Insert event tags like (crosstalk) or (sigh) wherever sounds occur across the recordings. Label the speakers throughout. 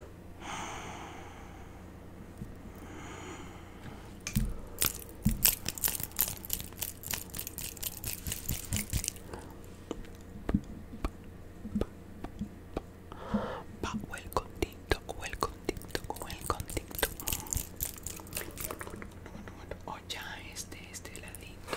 Speaker 1: But welcome TikTok, welcome TikTok, welcome TikTok. O oh, ya este, este ladito.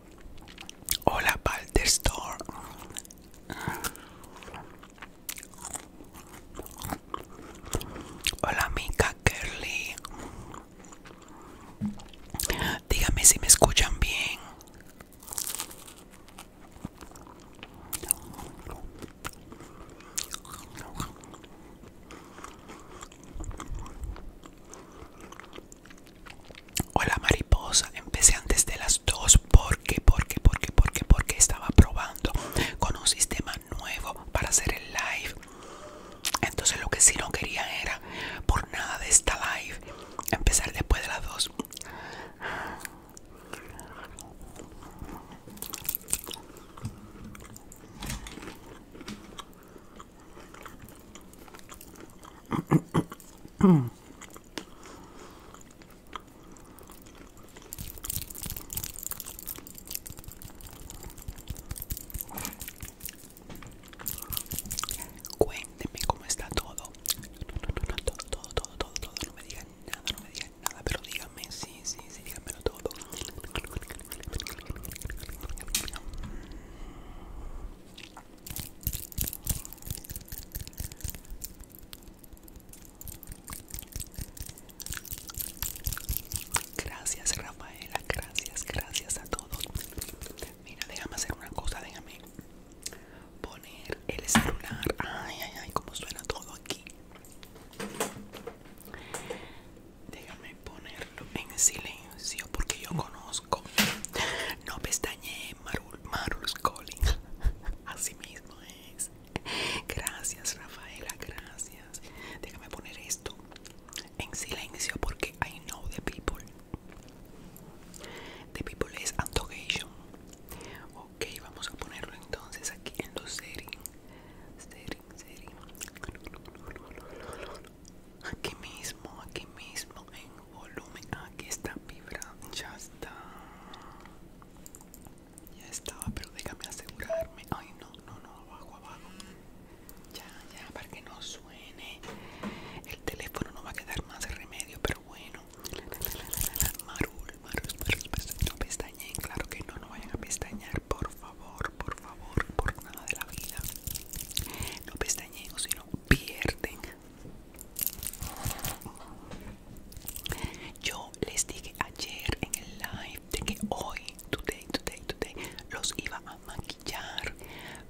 Speaker 2: Hola, Store. Hola, Mica Curly. Dígame si me escuchan bien. Hola mariposa, empecé antes de las 2 porque, porque, porque, porque, porque estaba probando con un sistema nuevo para hacer el live. Entonces lo que sí no quería era por nada de esta live empezar después de las 2.
Speaker 1: Cuénteme cómo está todo. Todo, todo, todo, todo, todo. No me digan nada, no me digan
Speaker 2: nada, pero díganme, sí, sí, sí, díganmelo todo. Gracias Rafaela, gracias, gracias a todos. Mira, déjame hacer una cosa, déjame poner el celular. Ay, ay, ay, como suena todo aquí. Déjame ponerlo en silencio porque yo conozco. No pestañe Marul, Marul Calling. (laughs) Así mismo es. Gracias, Rafaela, gracias. Déjame poner esto en silencio porque I know the people. The people is antocation. Ok, vamos a ponerlo entonces aquí en los settings. setting aquí mismo, aquí mismo, en volumen, aquí está vibra, ya está, ya estaba, pero déjame asegurarme, ay no, no, no, abajo, abajo, ya, ya, para que no suene, el teléfono no va a quedar más remedio, pero bueno, marul, marul, no pestañen, claro que no, no vayan a pestañear, por favor, por favor, por nada de la vida, no pestañen o si no pierden yo les dije ayer en el live de que hoy, today, today, today, los iba a maquillar,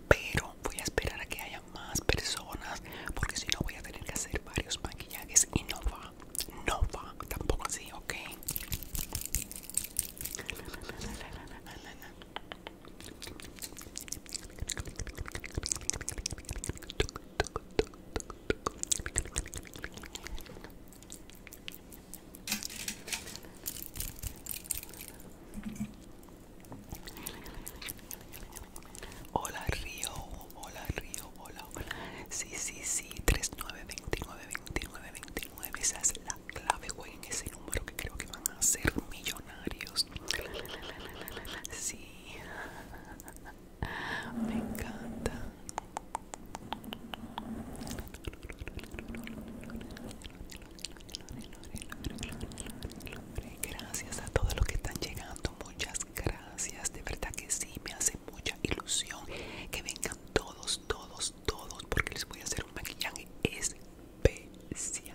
Speaker 2: pero voy a esperar a que haya más personas porque si no voy a tener que hacer varios maquillajes y no va, no va, tampoco así, ¿ok? Hola Río, hola Río, hola, sí, Sí, sí, veintinueve veintinueve Esa es la clave, güey, en ese que creo que van a ser millonarios. Sí, me encanta. Gracias a todos los que están llegando, muchas gracias. De verdad que sí, me hace mucha ilusión que vengan todos, todos, todos, porque les voy a hacer un maquillaje especial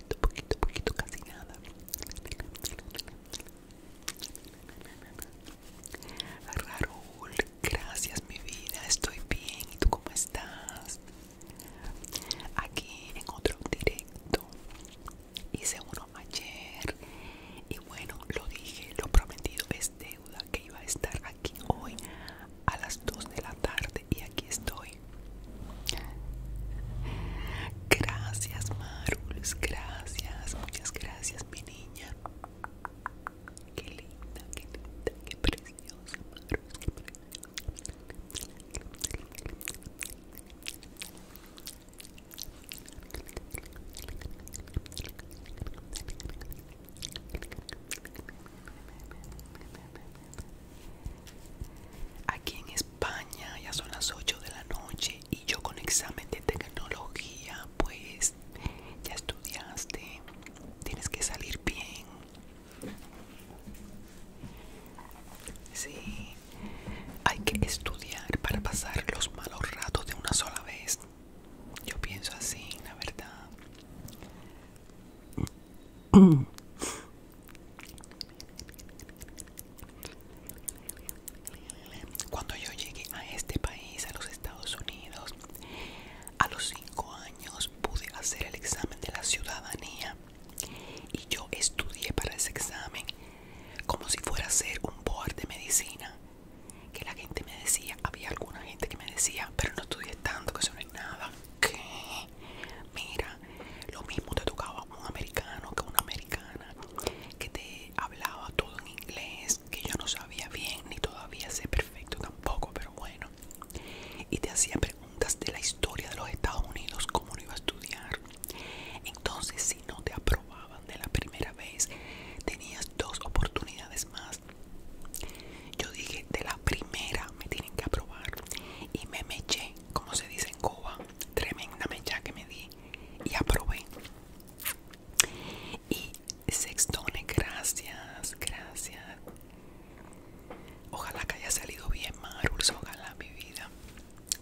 Speaker 2: poquito, poquito, poquito, casi nada. Raúl, gracias mi vida, estoy bien. ¿Y tú cómo estás? Aquí en otro directo. Hice uno ayer. Y bueno, lo dije, lo prometido es deuda que iba a estar aquí hoy a las 2 de la tarde. Y aquí estoy. Gracias, Marulus. Gracias, muchas gracias, mi niña. Qué linda, qué linda, qué preciosa, Marulus. Aquí en España ya son las 8 de la noche y yo con examen de tecnología, pues ya estudiaste, tienes que salir bien. Sí, hay que estudiar para pasar los malos ratos de una sola vez. Yo pienso así, la verdad. (clears throat) Cuando yo llegué a este país, a los Estados Unidos, a los 5 años pude hacer el examen de la ciudadanía y yo estudié para ese examen como si fuera a ser un board de medicina. Que la gente me decía, había alguna gente que me decía, pero no estudié tanto, que eso no es nada. ¿Qué? Mira, lo mismo te tocaba un americano que una americana que te hablaba todo en inglés, que yo no sabía bien ni todavía sé perfecto tampoco, pero bueno. Y te hacía preguntas de la historia de los Estados Unidos, cómo lo iba a estudiar. Entonces, si no te aprobaban de la primera vez, tenías dos oportunidades más. Yo dije, de la primera me tienen que aprobar. Y me meché, como se dice en Cuba, tremenda ya que me di y aprobé. Y Sextone, gracias, gracias. Ojalá que haya salido bien, Marus, ojalá mi vida.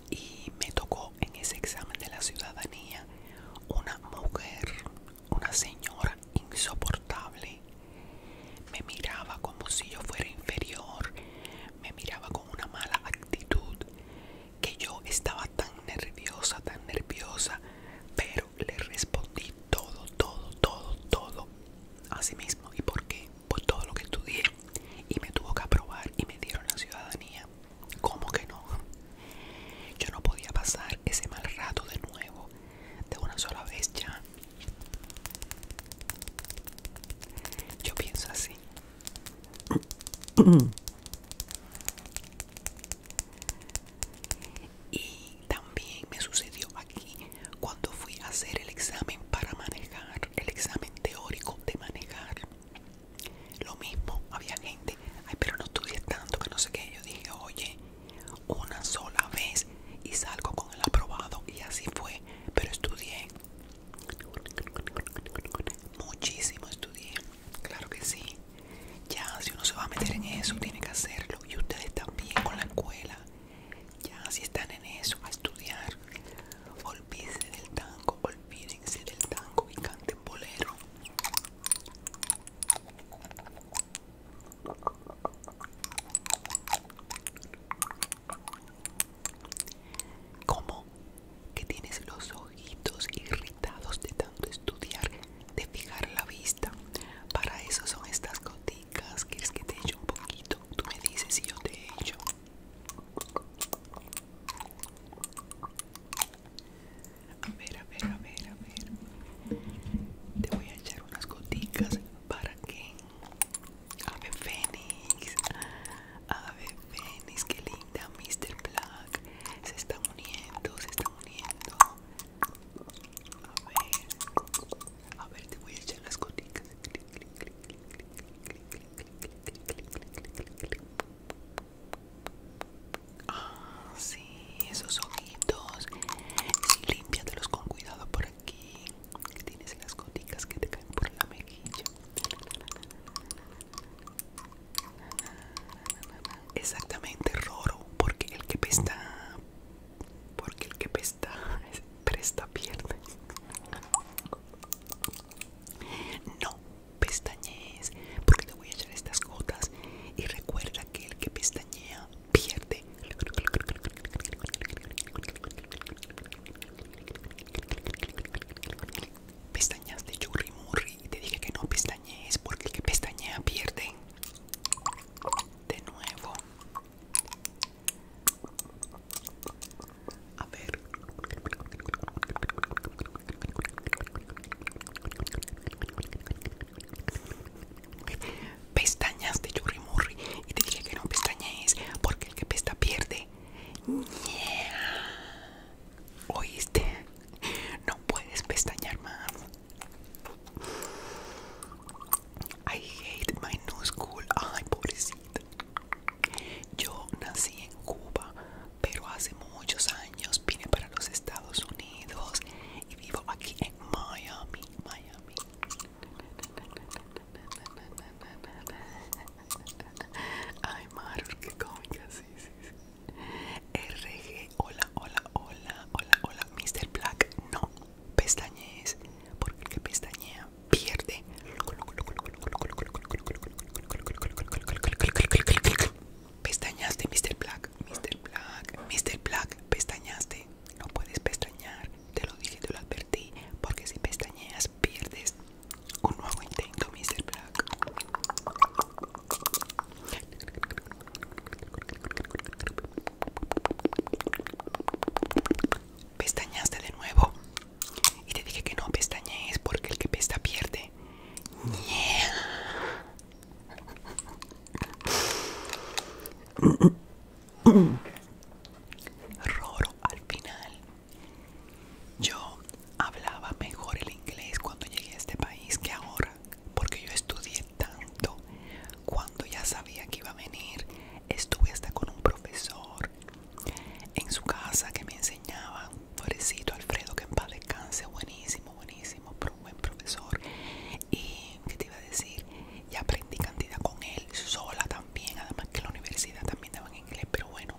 Speaker 2: Y me tocó en ese examen de la ciudadanía una mujer, una señora insoportable. Me miraba como si yo fuera inferior, me miraba con una mala actitud que yo estaba tan nerviosa, tan nerviosa, pero le respondí todo, todo, todo, todo a sí mismo. ¿Y por qué? Por todo lo que estudié y me tuvo que aprobar y me dieron la ciudadanía. ¿Cómo que no? Yo no podía pasar ese mal rato de nuevo, de una sola vez ya. Yo pienso así y también me sucedió aquí cuando fui a hacer el examen para manejar, el examen teórico de manejar. Lo mismo, había gente, ay, pero no estudié tanto que no sé qué. Yo dije, oye, una sola vez y salgo con el aprobado, y así fue, pero estudié. Muchísimo estudié, claro que sí. Ya, si uno se va a meter en eso, tiene que hacerlo. Y ustedes también con la escuela. Ya, si están en eso, a estudiar. Olvídense del tango, olvídense del tango y canten bolero. ¿Cómo? Que tienes los ojitos irritados de tanto estudiar, de fijar la vista. Para eso son estas goticas. ¿Quieres que te eche un poquito? Tú me dices si yo te echo. A ver, a ver, a ver, a ver. Te voy a echar unas goticas para que Ave Fénix. ver Fénix, qué linda. Mr. Black. Se está uniendo, se está uniendo. A ver. A ver, te voy a echar las goticas. Ah, sí, esos ojitos. Y limpiátelos con cuidado por aquí que tienes las goticas que te caen por la mejilla. Exactamente, Roro, porque el que pesta, porque el que pesta, (laughs) presta pierde. No pestañees, porque te voy a echar estas gotas y recuerda que el que pestañea pierde. Pestañas de Yuri murri y te dije que no pestañees porque el que pestañea pierde. De nuevo. A ver. Pestañas de Murri y te dije que no pestañees porque el que pesta pierde. ¿Oíste? No puedes pestañear más. I hate my new school. Ay, pobrecita. Yo nací en Cuba, pero hace muchos años vine para los Estados Unidos y vivo aquí en Miami, Miami. (laughs) Ay, Maru, qué cómica, sí, sí, sí. RG, hola, hola, hola, hola, hola. Mr. Black, no pestañees, porque el que pestañea pierde. Pestañaste, Mr. Black, Mr. Black, Mr. Black, pestañaste. No puedes pestañar, te lo dije, te lo advertí, porque si pestañeas pierdes. Un nuevo intento, Mr. Black. Pestañaste de nuevo. Y te dije que no pestañees porque el que pesta pierde. Roro al final. Yo hablaba mejor el inglés cuando llegué a este país que ahora, porque yo estudié tanto. Cuando ya sabía que iba a venir, estuve hasta con un profesor en su casa que me enseñaba, pobrecito Alfredo, que en paz descanse, buenísimo, buenísimo, pero un buen profesor. Y, ¿qué te iba a decir? ya aprendí cantidad con él, sola también, además que la universidad también daban inglés, pero bueno,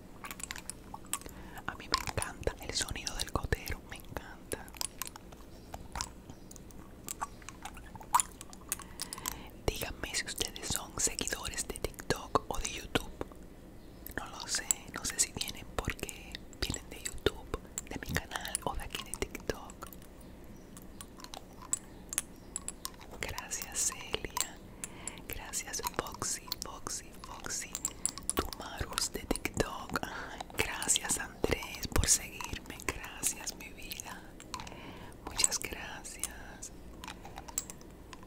Speaker 2: a mí me encanta el sonido del gotero, me encanta. Díganme si ustedes son seguidores de TikTok o de YouTube. No lo sé, no sé si vienen porque vienen de YouTube, de mi canal o de aquí de TikTok. Gracias Celia. Gracias Foxy, Foxy, Foxy. Marus de TikTok. Gracias Andrés por seguirme. Gracias mi vida. Muchas gracias.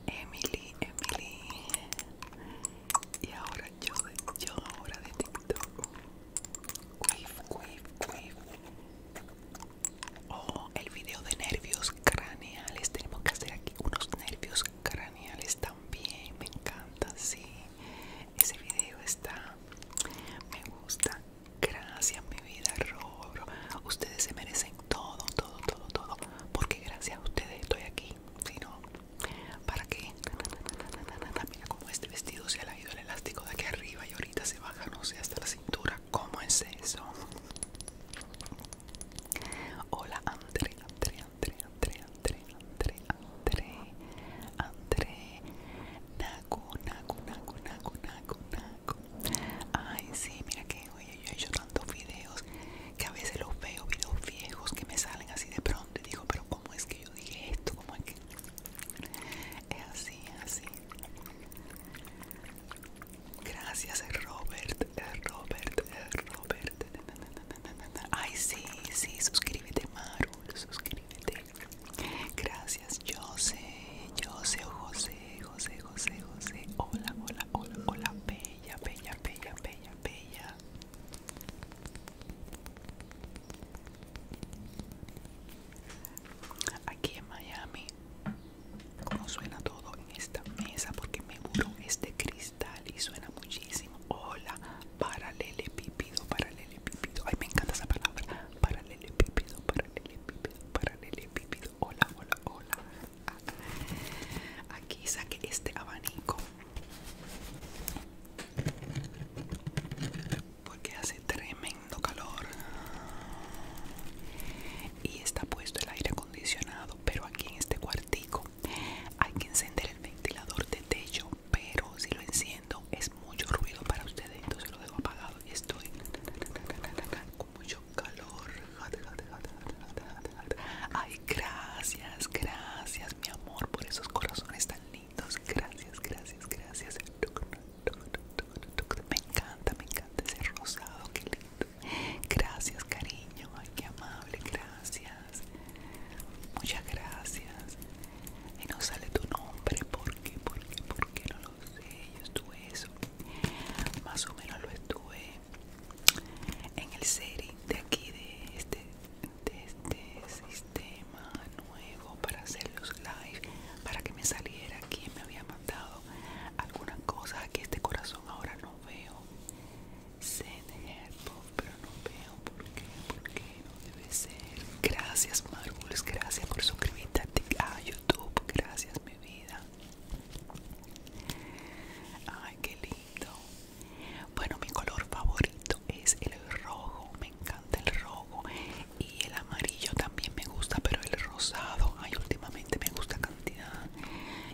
Speaker 2: Emily, Emily. Y ahora yo, yo ahora de TikTok. Quif, Oh, el video de nervios craneales. Tenemos que hacer aquí unos nervios craneales también me encanta si ese vídeo está me gusta gracias mi vida Robro ustedes se merecen todo todo todo todo porque gracias a ustedes estoy aquí si no para qué mira como este vestido se ha ido el elástico de aquí arriba y ahorita se baja no sé hasta la cintura cómo es eso Hola André, André, André, André, André, André, André, André, Naku, Naku, Naku, Naku, Naku, Naku. Ay, sí, mira que hoy yo he hecho tantos videos que a veces los veo, videos viejos que me salen así de pronto y digo, pero ¿cómo es que yo dije esto? ¿Cómo es que...? Es así, así. Gracias Robert, Robert, Robert. Ay, sí, sí, suscríbete, Maru, suscríbete. Gracias, José, José, José, José, José, José. Hola, hola, hola, hola, bella, bella, bella, bella, bella. Aquí en Miami, como suena todo en esta mesa, porque me murió este crisis y suena muchísimo. Hola, paralele paralelepípido. Ay, me encanta esa palabra. Paralelepípido, paralele paralelepípido. Hola, hola, hola. aquí saqué este abanico. Porque hace tremendo calor. Y está puesto el aire acondicionado pero aquí en este cuartico hay que encender el ventilador de techo pero si lo enciendo es mucho ruido para ustedes entonces lo dejo apagado y estoy con mucho calor ay gracias gracias mi amor por esos corazones tan lindos gracias gracias gracias me encanta me encanta ese rosado qué lindo Gracias, cariño. Ay, qué amable. Gracias. Muchas gracias. Y no sale tu nombre. porque, porque, porque, No lo sé. Yo estuve eso. Más o menos lo estuve en el setting de aquí, de este, de este sistema nuevo para hacer los live. Para que me saliera quien me había mandado alguna cosa, que este corazón ahora no veo pero no veo por qué, por qué no debe ser. Gracias, Marbles, gracias por suscribirte a YouTube. Gracias, mi vida. Ay, qué lindo. Bueno, mi color favorito es el rojo. Me encanta el rojo. Y el amarillo también me gusta, pero el rosado, ay, últimamente me gusta cantidad.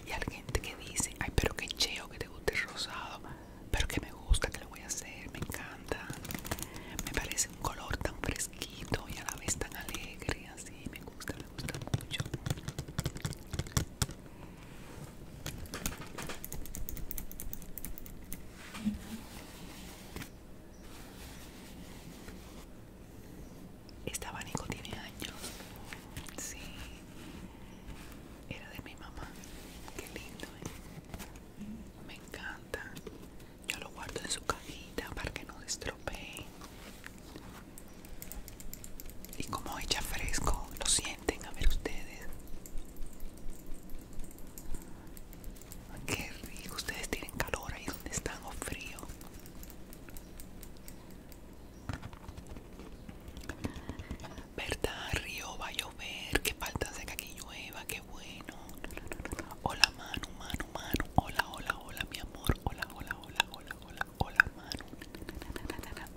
Speaker 2: Y hay gente que dice, ay, pero que cheo, que el rosado, pero que me gusta, que lo voy a hacer, me encanta. Me parece un color tan fresquito y a la vez tan alegre, así me gusta, me gusta mucho. Este abanico tiene años. Sí, era de mi mamá. Qué lindo, ¿eh? Me encanta. Yo lo guardo en su cajita para que no se estropee. Y como echa fresco, lo sienten, a ver ustedes. Qué rico, ustedes tienen calor ahí donde están o frío. ¿Verdad, Río? Va a llover. qué falta seca que llueva. Qué bueno. Hola, mano, mano, mano, Hola, hola, hola, mi amor. Hola, hola, hola, hola, hola, hola, Manu.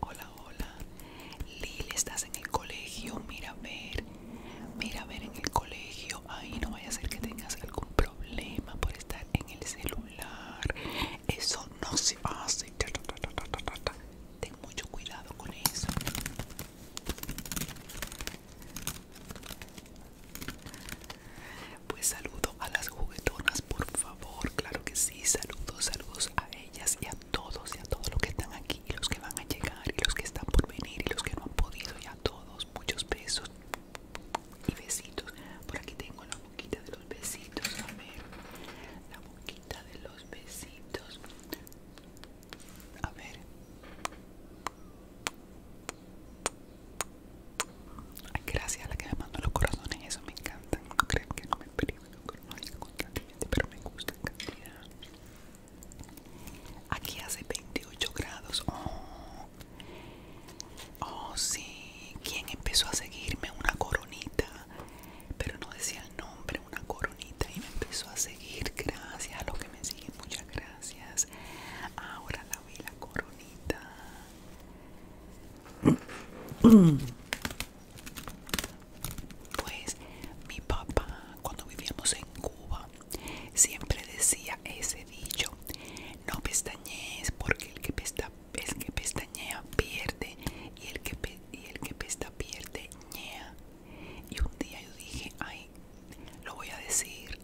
Speaker 2: Hola, hola. Lil, estás en el colegio. Mira, a ver. Mira, a ver en el colegio. Ahí no vaya a ser que tengas algún problema por estar en el celular eso no se hace. Ten mucho cuidado con eso. Pues saludo a las juguetonas, por favor. Claro que sí, saludos, saludos a ellas y a todos y a todos los que están aquí y los que van a llegar y los que están por venir y los que no han podido y a todos. Muchos besos y besitos. Por aquí tengo la boquita de los besitos. A de los besitos. A ver. gracias a la que me mandó los corazones, eso me encantan. No creen que no me periódico constantemente, pero me gusta en cantidad. Aquí hace 28 grados. Oh, oh sí. quien empezó a seguirme? Una coronita pero no decía el nombre, una coronita y me empezó a seguir, gracias a los que me sigue muchas gracias. Ahora la vi la coronita. Pues mi papá, cuando vivíamos en Cuba, siempre decía ese dicho, no pestañees porque el que, pestañea pierde y el que, y el que pesta pierde ñea. Y un día yo dije, ay, lo voy a decir,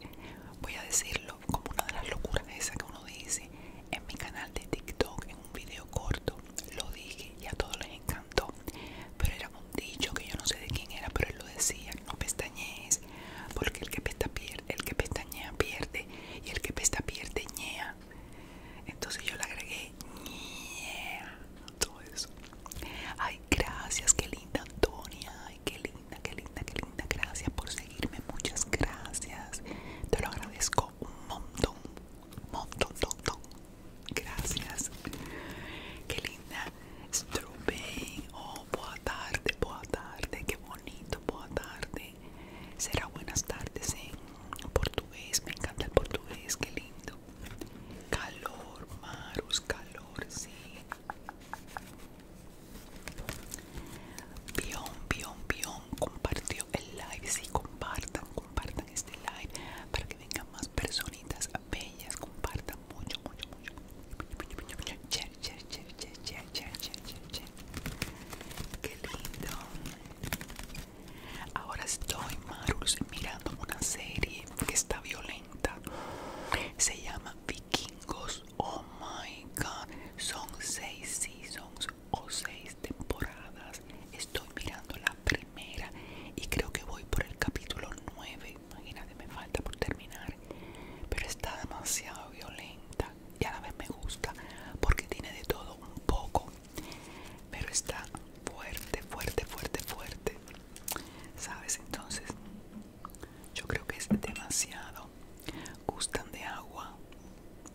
Speaker 2: voy a decirlo como una de las locuras esas que uno dice en mi canal de TikTok, en un video corto, lo dije y a todos les encantó. Pero era un dicho que yo no sé de quién era, pero él lo decía, no pestañees, porque el que pesta pierde, el que pestañea pierde y el que pesta pierde ñea. Entonces yo le agregué todo eso. Ay, gracias, qué linda Antonia. Ay, qué linda, qué linda, qué linda. Gracias por seguirme, muchas gracias. Te lo agradezco un montón, un montón, montón. Gracias. Qué linda. Oh, boa tarde, boa tarde. Qué bonito, boa tarde. Será buenas tardes ¿eh? Portugués, me encanta el portugués, qué lindo. Calor, Marus, calor, sí. Pion, pion, pion, compartió el live, sí, compartan, compartan este live para que vengan más personitas bellas, compartan mucho, mucho, mucho. Che, che, che, che, che, che, che, Qué lindo. Ahora estoy, Marus, mirando una serie que está violenta. Se llama Vikingos. Oh my god. Son seis seasons o seis temporadas. Estoy mirando la primera y creo que voy por el capítulo nueve, Imagínate, me falta por terminar. Pero está demasiado violenta y a la vez me gusta porque tiene de todo un poco pero está fuerte, fuerte, fuerte, fuerte. ¿Sabes? Entonces, yo creo que es demasiado. Gustan de agua,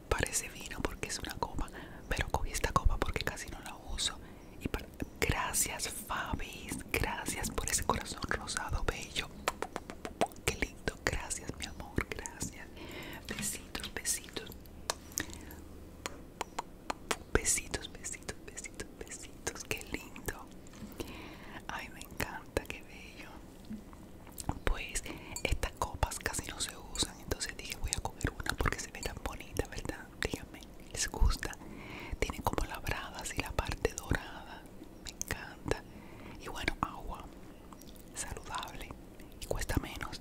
Speaker 2: parece vino porque es una copa, pero cogí esta copa porque casi no la uso. Y Gracias, Fabi, gracias por ese corazón rosado bello. Qué lindo, gracias, mi amor, gracias. Besitos, besitos. Besitos, besitos, besitos, besitos. Qué lindo. Ay, me encanta, qué bello. Pues estas copas casi no se usan, entonces dije voy a comer una porque se ve tan bonita, ¿verdad? Díganme, les gusta. tiene como labradas y la parte dorada. Me encanta. Y bueno, agua saludable y cuesta menos.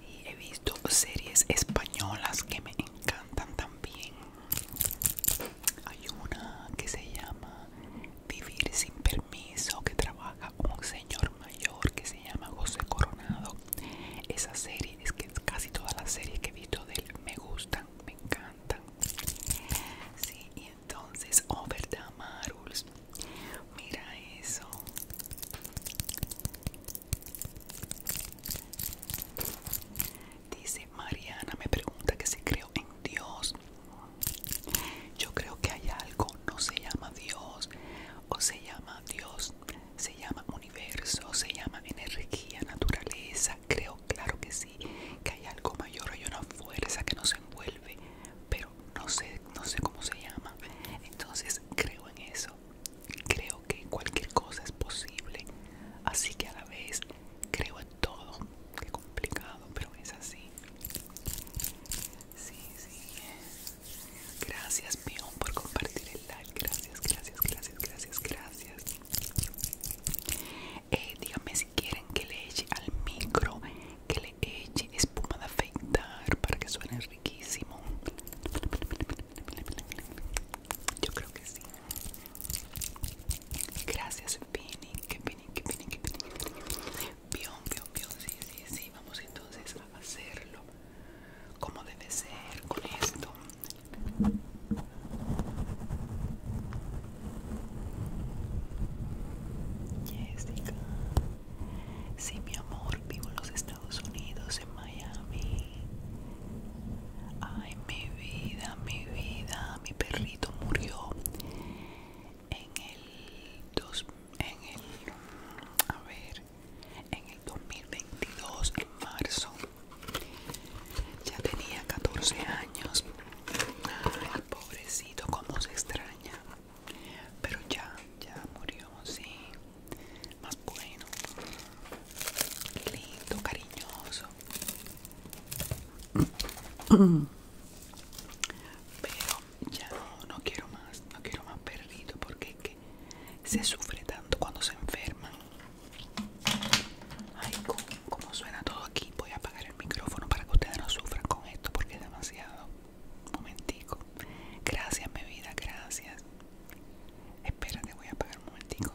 Speaker 2: y he visto series españolas que me encantan también. Hay una que se llama Vivir sin permiso que trabaja un señor mayor que se llama José Coronado. Esa serie es que casi todas las series que he visto de él me gustan, me encantan entonces, oh verdad, mira eso. Dice Mariana, me pregunta que se creo en Dios. Yo creo que hay algo, no se llama Dios, o se llama Dios, se llama universo, se llama energía, naturaleza. Creo, claro que sí que hay algo mayor, hay una fuerza que nos envuelve, pero no sé, no sé cómo se llama. Entonces creo en eso, creo que cualquier cosa es posible, así que a la vez creo en todo. Qué complicado, pero es así. Sí, sí. Gracias, Mion, por compartir el like. Gracias, gracias, gracias, gracias, gracias. Eh, quieren que le eche al micro, que le eche espuma de afeitar para que suene riquísimo. Yo creo que sí. Gracias, Vinny, que Vinny, que que sí, sí, sí. Vamos entonces a hacerlo como debe ser con esto. Jessica. si mi amor, vivo en los Estados Unidos, en Miami. Ay, mi vida, mi vida. Mi perrito murió en el en el a ver, en el 2022 en marzo. Ya tenía 14 años. Ay, pobrecito, como se extraña. Pero ya, ya murió, sí. Más bueno. Lindo, cariñoso. Pero ya no, quiero más, no quiero más perdido porque es que se sufre tanto cuando se enferman. Ay, cómo como suena todo aquí, voy a apagar el micrófono para que ustedes no sufran con esto porque es demasiado. Momentico. Gracias, mi vida, gracias. Espérate, voy a apagar un momentico.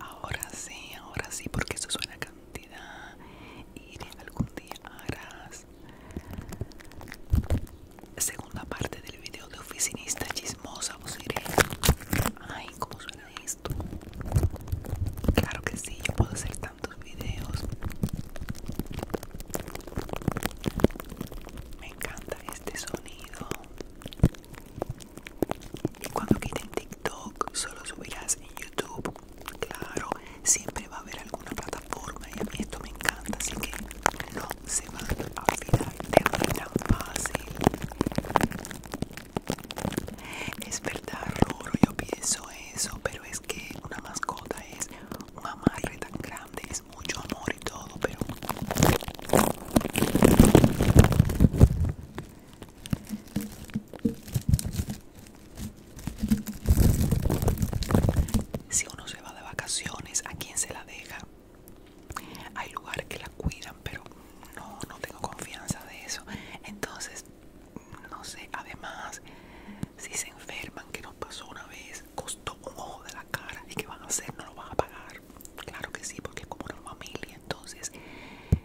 Speaker 2: Ahora sí, ahora sí, porque eso suena cantidad y algún día harás segunda parte del video de oficinista chismosa, os iré. Ay, cómo suena esto. Claro que sí, yo puedo hacer tantos videos. Me encanta este sonido. Y cuando quiten TikTok, solo subirás en YouTube. Claro, siempre va a haber alguna plataforma y a mí esto me encanta, así que no se van a olvidar de tan fácil. Es verdad, Roro, yo pienso eso, pero es que una mascota es un amarre tan grande, es mucho amor y todo, pero... Si uno se va de vacaciones, ¿a quién se la deja? Hay lugares que la cuidan, pero no, no tengo confianza de eso. Entonces, no sé, además, si se enferman, que nos pasó una vez, costó un ojo de la cara y que van a hacer, no lo van a pagar. Claro que sí, porque es como una familia, entonces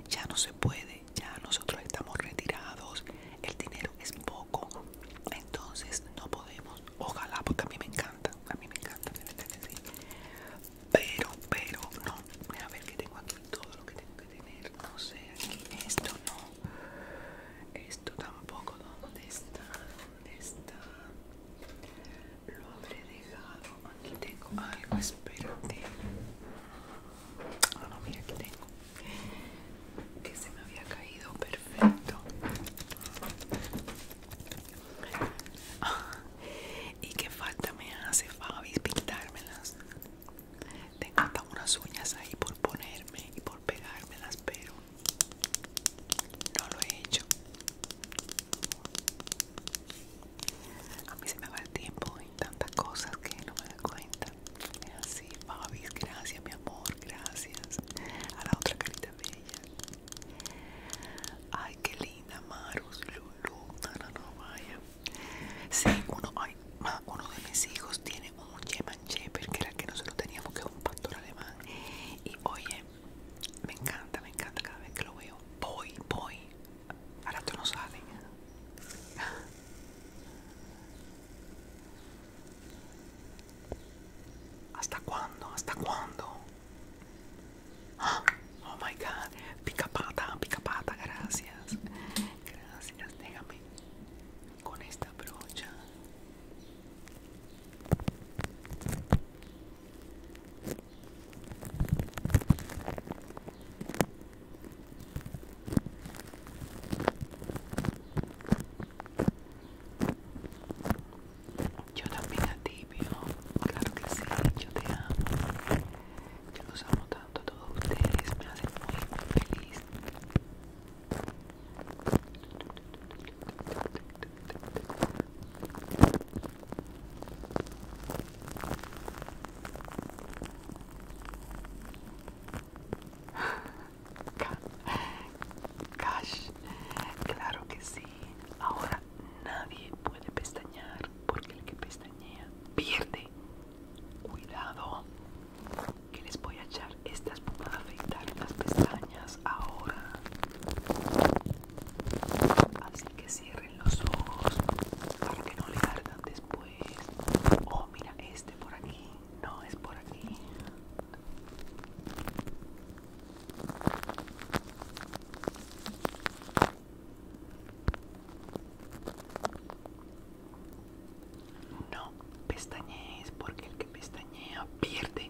Speaker 2: ya no se puede ya nosotros estamos retirados, el dinero es poco, entonces no podemos, ojalá, porque a mí me encanta, a mí me encanta, ¿me sí. pero, pero, no, a ver que tengo aquí todo lo que tengo que tener, no sé, aquí, esto no, esto tampoco, ¿dónde está? ¿Dónde está? Lo habré dejado, aquí tengo algo, espérate. Ah, no, mira que tengo. Que se me había caído, perfecto. Ah, y qué falta me hace Fabi pintármelas. Tengo hasta unas uñas ahí por ponerme y por pegármelas, pero no lo he hecho. A mí se me va el tiempo y tantas cosas que no me da cuenta. Es así, Babis, gracias, mi amor, gracias. A la otra carita bella. Ay, qué linda, Marus, Lulu. No, no, vaya. Sí, uno, ay, uno de mis hijos tiene un German Shepherd, que era que nosotros teníamos, que es un pastor alemán. Y oye, me encanta, me encanta cada vez que lo veo. Voy, voy. Ahora tú no sabes. ¿Hasta cuándo? ¿Hasta cuándo? Oh my god. Pica pata, pica pata, gracias. Gracias, déjame con esta brocha. Yo también a ti, Claro que sí, yo te amo. Yo los amo tanto a todos ustedes, me hacen muy feliz. Cash, claro que sí. Ahora nadie puede pestañear porque el que pestañea pierde. Cuidado, que les voy a echar estas espuma de afeitar las pestañas ahora. Así que cierren los ojos para que no le ardan después oh mira este por aquí no es por aquí no pestañees porque el que pestañea pierde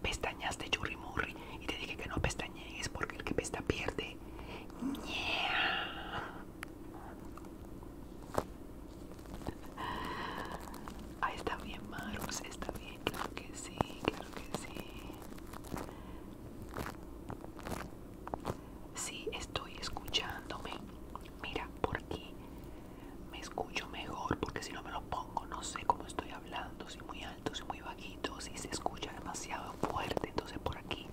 Speaker 2: pestañaste churrimurri y te dije que no pestañees porque el que pesta pierde. Yeah. Ah, está bien, Marus, está bien, claro que sí, claro que sí. Sí, estoy escuchándome. Mira, por qué me escucho mejor porque si no me lo pongo no sé cómo estoy hablando, si muy alto, si muy bajito, si se escucha demasiado fuerte, entonces por aquí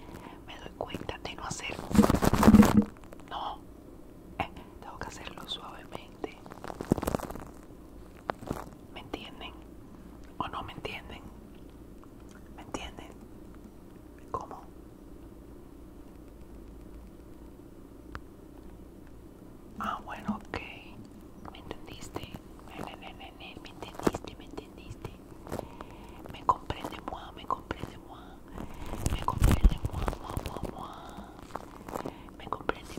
Speaker 2: me doy cuenta de no hacerlo. No, eh, tengo que hacerlo suavemente. ¿Me entienden? ¿O no me entienden? ¿Me entienden? ¿Cómo? Ah, bueno, ok. ¿Me entendiste? ¿Me entendiste? ¿Me entendiste? Me comprende, me comprende, Me comprende, Me comprende,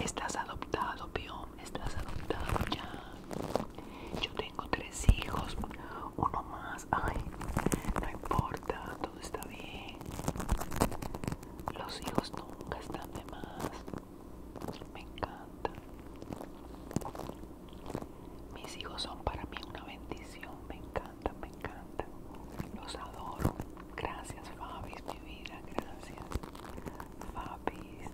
Speaker 2: Estás adoptado, Estás adoptado ya. Yo tengo tres hijos, uno más. Ay, no importa, todo está bien. Los hijos nunca están de más. Me encanta. Mis hijos son para mí una bendición. Me encanta, me encanta. Los adoro. Gracias, Fabis, mi vida. Gracias, Fabis.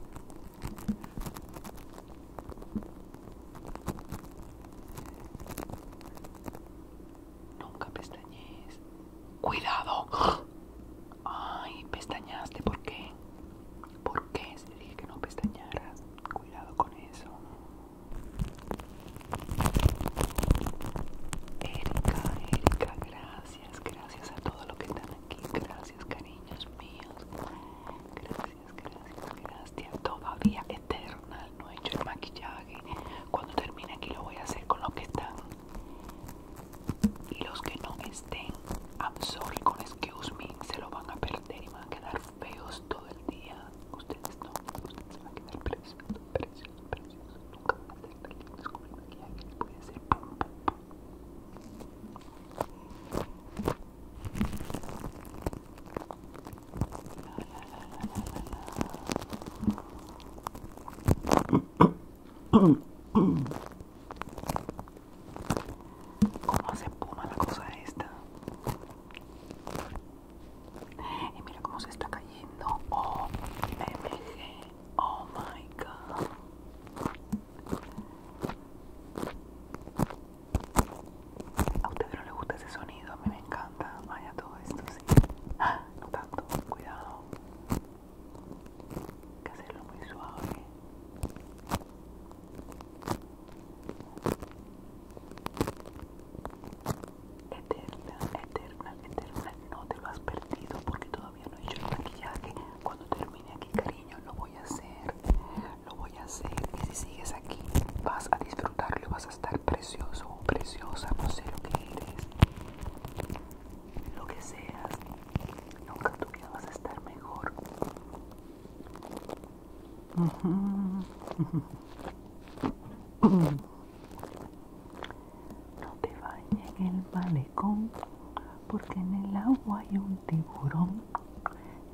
Speaker 2: Nunca pestañees. ¡Cuidado! Ay, pestañaste, ¿por qué? ¿Por qué? Se dije que no pestañara. Cuidado con eso. Erika, Erika, gracias. Gracias a todo lo que están aquí. Gracias, cariños míos. Gracias gracias, gracias. Todavía eterna, no he hecho el maquillaje. Cuando termine aquí lo voy a hacer con los que están. Y los que no estén, I'm con excuse me, se lo van a perder y van a quedar feos todo el día. Ustedes no, ustedes se van a quedar preciosos, preciosos, preciosos. Nunca van a ser tan lindos con el maquillaje, puede hacer pum, pum, pum. Cómo se puma la cosa esta. Y mira cómo se está cayendo. Oh, oh my god. A ustedes no les gusta ese sonido, a mí me encanta. Vaya todo esto, sí. Ah, no tanto, cuidado. Hay que hacerlo muy suave. Eterna, eterna, eterna. No te lo has perdido porque todavía no he hecho el maquillaje. Cuando termine aquí, cariño, lo voy a hacer lo voy a hacer y si sigues aquí vas a disfrutarlo, vas a estar precioso o preciosa, no sé lo que eres, lo que seas, nunca en tu vida vas a estar mejor. No te bañes en el malecón porque en el agua hay un tiburón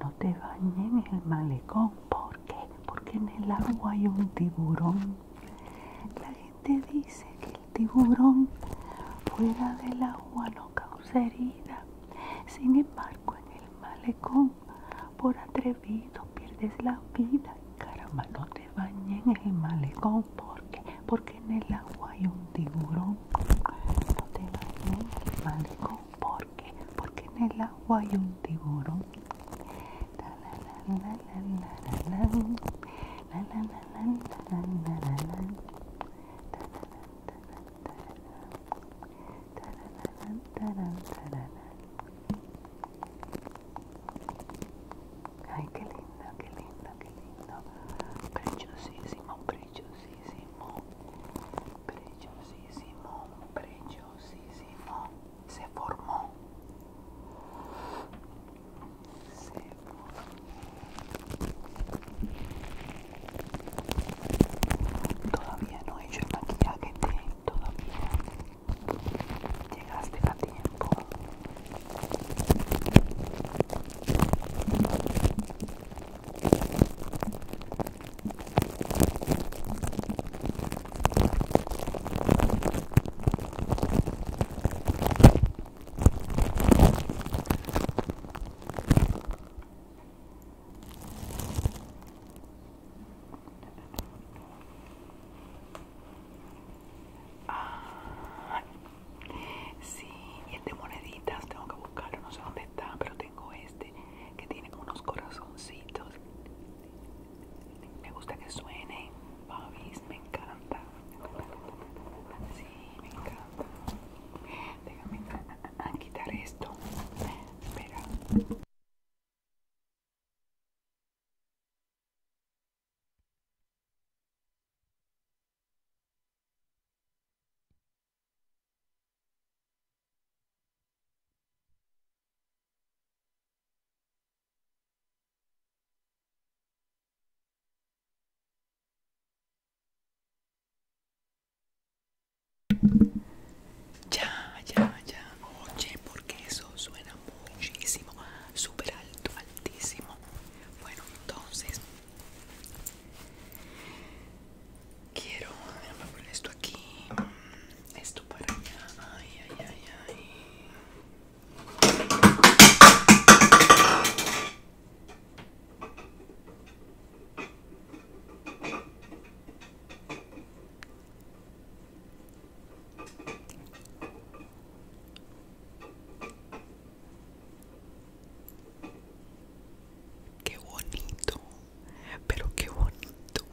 Speaker 2: no te bañes en el malecón. ¿Por qué? Porque en el agua hay un tiburón. La gente dice que el tiburón fuera del agua no causa herida. Sin embargo, en el malecón, por atrevido, pierdes la vida. Caramba, no te bañes en el malecón. ¿Por qué? Porque en el agua hay un tiburón. No te bañes en el malecón. ¿Por porque en el agua hay un tiburón. Ay, qué lindo, qué lindo, qué lindo. Preciosísimo, preciosísimo. Preciosísimo, preciosísimo. se formò. Se formó. Todavía no he hecho el maquillaje de todavía. Llegaste a tiempo. Ah, sí, y el este moneditas tengo que buscarlo, no sé dónde está, pero tengo este que tiene unos corazoncitos. Me gusta que suene Babis, me encanta. Sí, me encanta. Déjame quitar esto. Espera. Ya, ya, ya. Oye, porque eso suena muchísimo, súper alto, altísimo. Bueno, entonces quiero, poner esto aquí. Esto para allá. Ay, ay, ay, ay. Qué bonito pero qué bonito.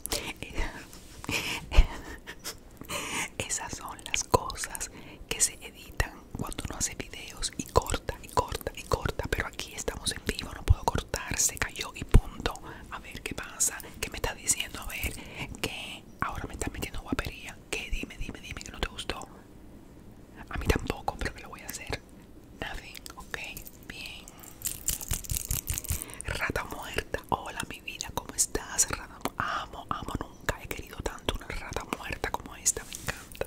Speaker 2: (laughs) Esas son las cosas que se editan cuando uno hace videos y corta y corta y corta, pero aquí estamos en vivo, no puedo cortar, se cayó y punto. A ver qué pasa, que me está diciendo, a ver, que ahora me está metiendo guapería, que dime, dime, dime que no te gustó. A mí tampoco, pero que lo voy a hacer. Nothing, ok, Bien. Rata muerta. Hola mi vida, ¿cómo estás? Rata amo, amo, nunca he querido tanto una rata muerta como esta, me encanta.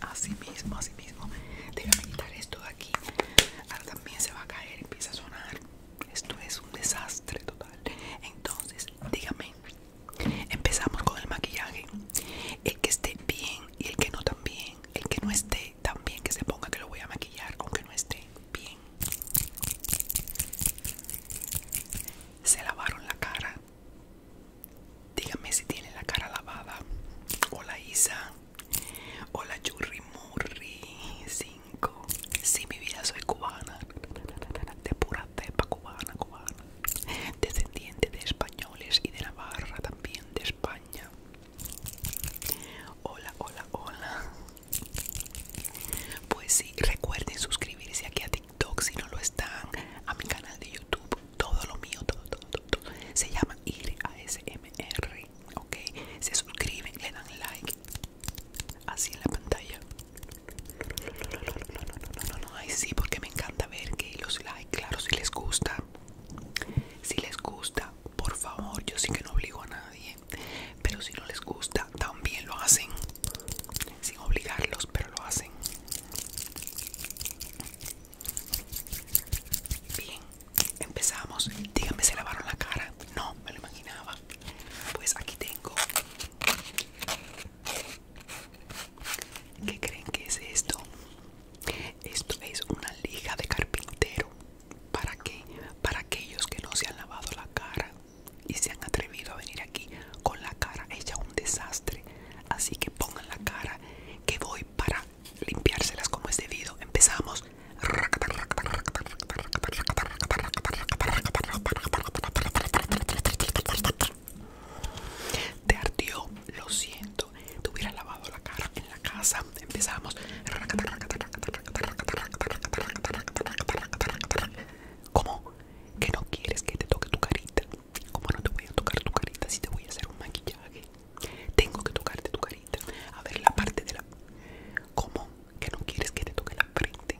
Speaker 2: Así mismo, así mismo. Déjame quitar esto de aquí. Ahora también se va a caer, empieza a sonar. Esto es un desastre total. Entonces, dígame. Empezamos con el maquillaje. El que esté bien y el que no también. El que no esté también que se ponga que lo voy a maquillar aunque no esté bien. Se lavaron la cara. Díganme si tiene la cara lavada. Hola Isa. Hola Yurri Murri 5. si mi vida soy cubana. De pura cepa cubana, cubana. Descendiente de españoles y de Navarra también, de España. Hola, hola, hola. Pues sí, recuerden suscribirse aquí a TikTok si no lo están, a mi canal de YouTube, todo lo mío, todo, todo, todo, se llama IRASMR, ok. Se suscriben, le dan like, así en la pantalla. No, no, no, no, no, no, no, ay sí, porque me encanta ver que los like, claro, si les gusta, si les gusta, por favor, yo sí que no obligo a nadie, pero si no les gusta, también lo hacen, sin obligarlos, pero lo hacen. Bien, empezamos. Díganme, ¿se lavaron la cara? No, me lo imaginaba. Pues aquí tengo. ¿Qué creen que es esto? Esto es una lija de carpintero. ¿Para qué? Para aquellos que no se han lavado la cara y se han atrevido a venir aquí con la cara hecha un desastre. Así que pongan la cara que voy para limpiárselas como es debido. Empezamos. Te ardió, lo siento. Te hubieras lavado la cara en la casa. Empezamos. ¿Cómo? ¿Que no quieres que te toque tu carita? ¿Cómo no te voy a tocar tu carita si te voy a hacer un maquillaje? Tengo que tocarte tu carita. A ver, la parte de la... ¿Cómo? Que no quieres que te toque la frente.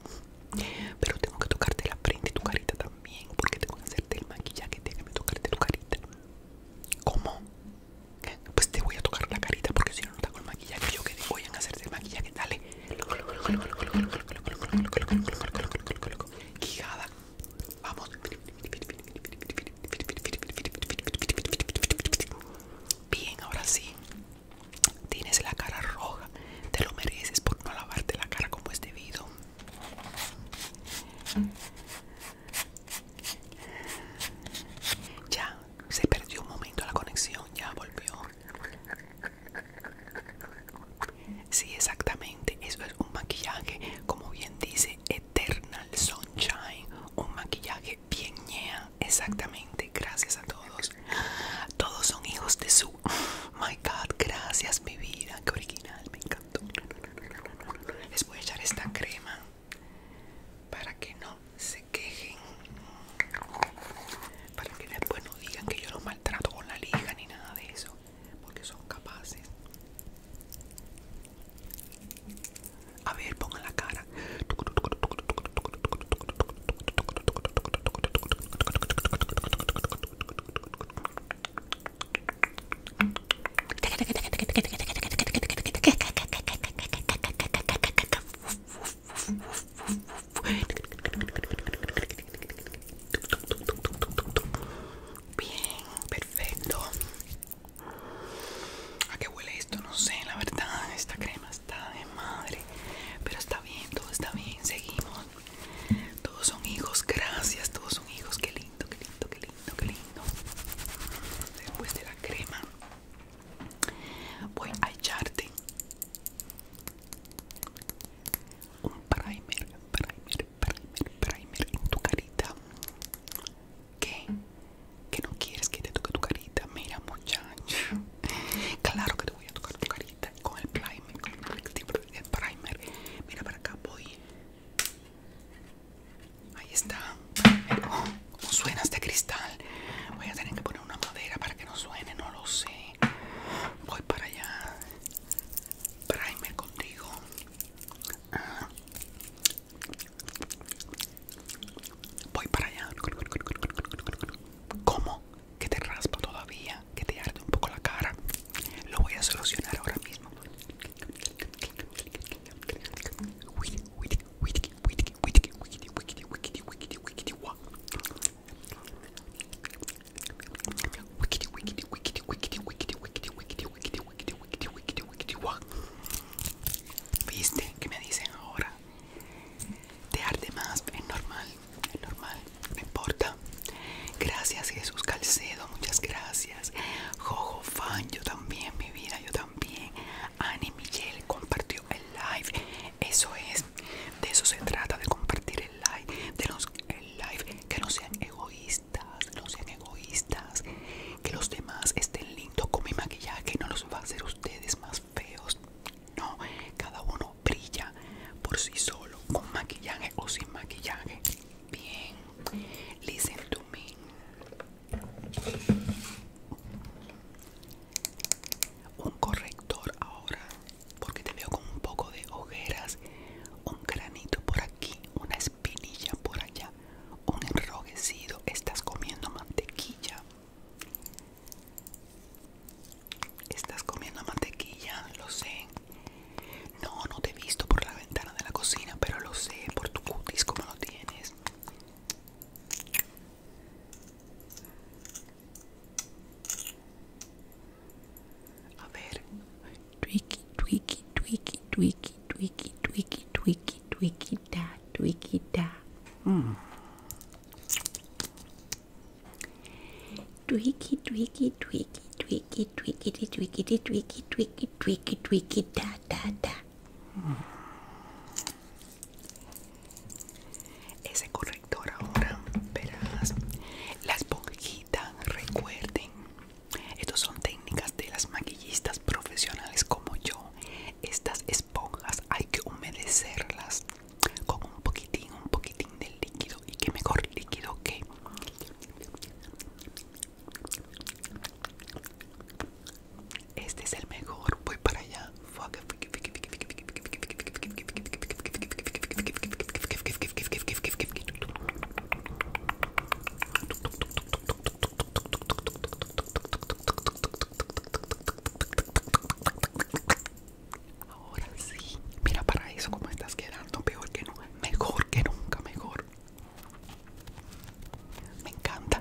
Speaker 2: Pero tengo que tocarte la frente y tu carita también. Porque tengo que hacerte el maquillaje. Déjame tocarte tu carita. ¿Cómo? Pues te voy a tocar la carita porque si no, no está con maquillaje. Yo que voy a hacerte el
Speaker 1: maquillaje, dale. Quijada. Vamos.
Speaker 2: Bien, ahora sí. Tienes la cara roja. Te lo mereces por no lavarte la cara como es debido. Ya, se perdió un momento la conexión, ya volvió. Sí, exactamente. Eso es un maquillaje, como bien dice Eternal Sunshine. Un maquillaje bien ñea. Exactamente. Gracias a todos. Todos son hijos de su. (laughs) My God, gracias mi vida. Qué original, me encantó. Les voy a echar esta crema para que no se quejen para que después no digan que yo los maltrato con la liga ni nada de eso porque son capaces a ver pongan la cara (laughs) Bien, perfecto. ¿A qué huele esto? No sé, la verdad. Esta crema está de madre. Pero está bien, todo está bien. Seguimos. Todos son hijos, gracias. Todos son hijos. Qué lindo, qué lindo, qué lindo, qué lindo. Después de la crema voy a echarte un primer, primer, primer, primer en tu carita. ¿Qué? ¿Que no quieres que te toque tu carita? Mira, muchacho. Claro que te voy a tocar tu carita con el primer, con el primer. Mira para acá voy. Ahí está. ¿Cómo suena este cristal? Voy a tener que poner una madera para que no suene, no lo sé. Voy para allá. Primer contigo. Ah. Voy para allá. ¿Cómo? Que te raspa todavía, que te arde un poco la cara. Lo voy a solucionar ahora mismo. ¿Viste? ¿Qué me dicen ahora? Te arde más, es normal, es normal, no importa. Gracias Jesús Calcedo, muchas gracias. Jojo Fan, yo también, mi vida, yo bien Ani Miguel compartió el live. Eso es, de eso se trata, de compartir el live, de los que no sean egoístas, no sean egoístas, que los demás estén lindos con mi maquillaje, no los va a hacer ustedes más feos. No, cada uno brilla por sí solo, con maquillaje o sin maquillaje. Bien, listen to me. Un corrector ahora, porque te veo con un poco de ojeras, un granito por aquí, una espinilla por allá, un enrojecido. Estás comiendo mantequilla. Estás comiendo mantequilla, lo sé. No, no te he visto por la ventana de la cocina, pero lo sé por tu cutis como lo tienes. A ver. Tweaky, tweaky, tweaky, tweaky, tweaky, tweaky, tweaky, tweaky, da, tweaky, da. Mm. Tweaky, tweaky, tweaky, tweaky, tweaky, tweaky, tweaky, tweaky, tweaky, tweaky, da, da, da. Ese corrector ahora, verás. La esponjita, recuerden. Estos son técnicas de las maquillistas profesionales como yo. Estas esponjas hay que humedecerlas con un poquitín, un poquitín de líquido. Y que mejor líquido que este es el mejor, voy para allá. Ahora sí, mira para eso cómo estás quedando, peor que nunca, mejor que nunca, mejor. Me encanta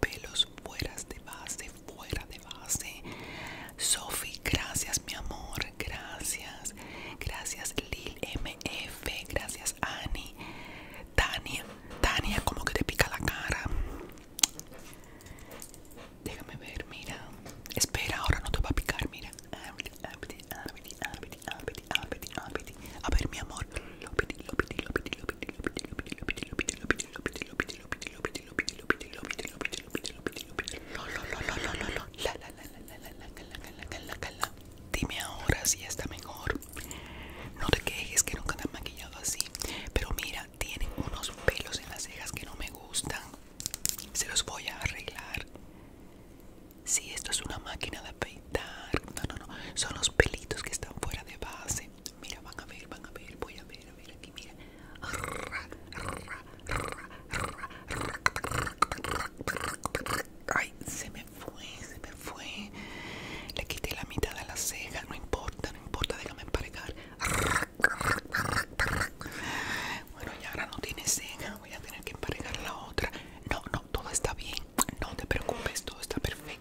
Speaker 2: pelos fuera de base, fuera de base. Sophie, gracias mi amor, gracias. Gracias Lil MF, gracias Annie. Tania, Tania, como que te pica la cara. Déjame ver, mira. Espera, ahora no te va a picar, mira. A ver, mi amor, Dime ahora si está mejor. No te quejes que nunca te han maquillado así. Pero mira, tienen unos pelos en las cejas que no me gustan. Se los voy a arreglar. Si esto es una máquina de afeitar. No, no, no. Son los pelitos que están fuera de base. Mira, van a ver, van a ver, voy a ver, a ver aquí, mira. Ay, se me fue, se me fue. Le quité la mitad de la ceja, no importa, no importa, déjame emparejar. Bueno, y ahora no tiene ceja, voy a tener que emparejar la otra. No, no, todo está bien, no te preocupes, todo está perfecto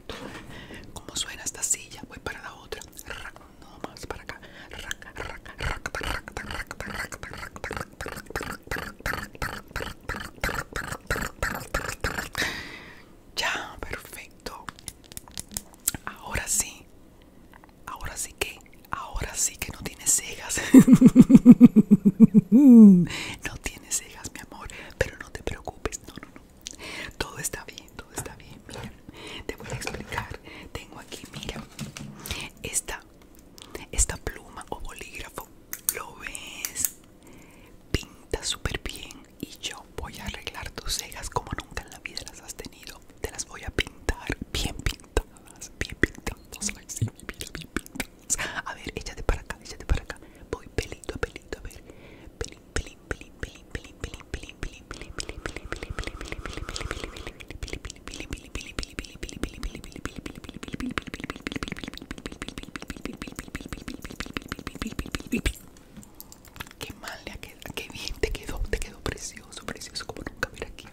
Speaker 2: como suena esta silla? Voy para la otra. No más para acá. Ya, perfecto. Ahora sí. Ahora sí que. Ahora sí que no tiene cejas. no tiene cejas, mi amor. Pero no te preocupes. No, no, todo está bien, todo está bien. Mira, te voy a explicar. Tengo aquí, mira, esta, esta pluma o bolígrafo. Lo ves, pinta súper bien. Y yo voy a arreglar tus cejas como nunca en la vida las has tenido. Te las voy a pintar bien pintadas, bien pintadas. bien pintadas. A ver, échate para acá, échate para acá. Voy pelito a pelito, a ver. Pelito Qué mal qué bien te quedó, te quedó precioso, precioso como nunca. aquí, aquí.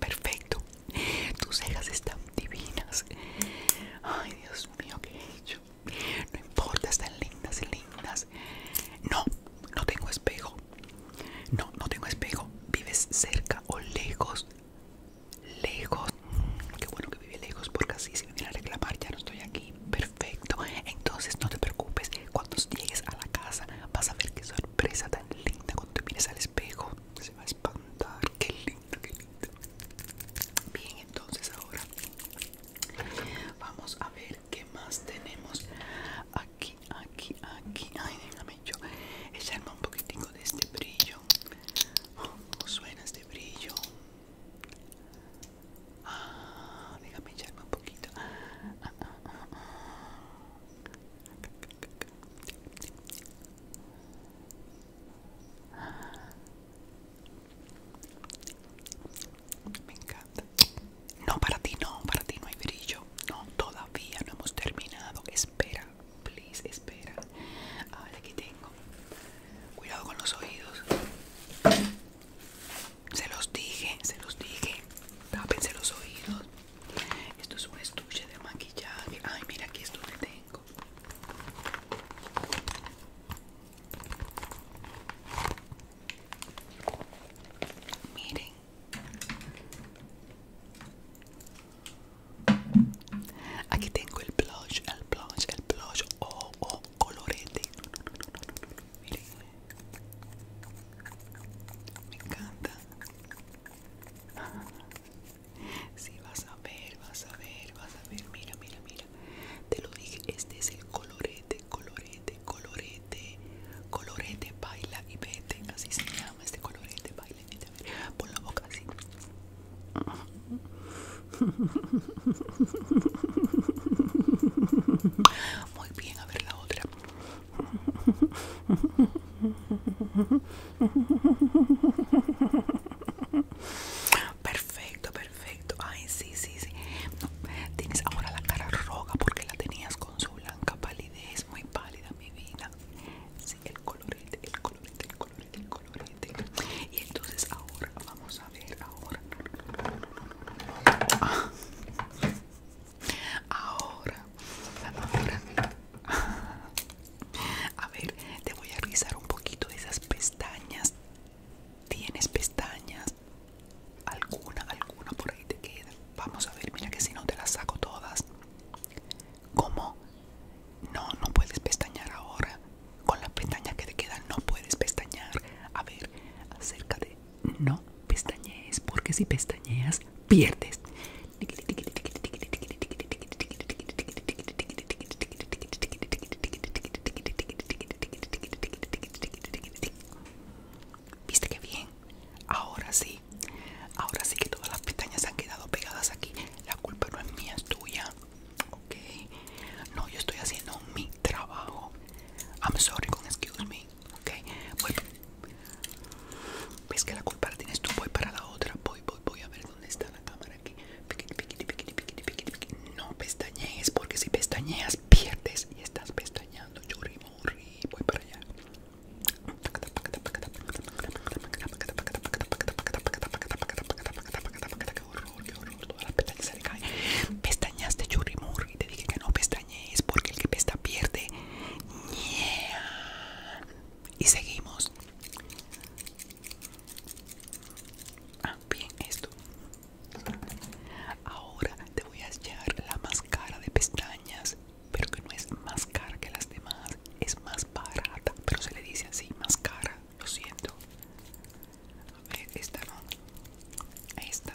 Speaker 2: Perfecto. Tus cejas están divinas. Ay, Dios mío, ¿qué he hecho? No importa, están lindas y lindas. No, no tengo espejo. No, no tengo espejo. ¿Vives cerca o lejos? Lejos. Mm, qué bueno que vive lejos porque así si me viene a reclamar. Ya no estoy aquí perfecto. Entonces no te preocupes, cuando llegues a la casa vas a ver qué sorpresa tan linda cuando te mires al espejo. Se va a espantar, qué lindo qué lindo Bien, entonces ahora vamos a ver qué más tenemos aquí, aquí, aquí. Ay, déjame yo echarme un poquitico de este brillo. Oh, ¿Cómo suena este brillo? Ah, déjame echarme un poquito. Ah, ah, ah, Me encanta. No, para ti no, para ti no hay brillo. No, todavía no hemos terminado. Espera, please, espera. A ver, aquí tengo. Cuidado con los oídos. Se los dije, se los dije. Tápense los oídos. Esto es un estuche de maquillaje. Ay, mira aquí esto que tengo. Miren. Aquí tengo el blush, el blush, el blush o oh, oh, colorete. Miren, me encanta. Si (laughs) vas a ver, vas a ver, vas a ver. Mira, mira, mira. Te lo dije, este es el colorete, colorete, colorete, colorete, baila y vete. Así se llama este colorete, baila y vete. Por la boca así. (laughs)
Speaker 1: Muy bien, a ver la otra.
Speaker 2: Perfecto, perfecto. Ay, sí, sí, sí. tienes ahora la cara roja porque la tenías con su blanca palidez, muy pálida, mi vida. Sí, el colorete, el colorete, el colorete, el colorete. Y entonces ahora vamos a ver ahora. Ah. Ahora, ahora, (laughs) a ver, te voy a revisar un poquito de esas pestañas. ¿Tienes pestañas? Alguna, alguna por ahí te queda. Vamos a ver, mira que si no te las saco todas. ¿Cómo? No, no puedes pestañar ahora. Con las pestañas que te quedan no puedes pestañar. A ver, acércate, no pestañees, porque si pestañeas, pierdes. ¿Viste qué bien? Ahora sí, ahora sí que todas las pestañas han quedado pegadas aquí. La culpa no es mía, es tuya. Ok, no, yo estoy haciendo un trabajo. I'm sorry con excuse me. Ok, voy. Ves que la culpa la tienes tú. Voy para la otra. Voy, voy, voy a ver dónde está la cámara aquí. No pestañees porque si pestañeas pierdes y estás pestañando. Yo Voy para allá. Qué horror, qué horror, todas las pestañas se le caen. Pestañaste, churrimurri, te dije que no pestañaste es porque el que pesta pierde. Y seguimos. Ah, bien, esto. Ahora te voy a echar la máscara de pestañas, pero que no es más cara que las demás, es más barata, pero se le dice así, más cara, lo siento. esta no. esta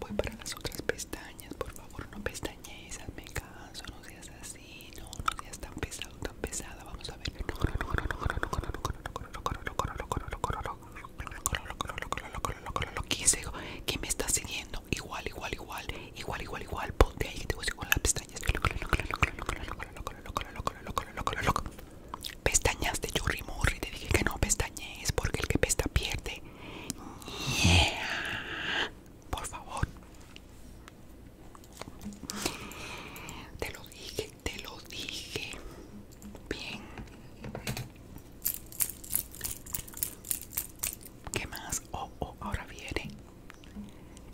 Speaker 2: voy para las otras pestañas. Por favor, no pestañees, me canso, no seas así, no, no seas tan pesado, tan pesada. Vamos a ver. loco loco me está siguiendo? Igual, igual, igual, igual, igual, igual. Ponte ahí te voy a seguir con las pestañas. Pestañas de Morri, te dije que no, pestañas es porque el que pesta pierde. Por favor. Te lo dije, te lo dije. Bien. ¿Qué más? Oh, oh, ahora viene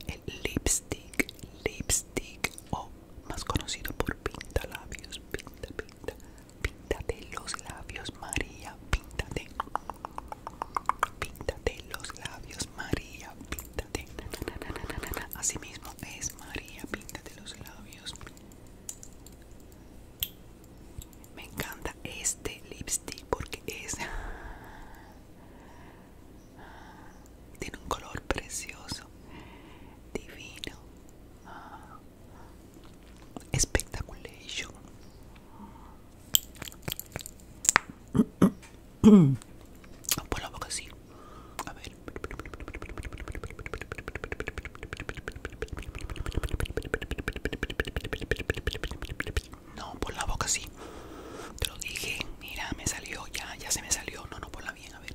Speaker 2: el lipstick, lipstick, o oh, más conocido por pinta labios, pinta, pinta. Píntate los labios, María. Píntate. Píntate los labios, María. Píntate. Así mismo es, María. Píntate los labios. Me encanta este lipstick porque es. Tiene un color precioso, divino.
Speaker 1: Spectaculation. (coughs) Por la boca sí.
Speaker 2: No, por la boca sí. Te lo dije. Mira, me salió. Ya, ya se me salió. No, no, por la bien. A ver.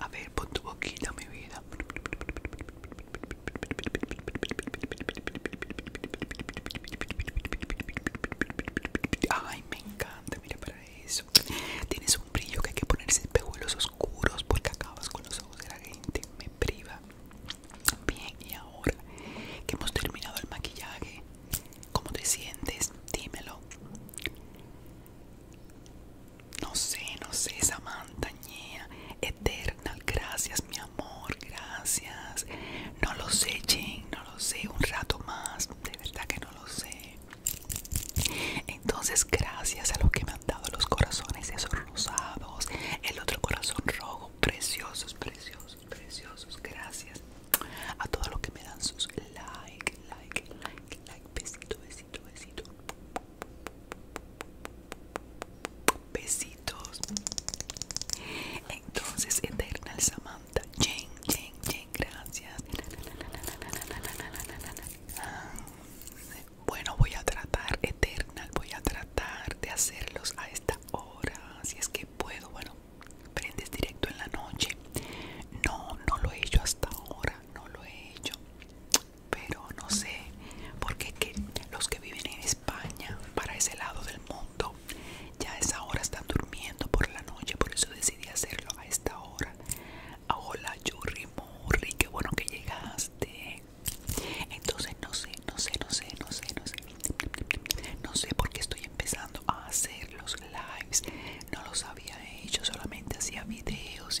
Speaker 2: A ver, pon tu boquita, mi vida. Ay, me encanta, mira para eso. Tienes un brillo que hay que ponerse en los oscuros porque acabas con los ojos de la gente. Me priva. Bien, y ahora que hemos terminado el maquillaje, ¿cómo te sientes? Dímelo. No sé, no sé, esa montaña eterna, gracias mi amor, gracias. No lo sé, Jane, no lo sé, un rato más, de verdad que no lo sé. Entonces, gracias a los que me han dado los corazones esos rosados, el otro corazón rojo, preciosos, preciosos, preciosos, gracias. A todos los que me dan sus like, like, like, like, besito, besito, besito. Besitos. Entonces, Eternal Samantha. Jen, Jen, Jen, gracias. Bueno, voy a tratar, Eternal, voy a tratar de hacerlos a esta hora. Si es que puedo, bueno, prendes directo en la noche. No, no lo he hecho hasta ahora, no lo he hecho pero no sé porque que los que viven en España para ese lado del mundo ya a esa hora están durmiendo por la noche por eso decidí hacerlo a esta hora ah, hola Yuri Morri qué bueno que llegaste entonces no sé no sé no sé no sé no sé no sé por qué estoy empezando a hacer los lives no los había hecho eh, solamente hacía videos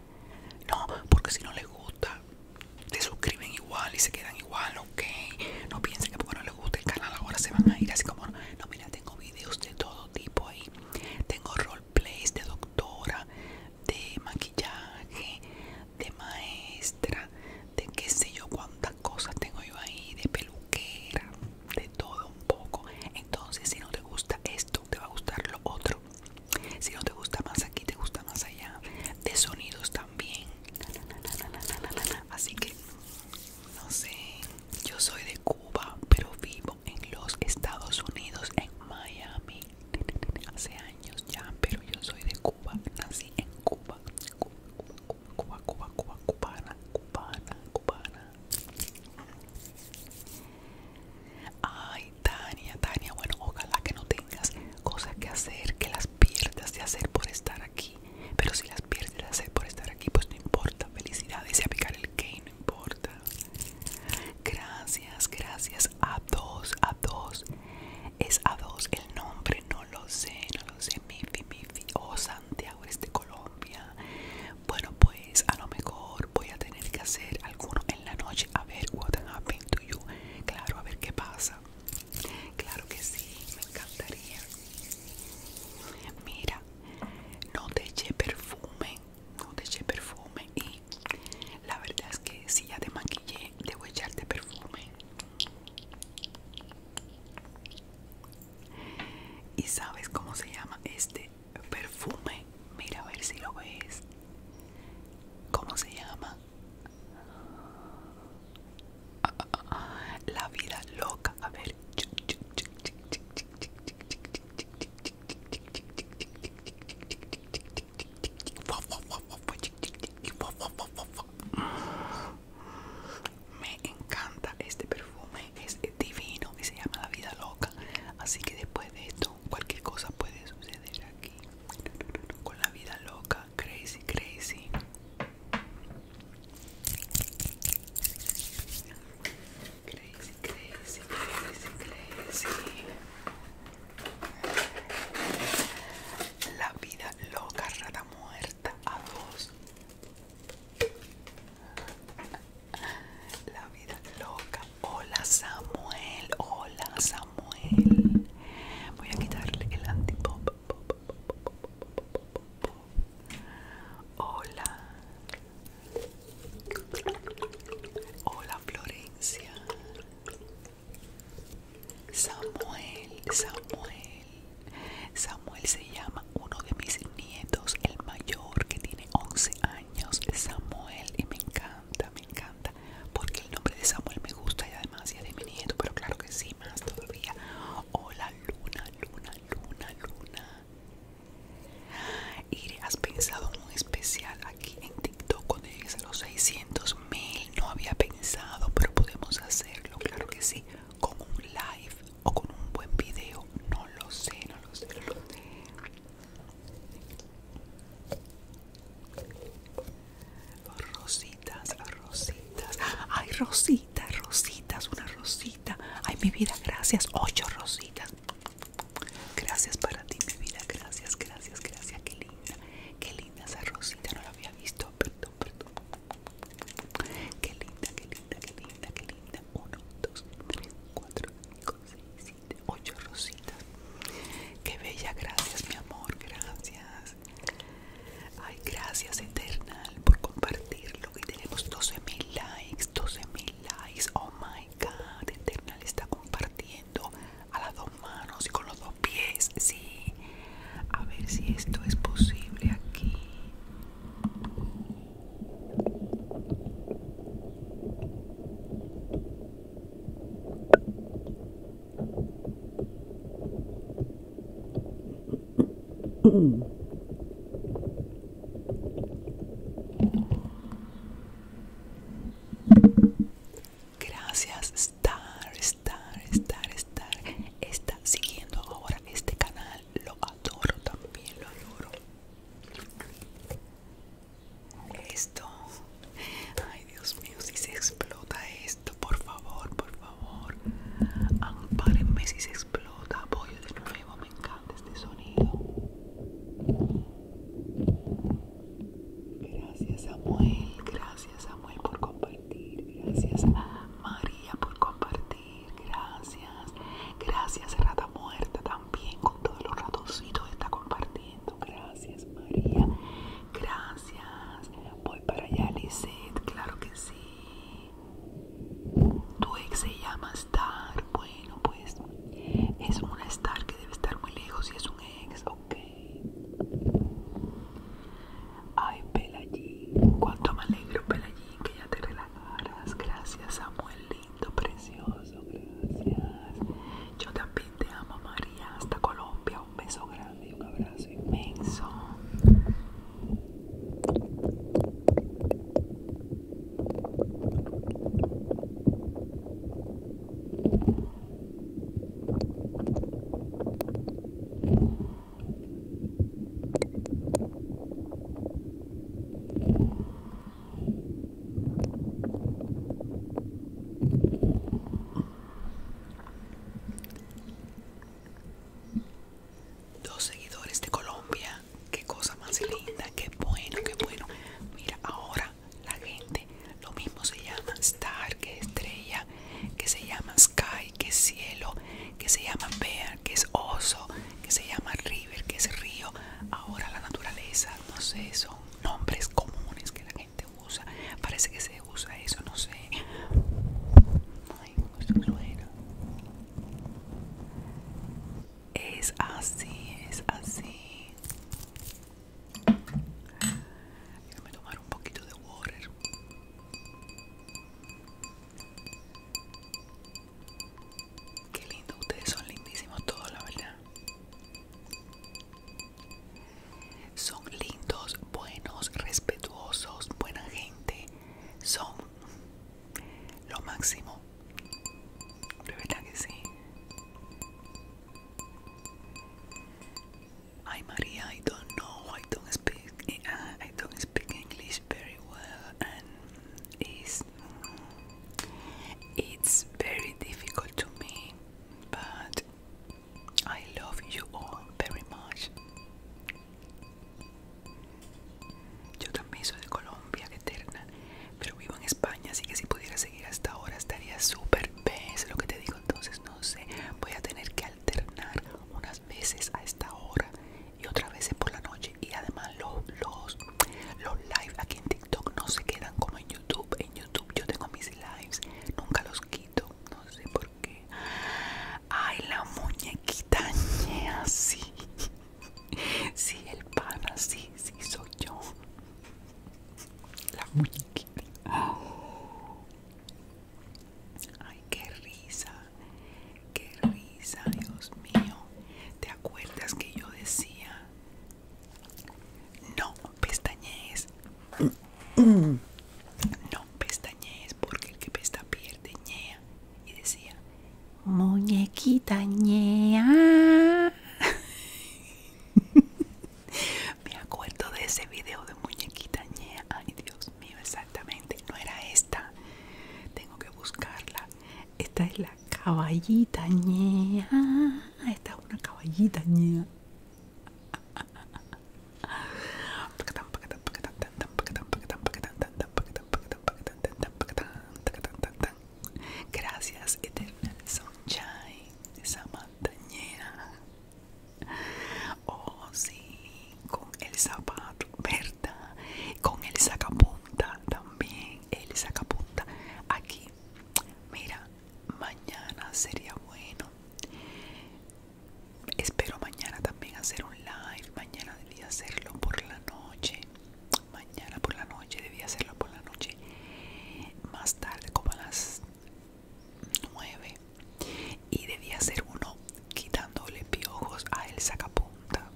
Speaker 2: no, porque si no les gusta, te suscriben igual y se quedan igual, ok. No piensen que porque no les gusta el canal ahora se van a ir así como. No, mira, tengo videos de todo tipo ahí. Tengo roleplays de doctora, de maquillaje, de maestra, de qué sé yo cuántas cosas tengo yo ahí, de peluquera, de todo un poco. Entonces, si no te gusta esto, te va a gustar lo otro. Si no te gusta más aquí, te gusta más allá. De sonidos también. Así que, no sé, yo soy de Cuba, pero vivo en los Estados Unidos, en Miami. Hace años ya, pero yo soy de Cuba, nací en Cuba. Cuba, Cuba, Cuba, Cuba, cubana, cubana, cubana. Ay, Tania, Tania, bueno, ojalá que no tengas cosas que hacer, que las pierdas de hacer por estar aquí. Pero si las pierdes de hacer por estar aquí, pues no importa. Felicidades y picar el que no importa. Gracias, gracias a dos, a dos. Es a dos el nombre, no lo sé, no lo sé. Mifi, Mifi, oh Santiago, eres de Colombia. Bueno, pues a lo mejor voy a tener que hacer alguno en la noche. A ver, what happened Claro, a ver qué pasa. Claro que sí, me encantaría. Mira, no te eché perfume, no te eché perfume y la verdad es que si ya te maquillé, debo echarte perfume. ¿Y sabes cómo se llama este perfume? Mira a ver si lo ves. ¿Cómo se llama? La vida loca. A ver. Me encanta este perfume, es divino y se llama La vida loca. Así que después de esto cualquier cosa puede suceder aquí con la vida loca crazy crazy crazy crazy crazy crazy la vida loca rata muerta a dos la vida loca Hola Samuel, hola Samuel. Voy a quitarle el antipop. Hola. Hola Florencia. Samuel, Samuel. Samuel se llama uno de mis nietos, el mayor que tiene 11 años. Samuel y me encanta me encanta porque el nombre de Samuel me gusta y además ya de mi nieto, pero claro que sí, más todavía. Hola, Luna, Luna, Luna, Luna. y has pensado en un especial aquí en TikTok con el los 600 mil. No había pensado, pero podemos hacerlo, claro que sí, con un live o con un buen video. No lo sé, no lo sé, no lo sé. Rositas, rositas. Ay, rositas, rositas, una rosita. Ay, mi vida, gracias. Ocho rositas. Gracias para ti, mi vida. Gracias, gracias, gracias. Qué linda. Qué linda esa rosita. No la había visto. Perdón, perdón. Qué linda, qué linda, qué linda, qué linda. Uno, dos, tres, cuatro, cinco, seis, ocho rositas. Qué bella, gracias mi amor, gracias. Ay, gracias Eternal por compartirlo. Y tenemos 12.000 likes, 12.000 likes. Oh my god, Eternal está compartiendo a las dos manos y con los dos pies. Sí, a ver si esto es posible aquí. Gracias Star, Star, Star, Star. Está siguiendo ahora este canal. Lo adoro también, lo adoro. Esto. Ay, Dios mío, si se explota esto, por favor, por favor. Ampárenme si se explota. Apoyo de nuevo, me encanta este sonido. Gracias, Samuel. Gracias, Samuel, por compartir. Gracias, María, por compartir. Gracias. Gracias, Rata Muerta, también con todos los ratoncitos está compartiendo gracias María, gracias. Voy para allá, Lizeth, claro que sí. Tu ex se llama Star, bueno, pues es una Star que debe estar muy lejos y es un ex, ok. Ay, Pelagín, cuánto me alegro, Pelagín, que ya te relajaras. Gracias, Samuel, lindo, precioso, gracias. Yo también te amo, María, hasta Colombia, un beso grande un abrazo inmenso. Dos seguidores de Colombia. Qué cosa más linda. Qué bueno, qué bueno. Mira, ahora la gente, lo mismo se llama Star, que estrella, que se llama Sky, que es cielo, que se llama Bear, que es oso, que se llama River, que es río. Ahora la naturaleza, no sé, son nombres comunes que la gente te usa. Parece que se usa eso, no sé. Ay, es así, es así. Déjame tomar un poquito de water. Qué lindo, ustedes son lindísimos todos, la verdad. Son lindos, buenos, respetuosos, buena gente. Son lo máximo. De verdad que sí. Ay María, I don't know. I don't speak. Uh, I don't speak English very well, and it's it's very difficult to me. But I love you all very much. Yo también soy de Colombia, eterna, pero vivo en España, así que si pudiera seguir hasta ahora estaría súper es lo que te digo, entonces no sé, voy a tener que alternar unas veces a esta hora y otras veces por la noche y además los, los, los live aquí en TikTok no se quedan como en en YouTube yo tengo mis lives, nunca los quito, no sé por qué. Ay, la muñequita ñe así, (laughs) Sí, el pan así si soy yo.
Speaker 1: La muñequita.
Speaker 2: Ay, qué risa, qué risa, Dios mío. ¿Te acuerdas que yo decía? no pestañees no pestañees porque el que pesta pierde y decía muñequita ñea (laughs) me acuerdo de ese video de muñequita ñea ay Dios mío exactamente no era esta tengo que buscarla esta es la caballita ñea esta es una caballita ñea Gracias, Eternal Sunshine, esa montañera. Oh, sí, con el zapato, ¿verdad? Con el sacapunta también, el sacapunta. Aquí, mira, mañana sería bueno espero mañana también hacer un live mañana debía hacerlo por la noche mañana por la noche Debía hacerlo por la noche más tarde como a las 9 y debía hacer uno quitándole piojos a el sacapunta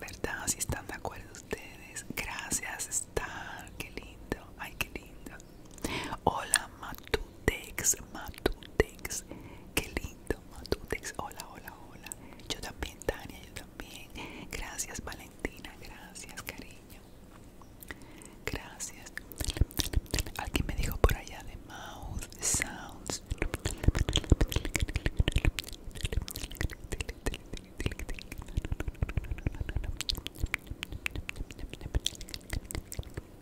Speaker 2: verdad si están de acuerdo ustedes gracias está. qué lindo ay qué lindo Hola Matutex, Matutex. Qué lindo Matutex. Hola, hola, hola. Yo también, Tania, yo también. Gracias, Valentina. Gracias, cariño. Gracias. Alguien me dijo por allá de Mouth Sounds.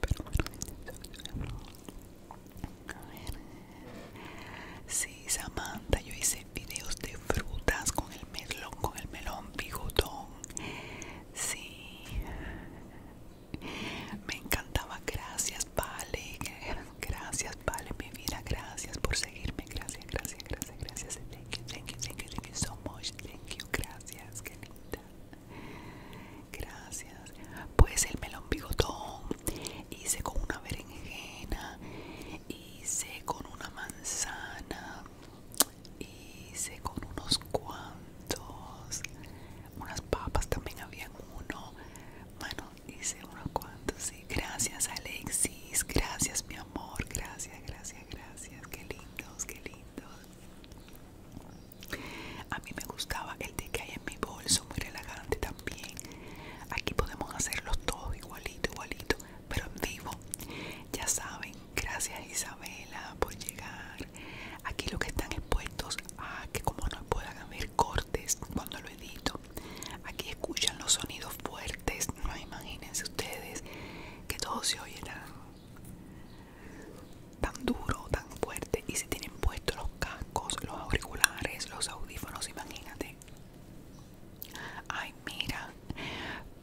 Speaker 2: pero bueno, a ver. Sí, Samantha, yo hice videos de frutas con el melón, con el melón bigotón. Sí. Me encantaba, gracias, vale. Gracias, vale, mi vida. Gracias por seguirme. Gracias, gracias, gracias, gracias. Thank you, thank you, thank you, thank you so much. Thank you, gracias, qué linda. Gracias. Pues el melón bigotón hice con una berenjena, hice con una manzana, hice con unos cuantos, unas papas también había uno. Bueno, hice unos cuantos, sí. Gracias Alexis, gracias mi amor, gracias, gracias, gracias. Qué lindos, qué lindos. A mí me gustaba el de que hay en mi bolso, muy relajante también. Aquí podemos hacerlos todos igualito, igualito, pero en vivo. Ya saben, gracias Isabela por llegar. Aquí lo que están expuestos a ah, que como no puedan haber cortes cuando lo edito. Aquí escuchan los sonidos fuertes. No imagínense ustedes que todo se oye tan duro, tan fuerte. Y si tienen puestos los cascos, los auriculares, los audífonos, imagínate. Ay, mira,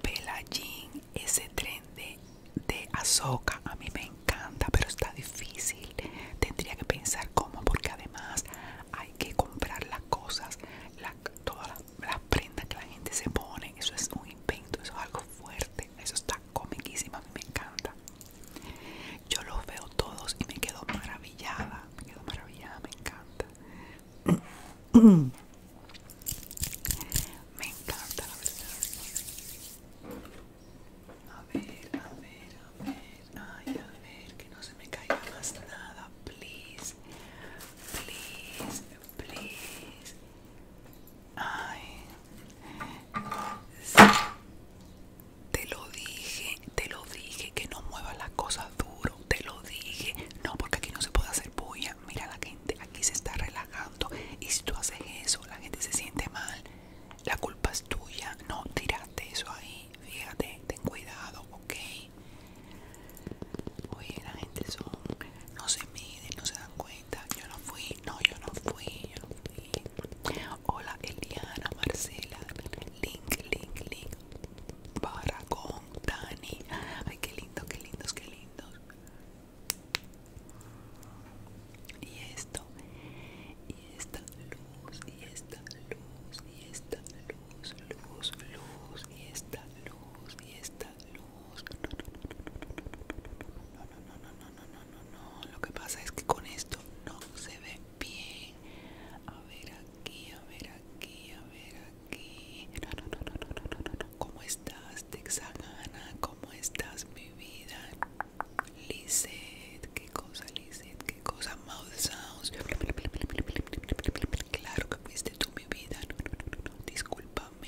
Speaker 2: Pelagin, ese tren de, de Azoka, a mí me encanta, pero está difícil. Tendría que pensar cómo, porque además hay que comprar las cosas, todas las prendas que la gente se pone. Eso es un invento, eso es algo fuerte, eso está comiquísima, a mí me encanta. Yo los veo todos y me quedo maravillada,
Speaker 1: me quedo maravillada, me encanta. (clears throat) Me encanta la verdad. A ver, a ver, a ver. Ay, a ver, que no se me caiga más nada. Please, please,
Speaker 2: please. Ay. Te lo dije, te lo dije, que no muevas las cosas duro, te lo dije. No, porque aquí no se puede hacer bulla. Mira, la gente aquí se está relajando. Y si tú haces eso, la gente se siente mal. La culpa es tuya. No, tirate eso ahí. Fíjate, ten cuidado, ¿ok? Oye, la gente No se mide no se dan cuenta. Yo no fui, no, yo no fui, yo no fui. Hola Eliana, Marcela, Link, Link, Link. con, Dani. Ay, qué lindo, qué lindos, qué lindos. Y esto, y esta luz, y esta luz, y esta luz, luz, luz, y esta luz, y esta luz. no, no, no, no no, no, no, no. no, Lo que pasa es que con esto no se ve bien. A ver aquí, a ver aquí, a ver aquí. No, no, no, no, no, no, no, no. ¿Cómo estás, Texagana? ¿Cómo estás, mi vida? qué cosa, no, qué cosa. Mouth sounds. Claro que fuiste tú, mi vida. No, no, no, no, Discúlpame.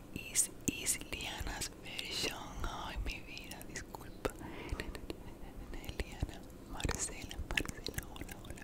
Speaker 2: is, is Liana's version. Ay, mi vida, disculpa. Liana, Marcela, Marcela, hola, hola.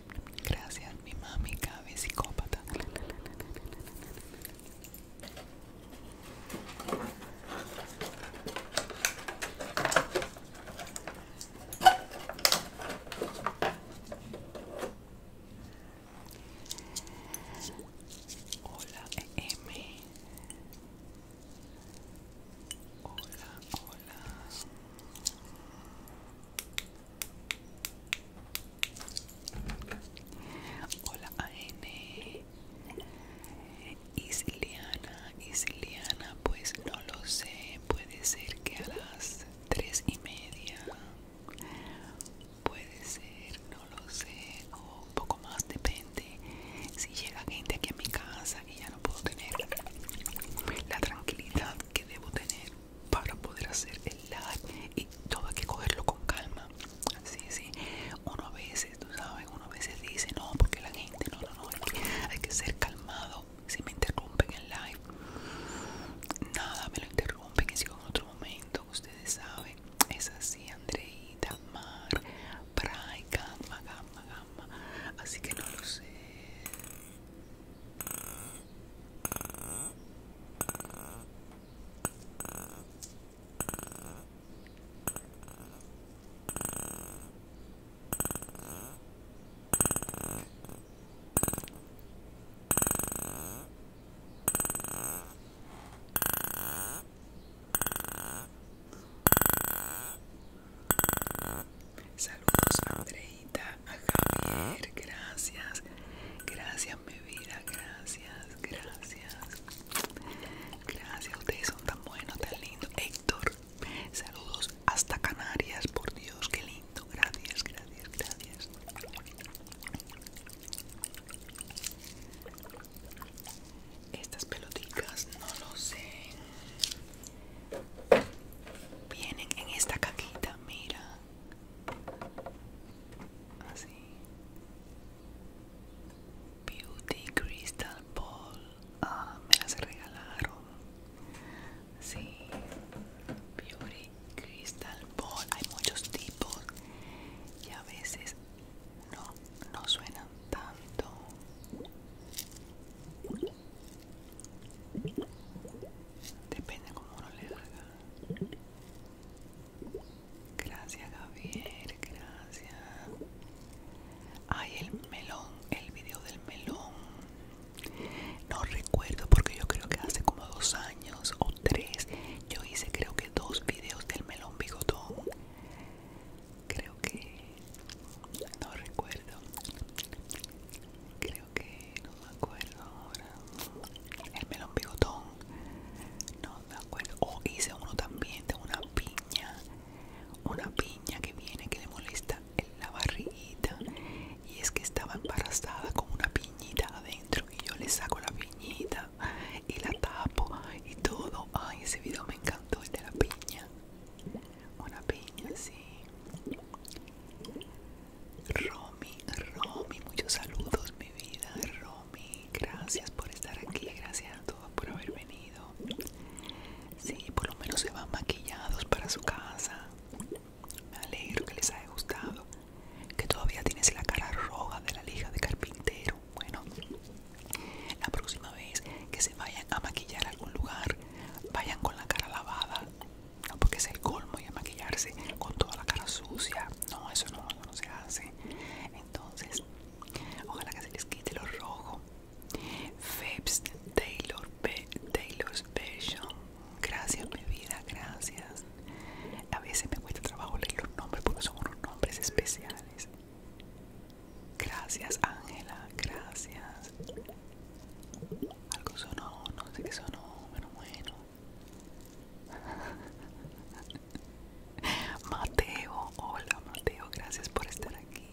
Speaker 2: Gracias, mi mami, cabe psicópata. Hola, e M. Hola, hola. Hola AN Isiliana, Isiliana pues no lo sé, puede ser que a las tres y media, puede ser, no lo sé, o un poco más, depende. Si llega gente aquí a mi casa y ya no puedo tener la tranquilidad que debo tener, para poder hacer el live y todo hay que cogerlo con calma. Sí, sí, uno a veces, tú sabes, uno a veces dice no, porque la gente, no, no, no, hay que, ser calmado. Si me interrumpen el live, nada me lo interrumpen y sigo en otro momento, ustedes saben. Es así, Andreita, Mar, Bray, Gamma, Gamma, Gamma. Así que no lo sé. Saludos Andreita a gracias, gracias mi vida, gracias, gracias, gracias, ustedes son tan buenos, tan lindos, Héctor, saludos hasta Canarias, por Dios, qué lindo, gracias, gracias, gracias. Estas pelotitas no lo sé. Vienen en esta cajita, mira así Beauty Crystal Ball ah, me las regalaron sí Beauty Crystal Ball hay muchos tipos y a veces no, no suenan tanto Depende como uno le haga. Gracias Javier, gracias. Ay, el melón, el video del melón. No recuerdo porque yo creo que hace como dos años o tres yo hice creo que dos videos del melón bigotón. Creo que... No recuerdo. Creo que no me acuerdo ahora. El melón bigotón, no me acuerdo. o oh, hice uno también de una piña, una piña que viene que le molesta en la barriguita. Y es que estaba embarazada con una piñita adentro. Y yo le saco la piñita y la tapo y todo. Ay, ese video me encantó, el de la piña. Una piña, sí. Romy, Romy, muchos saludos mi vida, Romy, gracias por estar aquí, gracias a todos por haber venido. Sí, por lo menos se van maquillados para su casa. Me alegro que les haya gustado. Que todavía tienes la cara roja de la lija de carpintero. Bueno, la próxima vez que se vayan a maquillar a algún lugar, vayan con la cara lavada. No, porque es el colmo y a maquillarse con toda la cara sucia. No, eso no no se hace. Entonces, ojalá que se les quite lo rojo. Febs Taylor P Taylor's Version. Gracias, mi vida, gracias. A veces me cuesta trabajo leer los nombres porque son unos nombres especiales. Gracias, Ángela, gracias. Algo sonó, no sé qué sonó, pero bueno. (laughs) Mateo, hola Mateo, gracias por estar aquí.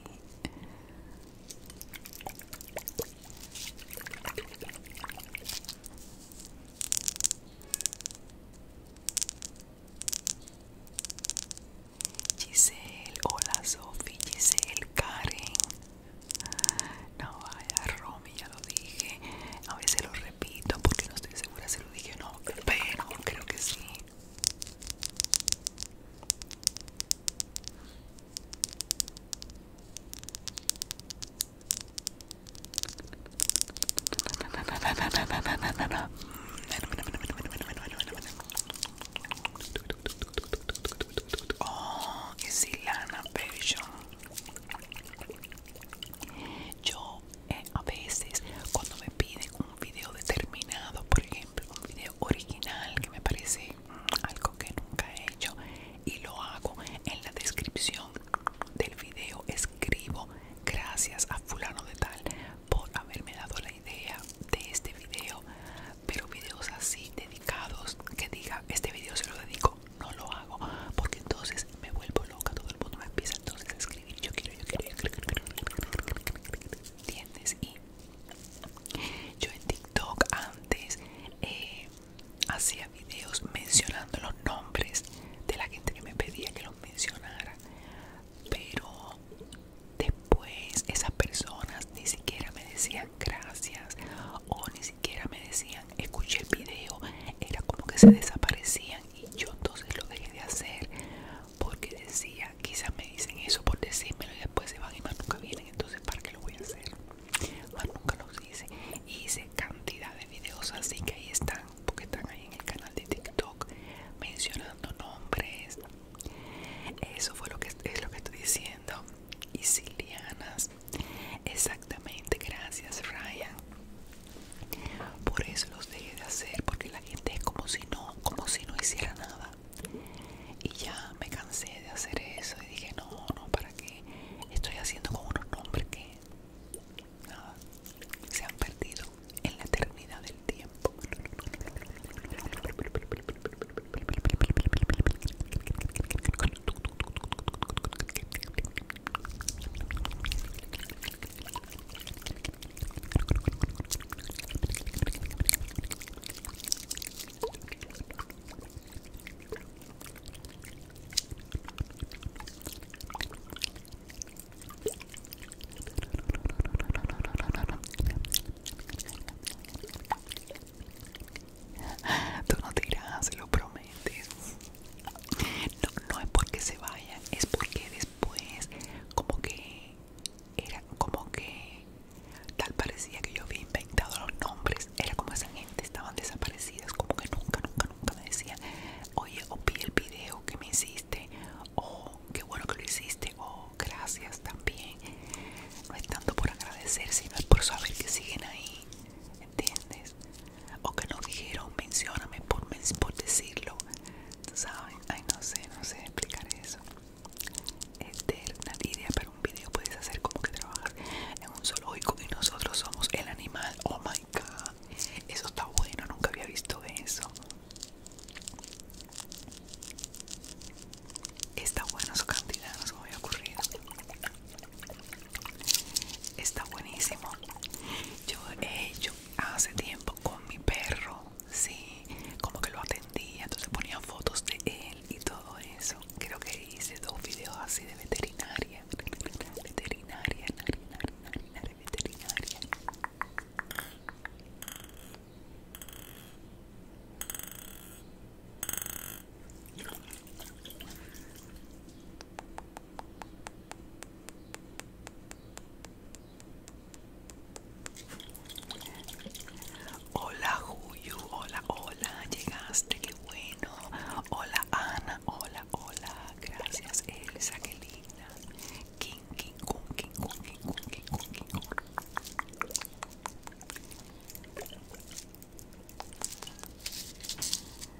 Speaker 2: Giselle, hola Sofi, Giselle, Karen, no vaya, romper ya lo dije. A veces lo repito porque no estoy segura si lo dije o no, pero creo que sí. Oh, si lana yo eh, a veces cuando me piden un video determinado, por ejemplo, un video original que me parece mm, algo que nunca he hecho y lo hago en la descripción del video escribo gracias a fulano de tal por haberme dado la idea de este video pero videos así dedicados que diga este video se lo dedico no lo hago porque entonces me vuelvo loca, todo el mundo me empieza entonces a escribir yo quiero, yo quiero, ¿entiendes? Y yo en TikTok antes eh, hacía videos mencionando los nombres de la gente que me pedía que los mencionara, pero después esas personas ni siquiera me decían gracias o ni siquiera me decían escuché el video, era como que se desaparecían y yo entonces lo dejé de hacer porque decía quizás me dicen eso por decírmelo y después se van y más nunca vienen entonces para qué lo voy a hacer más nunca los hice hice cantidad de videos así que ahí están porque están ahí en el canal de tiktok mencionando nombres eso fue lo que es lo que estoy diciendo y Silianas exactamente gracias Ryan por eso los dejé de hacer, porque la gente es como si no, como si no hiciera nada. Y ya me cansé de hacer eso y dije, no, no, ¿para qué? Estoy haciendo con unos nombres que nada, se han perdido en la eternidad del tiempo. Tú no tiras, lo prometes. No, no es porque se vayan, es porque después como que era como que tal parecía que yo había inventado los nombres. Era como esa gente, estaban desaparecidas, como que nunca, nunca, nunca me decían, oye, o el video que me hiciste, o qué bueno que lo hiciste, o gracias también. No es tanto por agradecer, sino es por saber que siguen ahí. ¿entiendes? O que no dijeron, mencióname por, por decirlo, ¿tú sabes? Ay, no sé, no sé explicar eso. Eterna idea para un video, puedes hacer como que trabajar en un zoológico y nosotros somos el animal. Oh my god, eso está bueno, nunca había visto eso. Está bueno su cantidad, no se me había ocurrido. Está buenísimo. Yo he hecho hace tiempo con mi perro, sí, como que lo atendía, entonces ponía fotos de él y todo eso. Creo que hice dos videos así de veterinaria. Veterinaria, veterinaria, veterinaria. Hola Juyu, hola, hola, llegaste, qué bueno. Hola Ana, hola, hola, gracias Elsa, qué linda. King, king, king, king, king, king, king, king.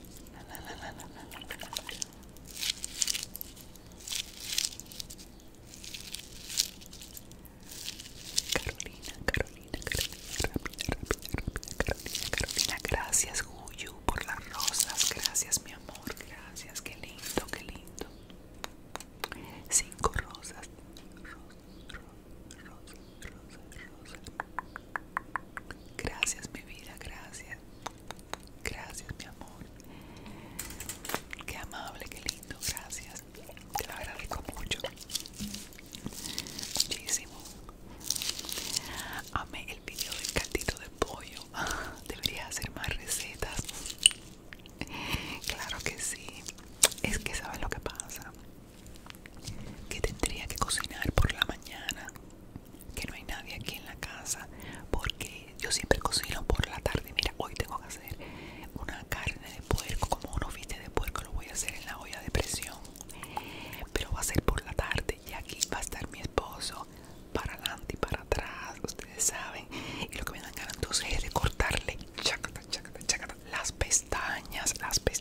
Speaker 2: Carolina, Carolina, Carolina, rápida, rápida, Carolina, Carolina, gracias Guyu por las rosas, gracias mi amor, gracias, qué lindo, qué lindo. Cinco rosas, rosas, rosas, rosas, Gracias, mi vida, gracias. Gracias, mi amor. Qué amable, qué lindo, gracias. Te lo agradezco mucho. Muchísimo. Amé el video del caldito de pollo. (laughs) Debería hacer más recetas. Claro que sí. Es que sabes lo que pasa. Que tendría que cocinar por la mañana que no hay nadie aquí en la casa porque yo siempre cocino por la tarde. Mira, hoy tengo que hacer una carne de puerco, como un bifes de puerco, lo voy a hacer en la olla de presión. Pero va a ser por la tarde y aquí va a estar mi esposo para adelante y para atrás, ustedes saben. Y lo que me dan ganas entonces es de cortarle las pestañas, las pestañas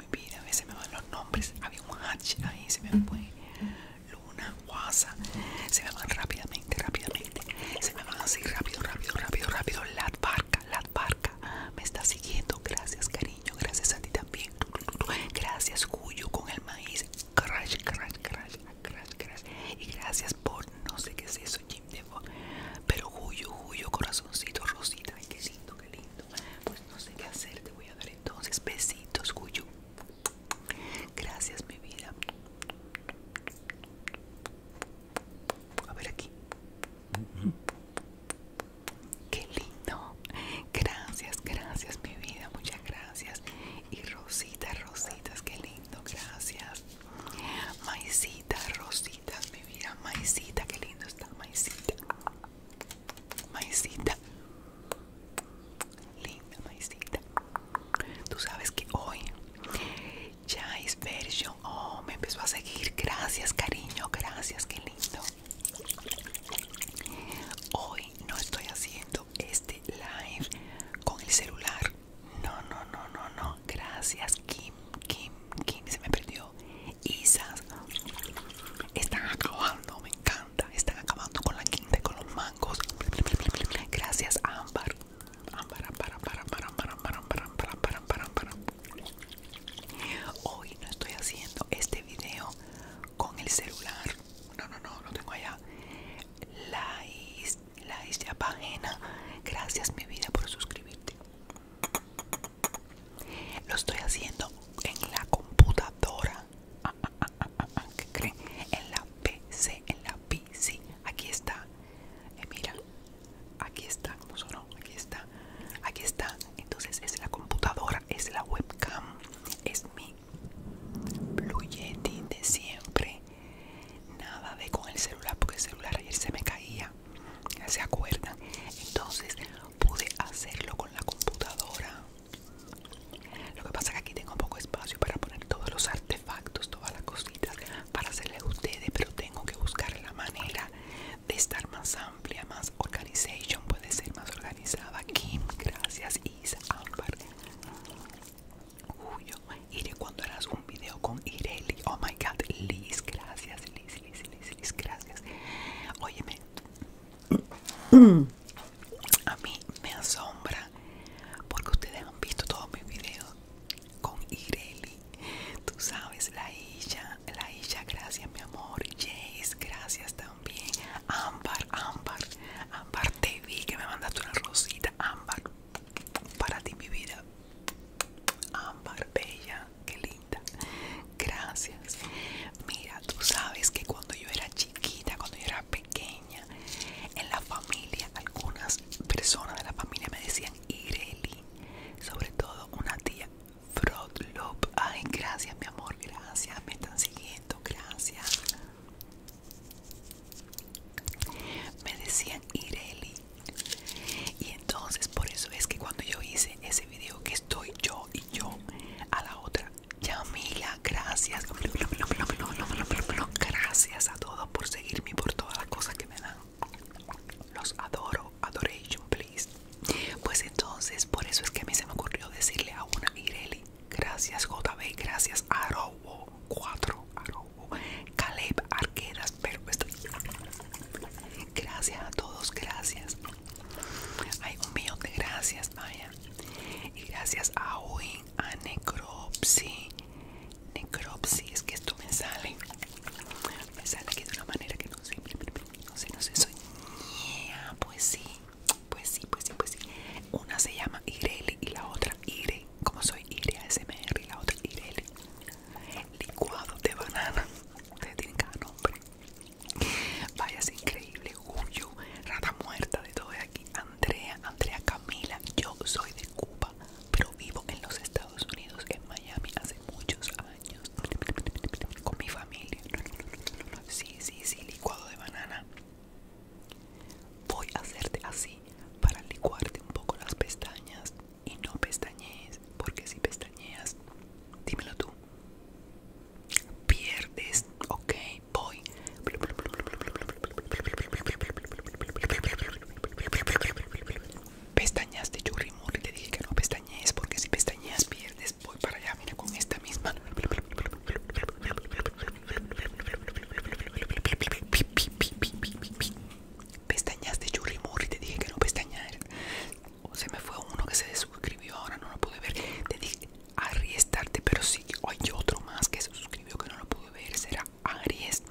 Speaker 2: mi a veces me van los nombres. Había un H ahí, se me fue. Luna, Guasa. Se me van rápidamente, rápidamente. Se me van así, rápido, rápido, rápido, rápido. Lat barca, la barca. Me está siguiendo. Gracias, cariño. Gracias a ti también. Gracias, Cuyo, con el maíz. Crash, crash, crash, crash, crash. Y gracias por no sé qué es eso, Jim Devo. Pero Cuyo, Cuyo, corazoncito, Rosita. Ay, qué lindo, qué lindo. Pues no sé qué hacer, te voy dar entonces. Besitos, Cuyo. Gracias, mi vida. A ver aquí. Qué lindo. Gracias, gracias, mi vida. Muchas gracias. Y rositas, rositas, qué lindo. Gracias. maisitas rositas, mi vida. maisita qué lindo está. Maicita. Maicita. Linda maicita. Tú sabes que hoy ya es version. Oh, me empezó a seguir. Gracias, cariño. Gracias, qué lindo. Hoy no estoy haciendo este live con el celular. No, no, no, no, no. Gracias, Kim, Kim, Kim. Se me perdió. Están acabando, me encanta. Están acabando con la quinta y con los mangos. Gracias, Ámbar. Ámbar, ámbar, Hoy no estoy haciendo este video con el celular. No, no, no, lo tengo allá. La la página. Gracias, mi vida, por suscribirte. Lo estoy haciendo en la computadora. Ah, ah, ah, en la PC, en la PC. Aquí está. Eh, mira, aquí está. Aquí está. Aquí está. Entonces es la computadora, es la webcam, es mi Blue Yeti de siempre. Nada de con el celular, porque el celular ayer se me caía. ¿Se acuerdan? Entonces pude hacerlo con la computadora. Lo que pasa es que aquí tengo poco espacio para poner todos los artefactos, todas las cositas para hacerles a ustedes, pero tengo que buscar la manera de estar más amplia, más organization, puede ser más organizada. Kim, gracias, Is, uy Julio, iré cuando harás un video con Ireli. Oh my god, Liz, gracias, Liz, Liz, Liz, Liz, gracias. Óyeme, a mí me asombra porque ustedes han visto todos mis videos con Ireli. Tú sabes, la isla, la isla gracias mi amor. Jace, gracias también. Ambar, Ámbar, Ambar te vi que me mandaste una rosita. Ámbar, para ti mi vida. Ambar bella, que linda gracias. Mira, tú sabes que cuando yo era chiquita, cuando yo era pequeña, en la familia, algunas personas de la familia me decían Ireli, sobre todo una tía Frodo, Ay, gracias, mi amor, gracias, me están siguiendo, gracias. Me decían Ireli. Y entonces por eso es que cuando yo hice ese video que estoy yo y yo a la otra Yamila, gracias. Gracias a todos por seguirme y por todas las cosas que me dan. Los adoro. Adoration, please. Pues entonces, por eso es que a mí se me ocurrió decirle a una Ireli. Gracias, JB. Gracias, robo 4. Arobo. Caleb Arquedas, pero estoy... Gracias a todos, gracias. Hay un millón de gracias, Maya. Y gracias a Owen, a Necropsy. Necropsy, es que esto me sale. Me sale aquí de una manera que no sé. No sé, no sé. Soy. pues sí. Pues sí, pues sí, pues sí. Una se llama Ireli y la otra Ire. Como soy Ire ASMR y la otra Ireli. Licuado de banana. Ustedes tienen cada nombre. Vaya, es increíble, Julio, rata muerta de todo de aquí. Andrea, Andrea Camila, yo soy de Cuba, pero vivo en los Estados Unidos, en Miami, hace muchos años, con mi familia. Sí, sí, sí, licuado de banana. Voy a hacerte así para licuarte un poco las pestañas y no pestañees, porque si pestañeas, dímelo tú, pierdes, ok, voy. Pestañas de yo y te dije que no pestañees porque si pestañeas pierdes, voy para allá, mira con esta misma. Pestañas de Yuri Murri, te dije que no pestañas. se me fue uno que se desuscribió, ahora no lo pude ver. Te dije, Arriesgarte, pero sí, hay otro más que se suscribió que no lo pude ver, será Aries,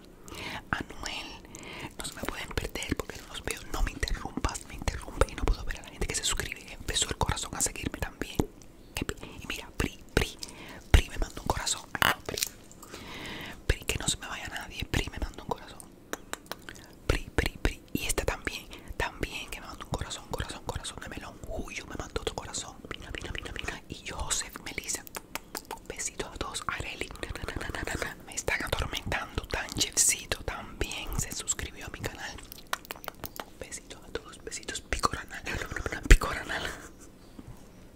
Speaker 2: Anuel, no se me pueden perder porque no los veo, no me interrumpas, me interrumpe y no puedo ver a la gente que se suscribe, empezó el corazón a seguirme también. Em, y mira, Pri, Pri, Pri me mandó un corazón, ah, Pri, Pri, que no se me vaya nadie, Pri me mandó un corazón, Pri, Pri, Pri, y esta también, también que me mandó un corazón, corazón, corazón de melón Uy yo me mando tu corazón. Mira, mira, Y Joseph, Melissa, besitos a todos. Areli, me están atormentando. Tan chefcito también se suscribió a mi canal. Besitos a todos, besitos picoranal, picoranal.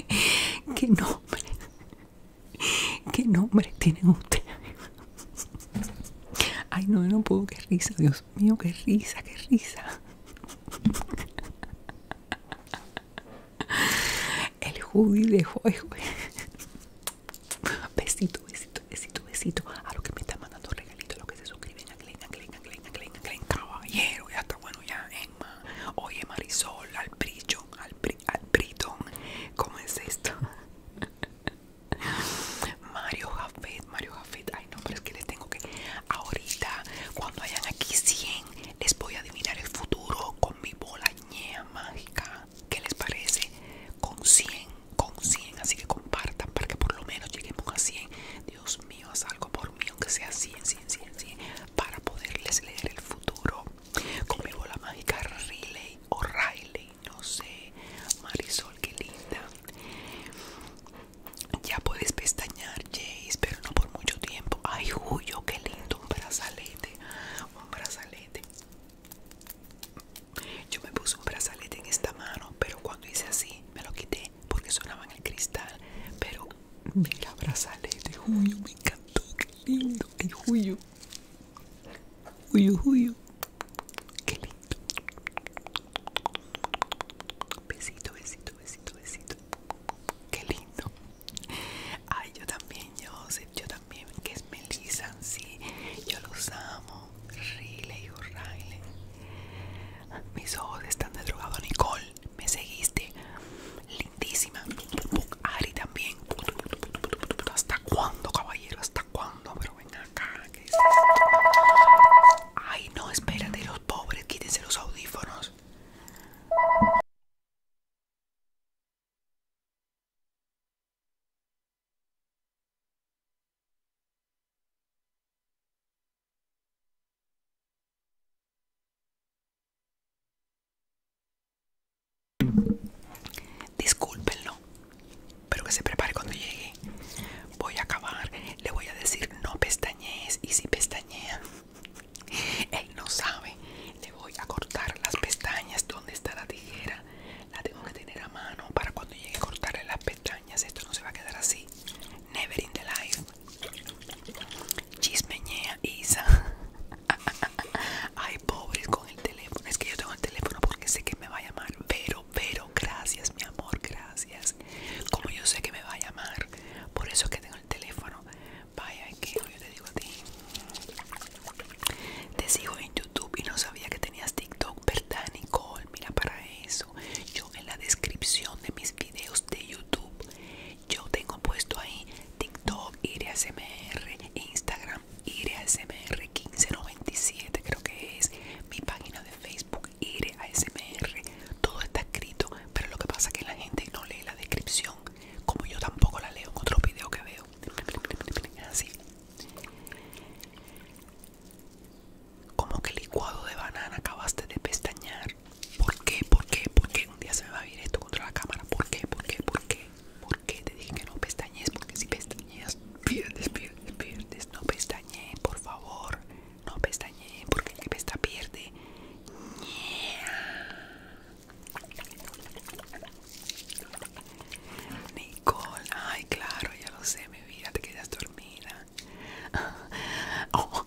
Speaker 2: (laughs) ¿Qué nombre? ¿Qué nombre tienen ustedes? Ay, no, no puedo, qué risa, Dios mío, qué risa, qué risa. El Judy de hoy Besito, besito, besito, besito. A los que me están mandando regalitos, a los que se suscriben a Glen, a Glen, a Glen, a Glen, a Glen, caballero. Ya está bueno, ya, Emma. Oye, Marisol, al brillo, al, bri, ¿Cómo es esto? Mario Jafet, Mario Jafet, no, pero es que les tengo que. Ahorita, cuando hayan aquí 100, les voy a adivinar el futuro con mi bola ñea mágica. ¿Qué les parece? Con 100, con 100. Así que compartan para que por lo menos lleguemos a 100. Dios mío, haz algo por mí, aunque sea 100, 100, 100, 100. Para poderles leer el futuro con mi bola mágica Riley o Riley, no sé. Marisol, qué linda. Ya puedes pestañar Jace, pero no por mucho tiempo. Ay, Julio, qué lindo, un brazalete. Un brazalete. Yo me puse un brazalete en esta mano, pero cuando hice así, me lo quité porque sonaba en el cristal. Pero mira, brazalete, Julio, me encantó, qué lindo. Ay, Julio. Julio, Julio. Qué lindo. Besito, besito, besito, besito. Qué lindo. Ay, yo también, Joseph, yo también, que es Melissa, sí, yo los amo. Riley, Riley. Mis ojos están de drogado, Nicole. Me seguiste. Lindísima. Ari también. ¿Hasta cuándo, caballero? ¿Hasta cuándo? Pero Ay, no, espérate, los pobres, quítense los audífonos. Discúlpenlo, pero que se prepare cuando llegue voy a acabar, le voy a decir no pestañees y si pestañea, él no sabe, le voy a cortar las pestañas, ¿dónde está la tijera? La tengo que tener a mano para cuando llegue a cortarle las pestañas, esto no se va a quedar así, never in the life. Chismeñea Isa. (laughs) Ay, pobres con el teléfono. Es que yo tengo el teléfono porque sé que me va a llamar, pero pero, gracias, mi amor, gracias. Como yo sé que me va a llamar, por eso que tengo el teléfono. Vaya, que yo te digo a ti. Te sigo en YouTube y no sabía que tenías TikTok, ¿verdad, Nicole? Mira para eso. Yo en la descripción de mis videos de YouTube, yo tengo puesto ahí TikTok, IRSMR, Instagram, IRSMR1597, creo que es mi página de Facebook. E, a ASMR, Todo está escrito, pero lo que pasa es que la gente no lee la descripción, como yo tampoco la leo en otro video que veo. Así. Como que licuado de banana acabaste de pestañear. ¿Por qué? ¿Por qué? ¿Por qué? Un día se me va a ir esto contra la cámara. ¿Por qué? ¿Por qué? ¿Por qué? ¿Por qué te dije que no pestañes? Porque si pestañeas, pierdes, pierdes, pierdes. No pestañe, por favor. No pestañe porque el que pesta pierde. Nicole, ay claro, ya lo sé, mi vida, te quedas dormida. (laughs) Oh,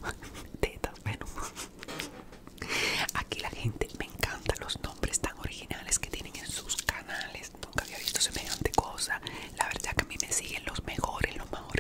Speaker 2: Aquí la gente me encanta los nombres tan originales que tienen en sus canales. Nunca había visto semejante cosa. La verdad que a mí me siguen los mejores, los mejores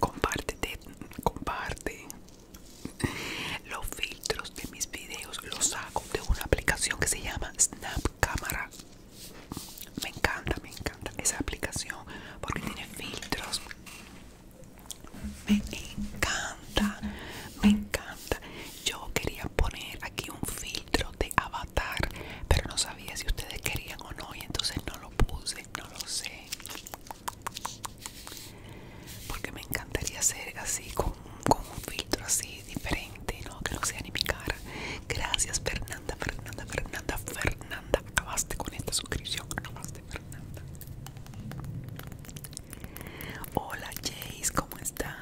Speaker 2: Compártete, comparte. Los filtros de mis videos los saco de una aplicación que se llama Snap Camera. Me encanta, me encanta esa aplicación porque tiene filtros. Me encanta, me encanta. Yo quería poner aquí un filtro de avatar, pero no sabía si ustedes querían o no y entonces no lo puse no lo sé. Porque me encantaría hacer así con, un filtro así diferente, ¿no? Que no sea ni mi cara. Gracias Fernanda, Fernanda, Fernanda, Fernanda. Acabaste con esta suscripción. Acabaste Fernanda. Hola Jace, ¿cómo estás?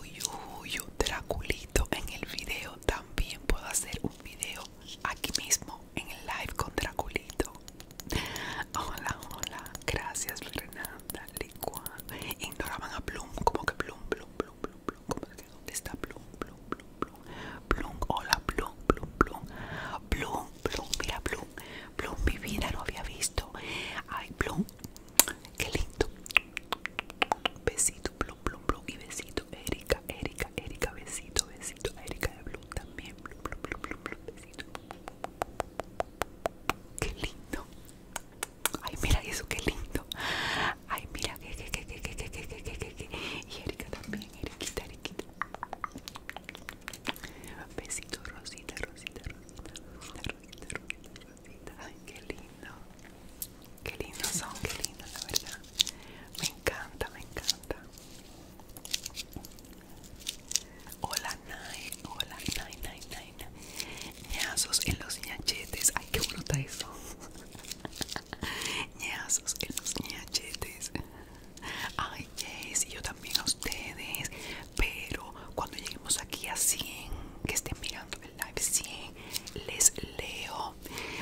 Speaker 2: Uy, uy, Draculito. En el video también puedo hacer un video aquí mismo en el live con Draculito. Hola, hola, gracias Renata, Ignoraban a Plum, como que Plum, Plum, Plum, Plum, como que dónde está Plum, Plum, Plum, Plum, hola, Plum, Plum, Plum, Plum, Plum, mira Plum, Plum, mi vida no había visto. Ay, Plum, qué lindo. Besito blum, blum, y besito, Erika, Erika, Erika, besito, besito, Erika de Blum también, blum, blum, blum, blum, besito. Qué lindo. Ay, mira eso, qué lindo. Ay, mira, que, qué, qué, qué, qué, qué Y Erika también, Erika, Erika Besito, Rosita, Rosita, Rosita, Rosita, Rosita, Rosita. Ay, qué lindo. Qué lindos son, qué lindos, la verdad. Me encanta, me encanta. Hola, Nai. Hola, Nai, Nai, Nai. Ñazos en los ñachetes. Ay, qué bruta eso. (laughs) Ñazos en los ñachetes. Ay, Jess y yo también a ustedes. Pero cuando lleguemos aquí a 100, que estén mirando el live 100, les leo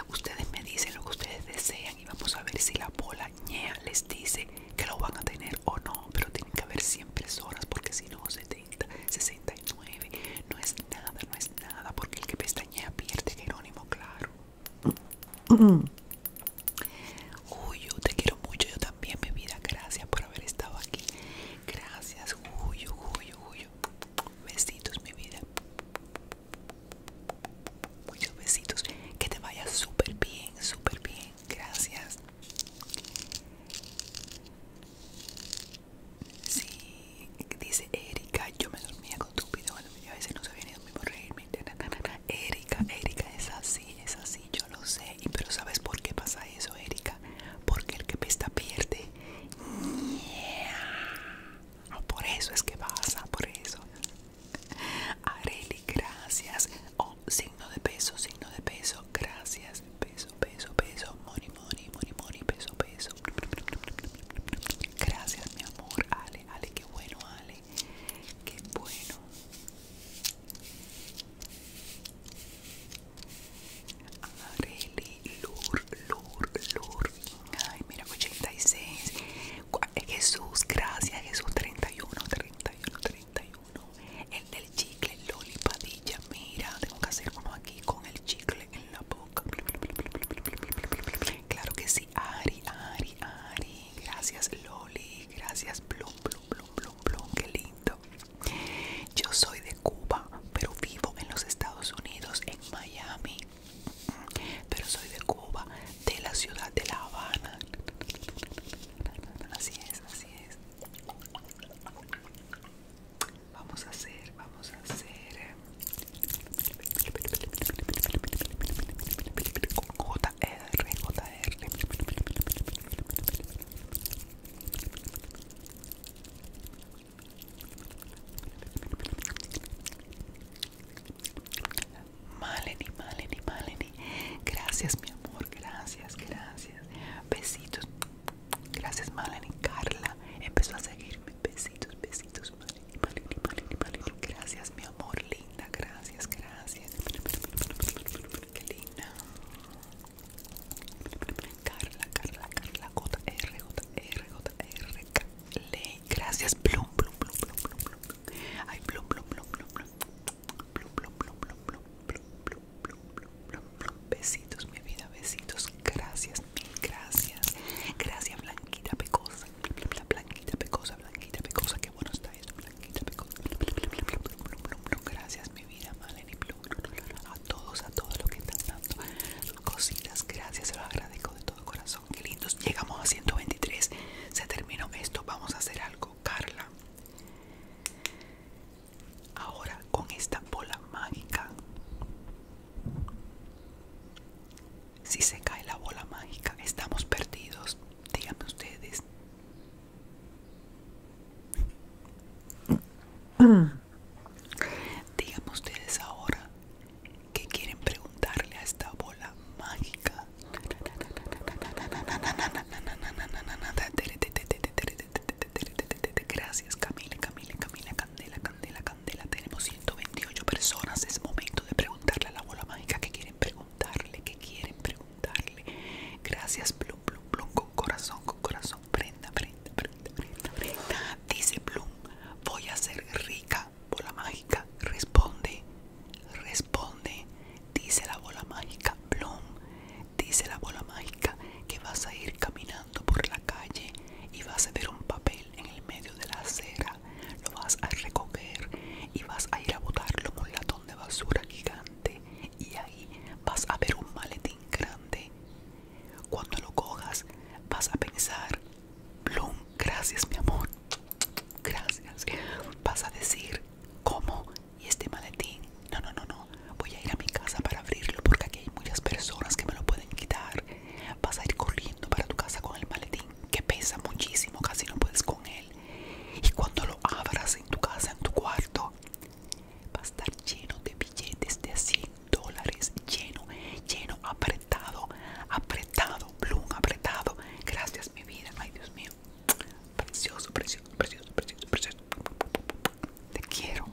Speaker 2: Ustedes me dicen lo que ustedes desean y vamos a ver si la bola ñea les dice que lo van a tener o no. Pero tienen que haber siempre personas porque si no, 70, 69. No es nada, no es nada. Porque el que pestañea pierde,
Speaker 1: Jerónimo, claro. Uy, te quiero mucho,
Speaker 2: yo también, mi vida. Gracias por haber estado aquí. Gracias, uy, uy, uy. Besitos, mi vida. Muchos besitos. Que te vaya súper bien, súper bien. Gracias. Sí, dice Erika, yo me dormía con tu Bueno, yo a veces no sabía ni dormir por reírme. Erika, Erika, es así, es así, yo lo sé. pero ¿sabes por qué pasa eso, Erika? Porque el que pesta pierde por eso es que pasa, por eso. Areli, gracias. Oh, signo de peso, signo de peso, gracias. Peso, peso, peso. Money, money, money, money, peso, peso. Gracias, mi amor. Ale, Ale, qué bueno, Ale. Qué bueno. Areli, Lur, Lur, Lur. Ay, mira, 86. Eh, Jesús, gracias, Jesús 31, 31, 31. El del chicle, Loli Padilla. Mira, tengo que hacer uno aquí con el chicle en la boca. Claro que sí, Ari, Ari, Ari. Gracias, Loli. Gracias, blum, blum, blum, blum, blum, Qué lindo. Yo soy de Cuba, pero vivo en los Estados Unidos, en Miami pero soy de Cuba, de la ciudad de La Habana. Así es, así es. Vamos a hacer, vamos a hacer eh, JR, r Maleni, Maleni, Maleni. Gracias, mi amor. Gracias, gracias. Besitos. Gracias, Maleni. Carla empezó a seguirme. Besitos, besitos, Maleni, Maleni, Maleni, Gracias, mi amor. Linda, gracias, gracias. Qué linda. Carla, Carla, Carla. J, R, J, R, J, R, Ley, gracias, Plum, Plum, Plum, Plum, Plum, Plum. Ay, Plum, Plum, Plum, Plum, Plum. Plum, Plum, Plum, Plum, Plum, Plum, Plum, Plum. Besitos, mi vida, besitos. Gracias, mil gracias. Gracias, Blanquita Pecosa. Blanquita Pecosa, Blanquita Pecosa. Qué bueno está eso, Blanquita Pecosa. Gracias, mi vida, plum, Plum. A todos, a todos los que están dando cositas. Gracias, se lo agradezco de todo corazón qué lindos. Llegamos a 123. Se terminó esto. Vamos a hacer algo, Carla. Ahora con esta bola mágica. Si se cae la bola mágica, estamos perdidos. Díganme ustedes. Díganme ustedes ahora que quieren preguntarle a esta bola mágica. Gracias Camila, Camila, Camila, Candela, Candela, Candela. Tenemos 128 personas. Es momento de preguntarle a la bola mágica que quieren preguntarle, que quieren preguntarle. Gracias, Plum, Plum, Plum, con corazón, con corazón. Prenda, prenda, prenda, prenda, prenda. Dice Plum, voy a ser rica bola mágica, responde, responde, dice la bola mágica, ¡Plum! dice la bola mágica que vas a ir caminando por la calle y vas a ver un papel en el medio de la acera, lo vas a recoger y vas a ir a botarlo en un latón de basura gigante y ahí vas a ver un maletín grande. Cuando lo cojas vas a pensar Blum, gracias mi amor. Gracias. Vas a decir cómo y este maletín. No, no, no, no. Voy a ir a mi casa para abrirlo porque aquí hay muchas personas que me lo pueden quitar. Vas a ir corriendo para tu casa con el maletín que pesa muchísimo, casi no puedes con él. Y cuando lo abras en tu casa, en tu cuarto, va a estar lleno de billetes de 100 dólares, lleno, lleno a apretado, apretado, Bloom, apretado. Gracias, mi vida. Ay, Dios mío. Precioso, precioso, precioso, precioso, precioso. Te quiero.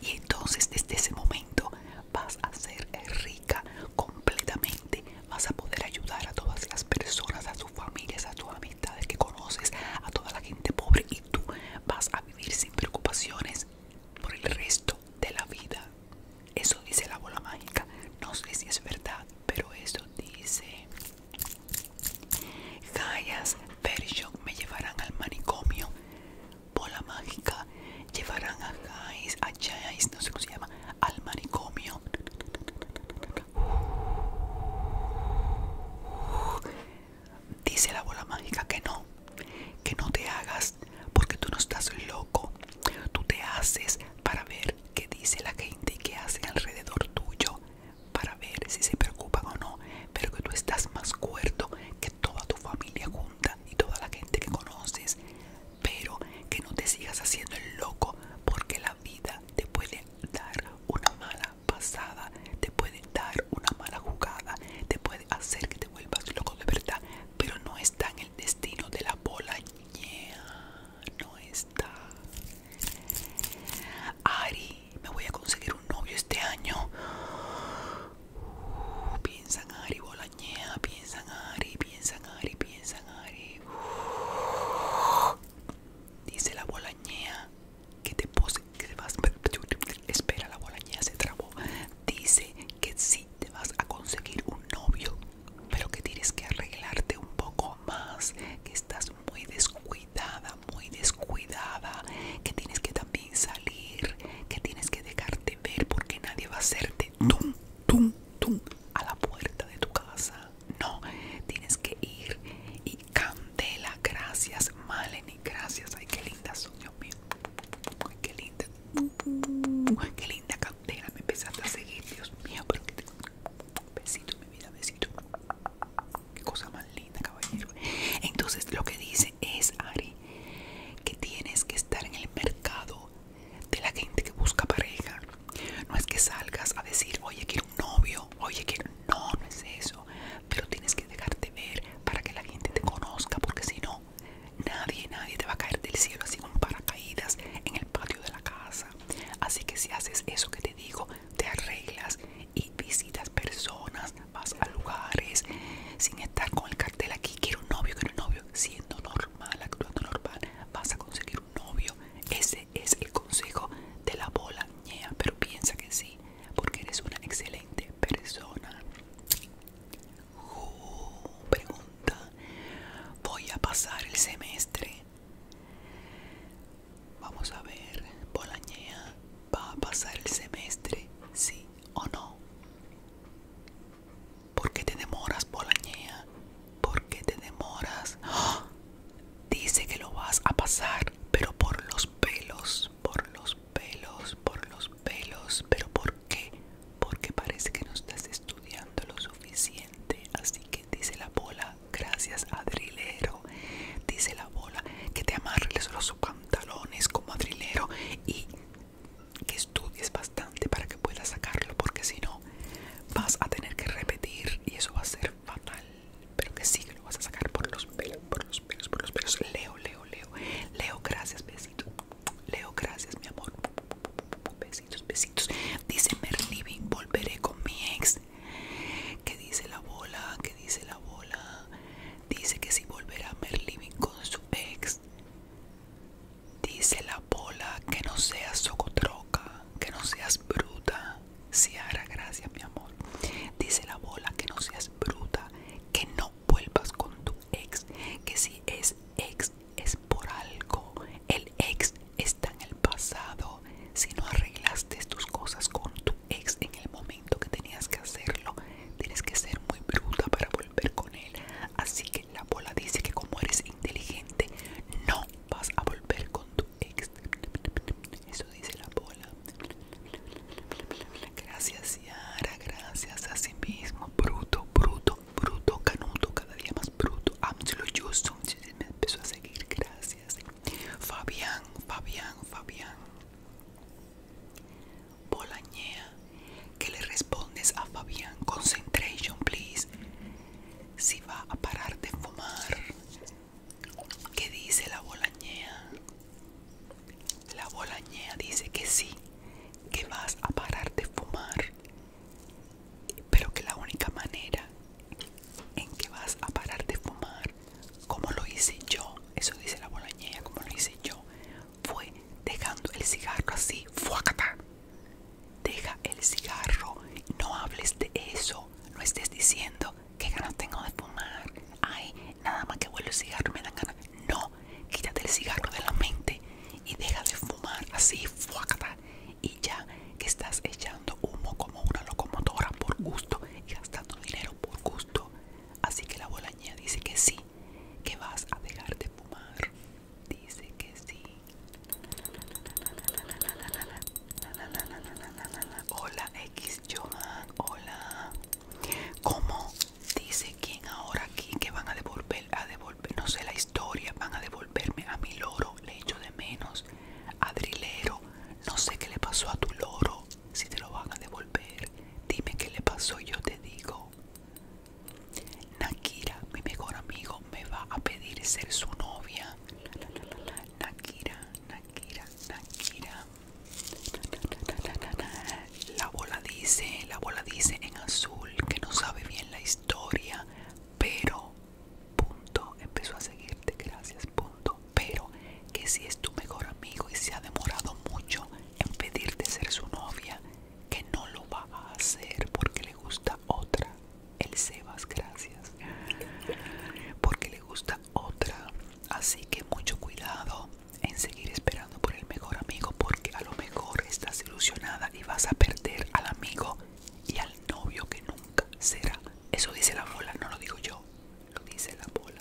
Speaker 2: Y entonces, desde ese momento, vas a ser rica completamente. Vas a poder ayudar a todas las personas, a tus familias, a tus amistades que conoces, a toda la gente pobre. Y tú vas a vivir sin preocupaciones por el resto de la vida. Eso dice la bola mágica. No sé si es verdad, pero eso dice. Gaias Version me llevarán al manicomio. Bola mágica. Llevarán a Gais, a Jais, no sé cómo se llama, al manicomio. Dice la bola mágica que no, que no te hagas porque tú no estás loco. Tú te haces para ver qué dice la gente y qué hacen alrededor tuyo, para ver si se preocupan o no, pero que tú estás más cuerdo que toda tu familia junta y toda la gente que conoces, pero que no te sigas haciendo el loco porque la vida te puede dar una mala pasada, te puede dar una mala jugada, te puede hacer que te vuelvas loco de verdad, pero no es tan destino de la bola no está. Ari, me voy a conseguir un novio este año. Piensa, uh, piensan Ari, bolañea, piensan Ari, piensan Ari, piensan Ari. dice la bolañea que te pose, que vas. Espera, la bolañea se trabó. Dice que sí te vas a conseguir un novio, pero que tienes que arreglarte un poco más, que estás muy descuidada, muy descuidada, que tienes que también salir, que tienes que dejarte ver porque nadie va a hacerte tum, tum, tum a la puerta de tu casa. No, tienes que ir y candela, gracias, Maleni, gracias, ay, qué linda son, mío, ay, qué linda, Uh, qué linda cantera, me empezaste a seguir, Dios mío. Pero Besito, mi vida, besito. Qué cosa más linda, caballero. Entonces, lo que dice es, Ari, que tienes que estar en el mercado de la gente que busca pareja. No es que salgas a decir, oye, quiero un novio, oye, quiero. No, no es eso. Pero tienes que dejarte ver para que la gente te conozca, porque si no, Nadie, nadie te va a caer del cielo así con paracaídas en el patio de la casa. Así que si haces eso que te digo, te arreglas y visitas personas, vas a lugares sin estar con el cartel aquí, quiero un novio, quiero un novio, siendo normal, actuando normal, vas a conseguir un novio. Ese es el consejo de la bola ñea, pero piensa que sí, porque eres una excelente persona pregunta. Voy a pasar el semestre. Vamos a ver, Bolañea, ¿va a pasar el semestre? ¿Sí o no? ¿Por qué te demoras, Bolañea? ¿Por qué te demoras? ¡Ah! Dice que lo vas a pasar, pero por los pelos, por los pelos, por los pelos, pero ¿por qué? porque parece que no estás estudiando lo suficiente. Así que dice la bola, gracias adrilero. Dice la bola que te amarres los pantalones como adrilero y que estudies bastante para que puedas sacarlo, porque si no vas a tener que repetir y eso va a ser fatal. Pero que sí que lo vas a sacar por los pelos, por los pelos, por los pelos. Leo, Leo, Leo. Leo, gracias, besito. Leo, gracias, mi amor. Besito besitos, Dice Merliving, volveré con mi ex. ¿Qué dice la bola? ¿Qué dice la bola? Dice que si volverá Merliving con su ex. Dice la bola que no seas socotroca, que no seas bruta. hará gracias mi amor. Dice la bola que no seas bruta, que no vuelvas con tu ex, que si es ex es por algo. El ex está en el pasado. Si no arreglaste tus cosas con tu ex en el momento que tenías que hacerlo, tienes que ser muy bruta para volver con él. Así que la bola dice que como eres inteligente, no vas a volver con tu ex. Eso dice la bola. Gracias, Ciara, Gracias a sí mismo. Bruto, bruto bruto, canuto, cada día más bruto. Amslo Justin me empezó a seguir, gracias. Fabián, Fabián, Fabián. Bolañea, ¿qué le respondes a Fabián? Concentration, please. Si va a parar de fumar. ¿Qué dice la bolañea? La bolañea dice que sí, que vas a parar de fumar pero que la única manera en que vas a parar de fumar, como lo hice yo, eso dice la bolañera, como lo hice yo, fue dejando el cigarro así, fuácata Deja el cigarro, no hables de eso, no estés diciendo que ganas tengo de fumar. Ay, nada más que vuelvo el cigarro me dan ganas. No, quítate el cigarro de la mente y deja de fumar así, fuácata y ya que estás echando humo como una locomotora por gusto y gastando dinero por gusto. Así que la bolaña dice que sí, que vas a dejar de fumar. Dice que sí. Hola X Johan, hola. ¿Cómo? Dice quién ahora aquí que van a devolver, a devolver, no sé la van a devolverme a mi loro, le echo de menos. Adrilero, no sé qué le pasó a tu loro, si te lo van a devolver, dime qué le pasó, yo te digo. Nakira, mi mejor amigo, me va a pedir ser su novia. Nakira, Nakira, Nakira. La bola dice, la bola dice en azul que no sabe bien la historia, pero punto, empezó a seguirte, gracias, punto, pero que si es tu mejor amigo y se ha demorado mucho en pedirte ser su novia, que no lo va a hacer porque le gusta otra. El Sebas, gracias. Porque le gusta otra. Así que mucho cuidado en seguir esperando por el mejor amigo porque a lo mejor estás ilusionada y vas a perder al amigo y al novio que nunca será. Eso dice la bola, no lo digo yo. Lo dice la bola.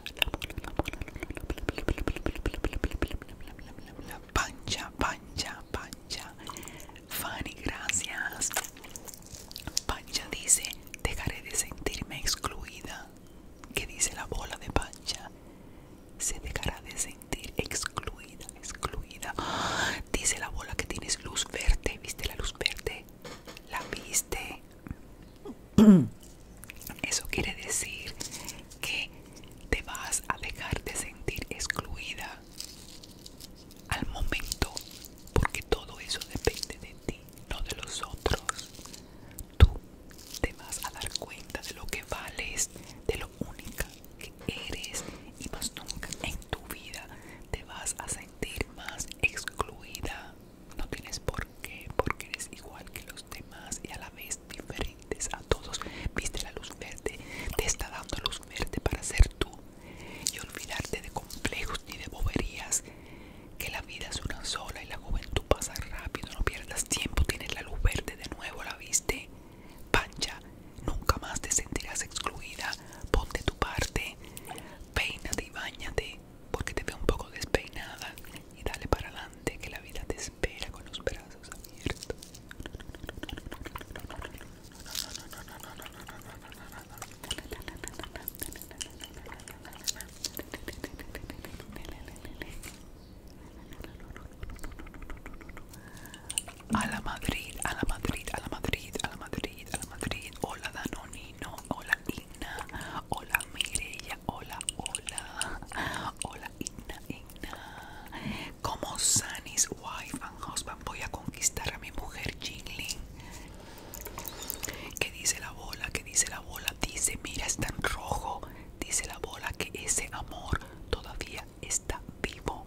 Speaker 2: La pancha, pancha, pancha. Fanny, gracias. Pancha dice, dejaré de sentirme excluida. que dice la bola de pancha? Se dejará de sentir excluida excluida, Dice la bola que tienes luz verde. ¿Viste la luz verde? ¿La viste? (clears throat) Eso quiere decir que te vas a dejar de sentir excluida al momento, porque todo eso depende de ti, no de los otros. Tú te vas a dar cuenta de lo que vales, de lo única que eres y más nunca en tu vida te vas a sentir más excluida. No tienes por qué, porque eres igual que los demás y a la vez diferentes a todos. Viste la luz verde, te está dando luz verde para ser tú y olvidarte de complejos ni de boberías. Que la vida es una sola y la juventud pasa rápido, no pierdas tiempo, tienes la luz verde de nuevo, la viste. Pancha, nunca más te sentirás excluida. Ponte tu parte, peínate y bañate, porque te veo un poco despeinada. Y dale para adelante, que la vida te espera con los brazos abiertos a la Madrid, a la Madrid, a la Madrid, a la Madrid, a la Madrid. Hola Danonino, hola Igna, hola Mireia, hola, hola, hola Igna, Igna. Como Sunny's wife and husband voy a conquistar a mi mujer Jingling. ¿Qué dice la bola? ¿Qué dice la bola? Dice, mira, está en rojo. Dice la bola que ese amor todavía está vivo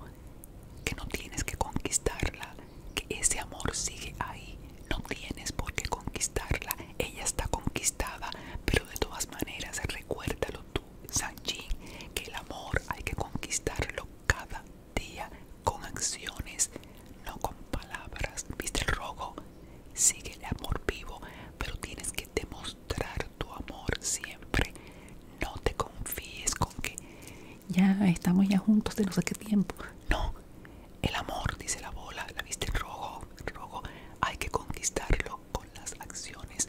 Speaker 2: que no tienes que conquistarla, que ese amor sigue ahí, no tienes por qué conquistarla, ella está conquistada, pero de todas maneras recuérdalo tú, Sanjin, que el amor hay que conquistarlo cada día con acciones, no con palabras. ¿Viste el rogo? Sigue el amor vivo, pero tienes que demostrar tu amor siempre. No te confíes con que ya estamos ya juntos de no sé qué tiempo. No, el amor, dice la bola, la viste en rojo, rojo, hay que conquistarlo con las acciones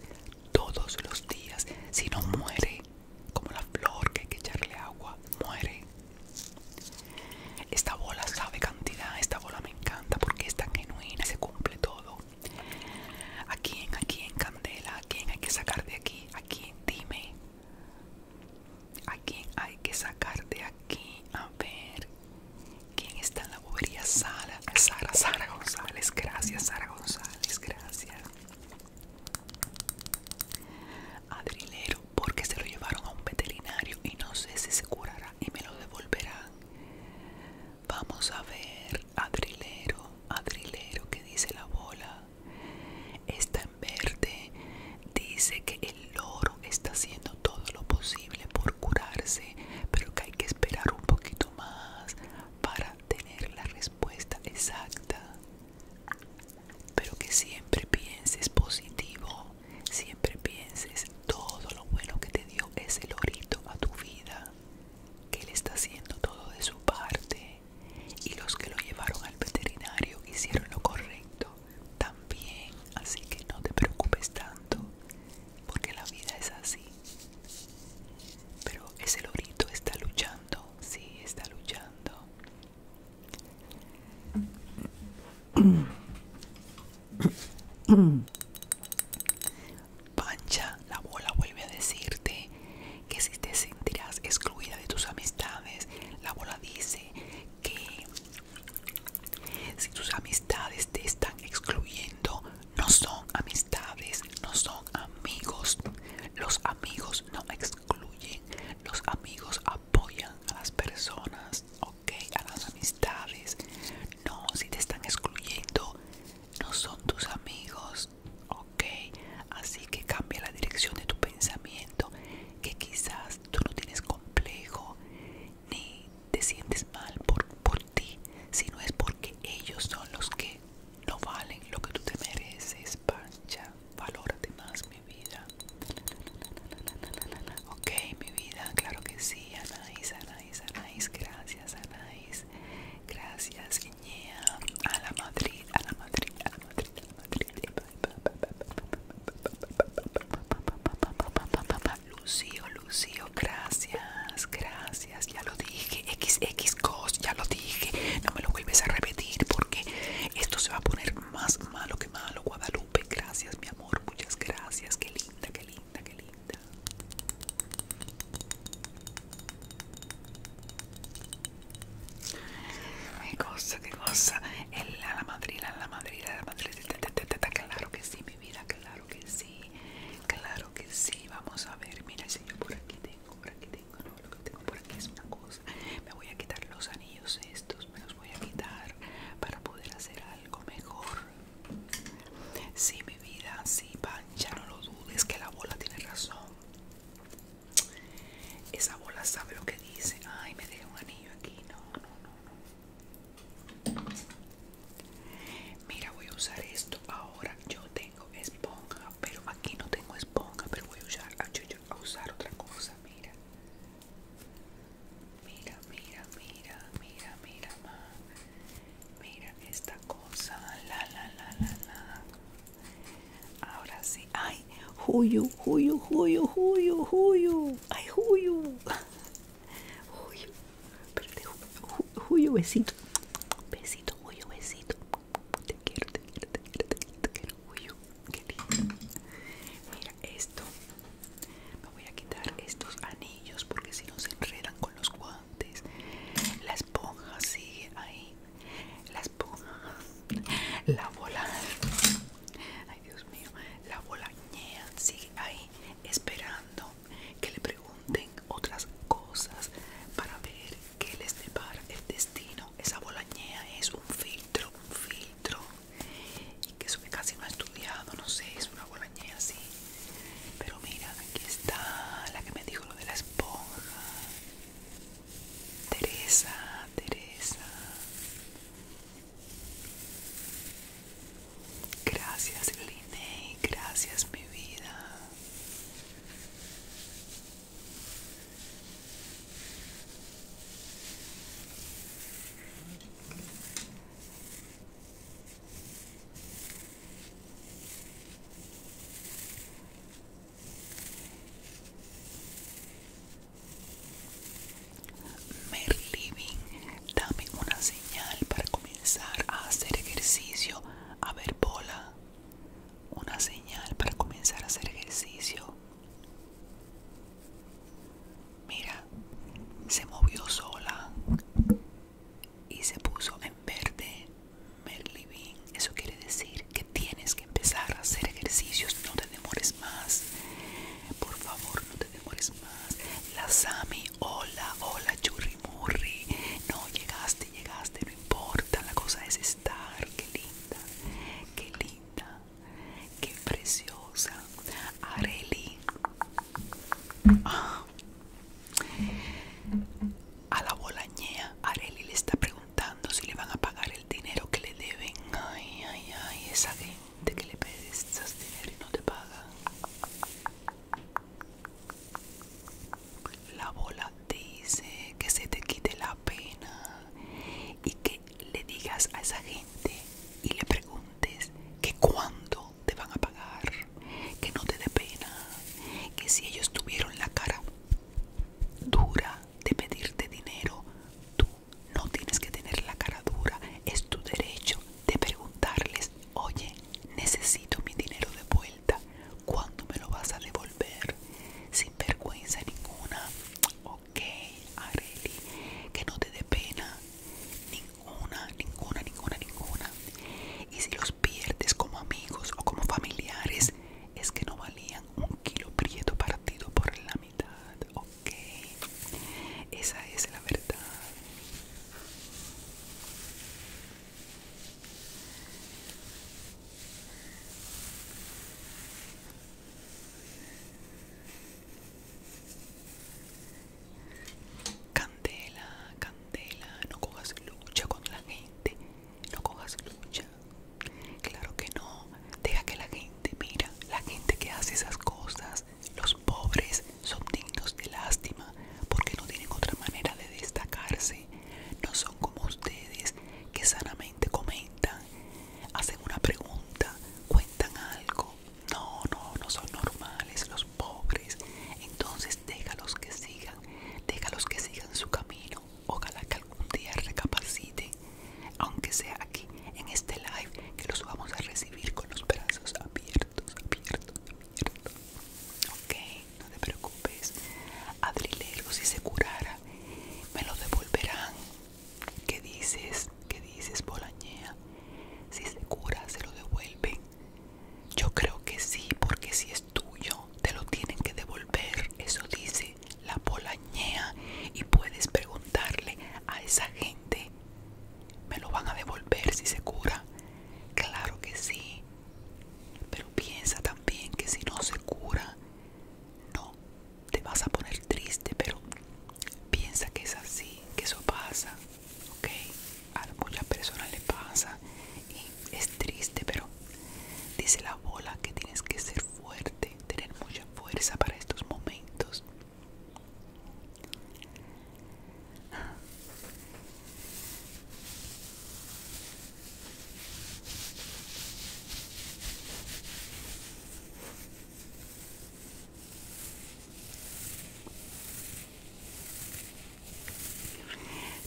Speaker 2: todos los días, si no muere, como la flor que hay que echarle agua, muere. Esta bola sabe cantidad, esta bola me encanta porque es tan genuina, se cumple todo. ¿A quién, a quién, Candela? ¿A quién hay que sacar de aquí? ¿A quién? Dime. ¿A quién hay que sacar de aquí? A ver. ¿Quién está en la bobería? Sara, Sara, Sara González. Gracias, Sara González. Gracias. Adrilero, porque se lo llevaron a un veterinario y no sé si se curará y me lo devolverán. Vamos a ver, Adrilero, Adrilero, que dice la bola. Esta en verde dice que el loro está haciendo todo lo posible por curarse, pero que hay que esperar un poquito más para tener la respuesta exacta. Pero que siempre pienses positivo, siempre pienses todo lo bueno que te dio ese lorito a tu vida, que él está haciendo todo de su parte y los que lo llevaron al veterinario hicieron lo correcto también, así que no te preocupes tanto, porque la vida es así. Pero ese lorito está luchando, sí, está luchando. Pancha, la bola vuelve a decirte que si te sentirás excluida de tus amistades, la bola dice que si tus amistades te están excluyendo, no son amistades, no son amigos. Los amigos no excluyen, los amigos apoyan a las personas, ok, a las amistades. No, si te están excluyendo, no son tus amigos ok así que cambia la dirección de tu pensamiento que quizás tú no tienes complejo ni te sientes mal por, por ti sino es porque ellos son los que no valen lo que tú te mereces pancha valórate más mi vida ok mi vida claro que sí Anaís Anaís Anaís gracias Anaís Gracias, Guinea. A la Madrid, a la Madrid, a la Madrid, Lucio, Lucio, gracias, gracias, ya lo dije, XX cos, ya lo dije, no me lo vuelves a repetir porque esto se va a poner más malo que malo, Guadalupe, gracias mi amor, muchas gracias, qué linda, qué linda, qué linda. Qué cosa, qué cosa. El, la madrina, la madrina, la madrina. Claro que sí, mi vida, claro que sí. Claro que sí. Vamos a ver, mira, si yo por aquí tengo, por aquí tengo. No, lo que tengo por aquí es una cosa. Me voy a quitar los anillos estos, me los voy a quitar para poder hacer algo mejor. Sí, mi vida, sí, Pancha, no lo dudes, que la bola tiene razón. Esa bola sabe lo que dice. Ay, me dejé un anillo aquí. No, no, no, no. Mira, voy a usar esto. Ahora yo tengo esponja, pero aquí no tengo esponja, pero voy a usar, a, usar otra cosa. Mira. Mira, mira, mira, mira, mira, ma. Mira esta cosa. La, la, la, la, la. Ahora sí. Ay, Huyo, Huyo, Huyo, Huyo, Huyo, Ay, Huyo Huyo, Espérate, besito. Besito, Huyo besito. Te quiero, te quiero, te quiero, te quiero, te quiero, Qué lindo. Mira esto. Me voy a quitar estos anillos porque si no se enredan con los guantes. La esponja sigue ahí la esponja, la bola, ay Dios mío, la ñea sigue ahí esperando que le pregunten otras cosas para ver qué les depara el destino. Esa ñea es un filtro, un filtro, y que eso que casi no ha estudiado, no sé, es una ñea, así. Pero mira, aquí está la que me dijo lo de la esponja. Teresa, Teresa. Gracias, Gracias, mi vida. Merlín, dame una señal para comenzar a hacer ejercicio. A ver, bola. Una señal para comenzar a hacer ejercicio. Mira, se movió sola y se puso en verde. Merlivin. Eso quiere decir que tienes que empezar a hacer ejercicios. No te demores más. Por favor, no te demores más. La Sami, hola, hola, churrimurri. No, llegaste, llegaste, no importa. La cosa es estar. Qué linda, qué linda, qué preciosa. Areli. Ah. A la bolañea, Areli le está preguntando si le van a pagar el dinero que le deben. Ay, ay, ay, esa gente que le esos dinero y no te paga. La bola dice que se te quite la pena y que le digas a esa gente y le preguntes que cuándo te van a pagar, que no te dé pena, que si ellos tuvieron la cara dura de pedirte dinero. Tú no tienes que tener la cara dura. Es tu derecho de preguntarles, oye, necesito mi dinero de vuelta. ¿Cuándo me lo vas a devolver? Sin vergüenza ninguna. Ok, Arely que no te dé pena. Ninguna, ninguna, ninguna, ninguna. Y si los pierdes como amigos o como familiares, es que no valían un kilo prieto partido por la ok. Esa es la verdad. Candela, candela, no cojas lucha con la gente, no cojas lucha. Claro que no. Deja que la gente, mira, la gente que hace esas cosas, los pobres son dignos de lástima porque no tienen otra manera de destacarse. No son como ustedes que sanamente comentan, hacen una pregunta, cuentan algo. No, no, no son normales los pobres. Entonces déjalos que sigan, déjalos que sigan su camino ojalá que algún día recapacite, aunque sea aquí en este live, que los vamos a recibir con los brazos abiertos, abiertos, abiertos. Ok, no te preocupes. Adrilero, si se curara, me lo devolverán. ¿Qué dices? ¿Qué dices, Bolañea? Si se cura, se lo devuelven. Yo creo que sí, porque si es tuyo, te lo tienen que devolver. Eso dice la la polañea y puedes preguntarle a esa gente, ¿me lo van a devolver si se cura? Claro que sí, pero piensa también que si no se cura, no, te vas a poner triste, pero piensa que es así, que eso pasa, ¿ok? A muchas personas le pasa y es triste, pero dice la bola que tienes que ser fuerte tener mucha fuerza para estos momentos.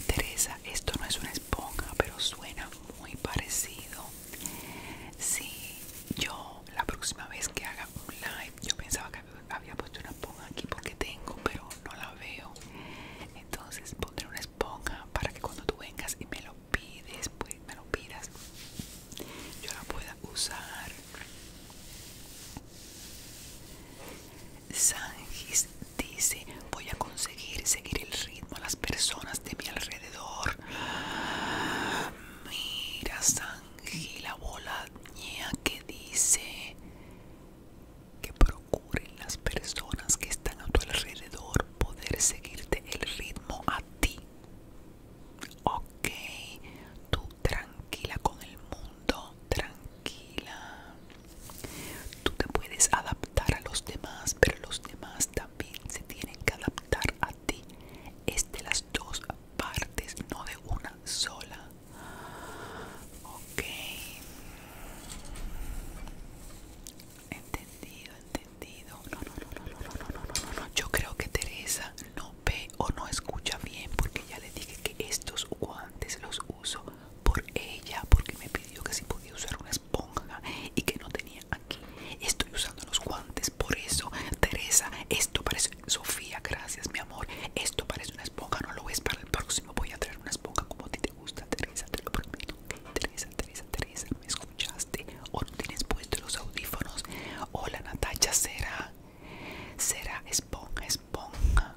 Speaker 2: Teresa, esto no es una esponja, pero suena muy parecido si, yo la próxima vez que haga un live, yo pensaba que había puesto una esponja aquí porque tengo, pero no la veo. Entonces pondré una esponja para que cuando tú vengas y me lo pides, pues me lo pidas, yo la pueda usar. Sangis dice, voy a conseguir seguir el ritmo a las personas de mi alrededor. Mira, Sanji, la bola que dice que procuren las personas que están a tu alrededor poder seguirte el ritmo a ti. Ok, tú tranquila con el mundo, tranquila. Tú te puedes adaptar a los demás, pero los demás también se tienen que adaptar a ti es de las dos partes, no de una sola. Ok. Entendido, entendido. No, no, no, no, no, no, no, no, no. Yo creo que Teresa no ve o no escucha bien porque ya le dije que estos guantes los uso por ella porque me pidió que si podía usar una esponja y que no tenía aquí. Estoy usando los guantes por eso, Teresa, esto parece... Sofía, gracias mi amor, esto parece una esponja, no lo ves para el próximo, voy a traer una esponja como a ti te gusta, Teresa, te lo prometo. Teresa, Teresa, Teresa, ¿me escuchaste? ¿O no tienes puestos los audífonos? Hola Natacha, será, será esponja, esponja.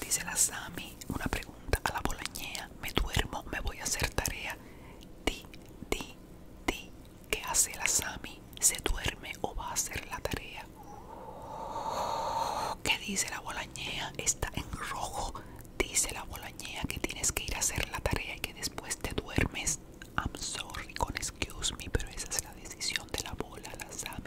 Speaker 2: Dice la Sami, una pregunta a la bolañea. Me duermo, me voy a hacer tarea. Di, di, di. ¿Qué hace la Sami? ¿Se duerme o va a hacer la tarea? ¿Qué dice la bolañea? Está en rojo. Dice la bolañea que tienes que ir a hacer la tarea y que después te duermes. I'm sorry, con excuse me, pero esa es la decisión de la bola, la Sami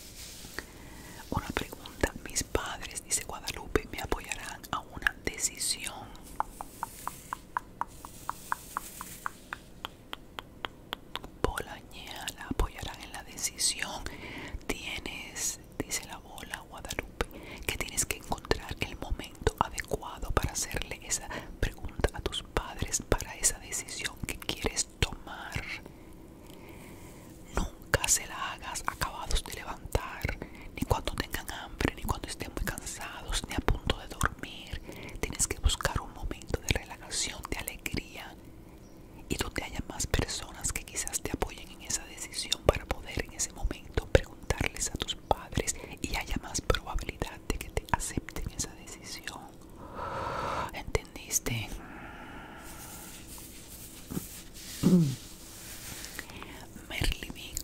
Speaker 2: Una pregunta, mis padres, dice Guadalupe, me apoyarán a una decisión. Bolaña, la apoyarán en la decisión. Tienes, dice la bola Guadalupe, que tienes que encontrar el momento adecuado para hacerle esa pregunta a tus padres para esa decisión que quieres tomar. Nunca se la hagas acabados de levantar, ni cuando tengan hambre, ni cuando estén muy cansados, ni a punto de dormir. Tienes que buscar un momento de relajación, de alegría y donde haya más personas que quizás te apoyen en esa decisión para poder en ese momento preguntarles a tus padres y haya más probabilidad de que te acepten esa decisión entendiste? (clears throat)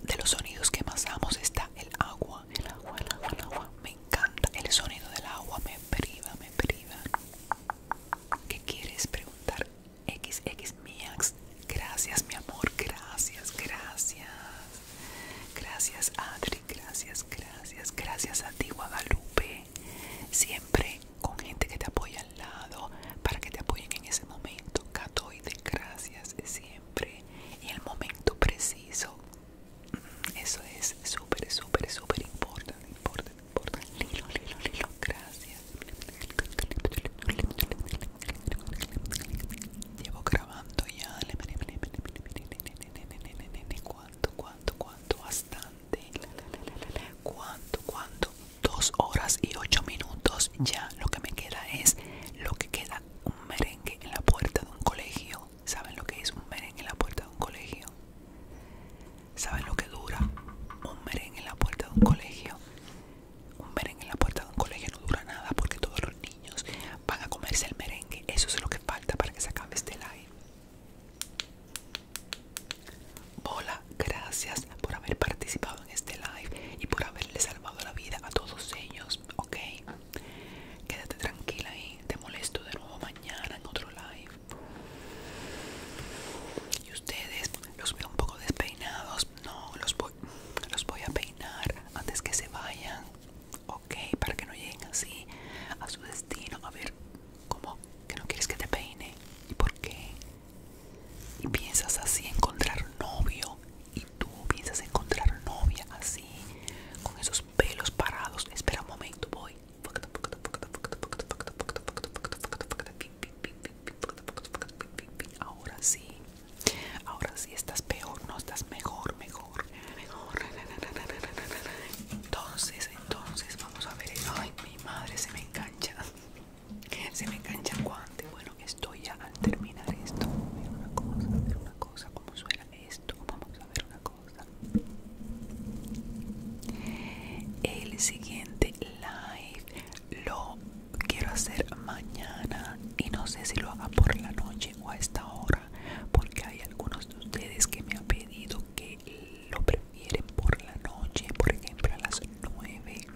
Speaker 2: de los sonidos que más amo está el agua, el agua, el agua, el agua. Me encanta el sonido del agua, me priva, me priva. ¿Qué quieres preguntar? XX Miax, gracias mi amor, gracias, gracias. Gracias Adri, gracias, gracias, gracias a ti Guadalupe siempre con gente que te apoya al lado, para que te apoyen en ese momento. Catoide, gracias siempre. Y el momento preciso. Eso es súper, súper, súper importante. Lilo, lilo, lilo. Gracias. Llevo grabando ya. ¿Cuánto, cuánto, cuánto? hasta ¿Cuánto? ¿Cuánto? Dos horas y ocho minutos. Ya lo que me queda es lo que queda un merengue en la puerta de un colegio. ¿Saben lo que es un merengue en la puerta de un colegio? ¿Saben lo que dura un merengue en la puerta de un colegio? Un merengue en la puerta de un colegio no dura nada porque todos los niños van a comerse el merengue. Eso es lo que falta para que se acabe este live. Hola, gracias por haber participado en este live y por haberle salvado la vida a todos ellos, ¿ok? Quédate tranquila y te molesto de nuevo mañana en otro live. Y ustedes los veo un poco despeinados, no, los voy, los voy a peinar antes que se vayan, ¿ok? Para que no lleguen así a su destino. A ver, como ¿Que no quieres que te peine? ¿Y por qué? Y piensas así encontrar novio. Y tú piensas encontrar novia así, con esos pelos parados. Espera un momento, voy. Ahora sí, ahora sí estás peor, no estás mejor, mejor, Entonces, entonces, vamos a ver. hoy mi madre se me engancha. Se me engancha Bueno, estoy ya al terminar esto. A ver una cosa, a ver una cosa. como suena esto? Vamos a ver una cosa. El siguiente live lo quiero hacer mañana. Y no sé si lo haga por la noche o a esta hora. Porque hay algunos de ustedes que me han pedido que lo preparen vienen por la noche, por ejemplo a las 9.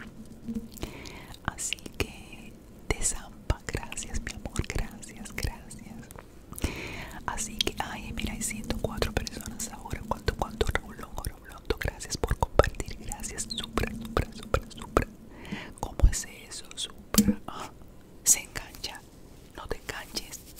Speaker 2: Así que desampa gracias mi amor, gracias, gracias. Así que, ay, mira, hay 104 personas ahora. ¿Cuánto, cuánto, Roblondo, Roblondo? Gracias por compartir, gracias, supra, supra, supra, supra. ¿Cómo es eso, supra? Ah, se engancha, no te enganches.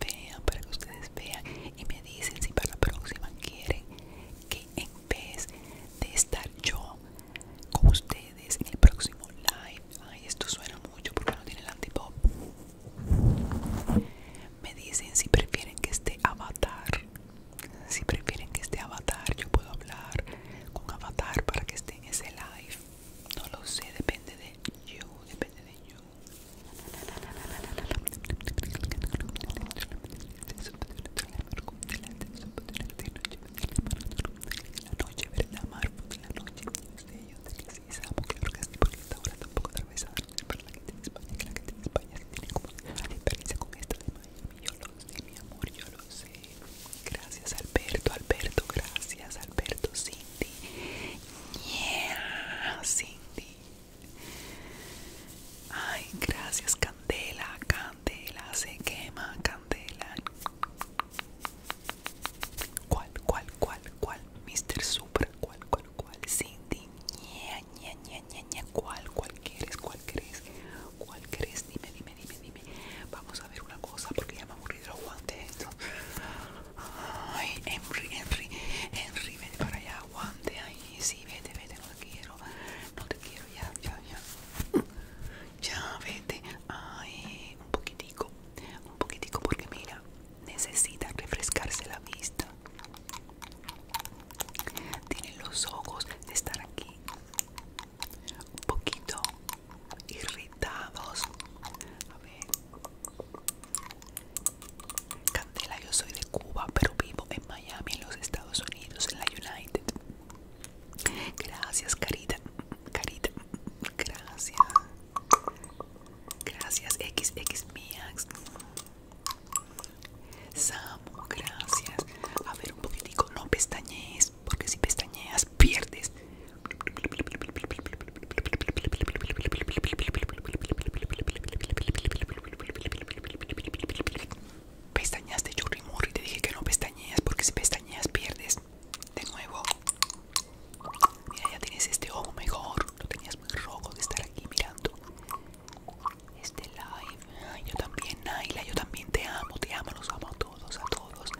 Speaker 2: vean, para que ustedes vean y me dicen si para la próxima quieren que en vez de estar yo con ustedes en el próximo live, ay esto suena mucho porque no tiene el antipop, me dicen si prefieren que esté avatar, si prefieren que esté avatar, yo puedo hablar con avatar para que esté en ese live, no lo sé, depende de you, depende de you. La noche, ver la en la noche, yo sé que sí, Samo, que porque esta hora tampoco a pero la que tiene España, que la que tiene España se tiene como experiencia diferencia con esta de Miami, yo lo sé, mi amor, yo lo sé. Gracias, Alberto, Alberto, gracias, Alberto, Cindy, yeah, Cindy. Ay, gracias, Candela. Candela se quema, Candela. ¿Cuál, cuál, cuál, cuál? Mr. Supra, ¿cuál, cuál, cuál? Cindy, ña, ña, ña, ña, ña. ¿Cuál, cuál quieres, cuál quieres? ¿Cuál quieres? Dime, dime, dime, dime. Vamos a ver una cosa porque ya me aburrí de los guantes Ay, Henry, Henry, Henry, ven para allá, guante, sí, vete, vete, no te quiero, no te quiero, ya, ya, ya, ya, vete, ay, un poquitico, un poquitico, porque mira, necesita refrescarse la vista, tiene los ojos de estar aquí, un poquito irritados, a ver, Candela, yo soy de Cuba, pero vivo en Miami, en los Estados Unidos, en la United. Gracias, Carita. Carita, gracias. Gracias, XX Samu, gracias. A ver, un poquitico, no pestañees, porque si pestañeas pierdes. Pestañas de churrimurri, te dije que no pestañeas porque si pestañeas pierdes. De nuevo. Mira, ya tienes este ojo mejor. Lo tenías muy rojo de estar aquí mirando. Este live. yo también, Naila, yo también te amo, te amo, los amo a todos, a todos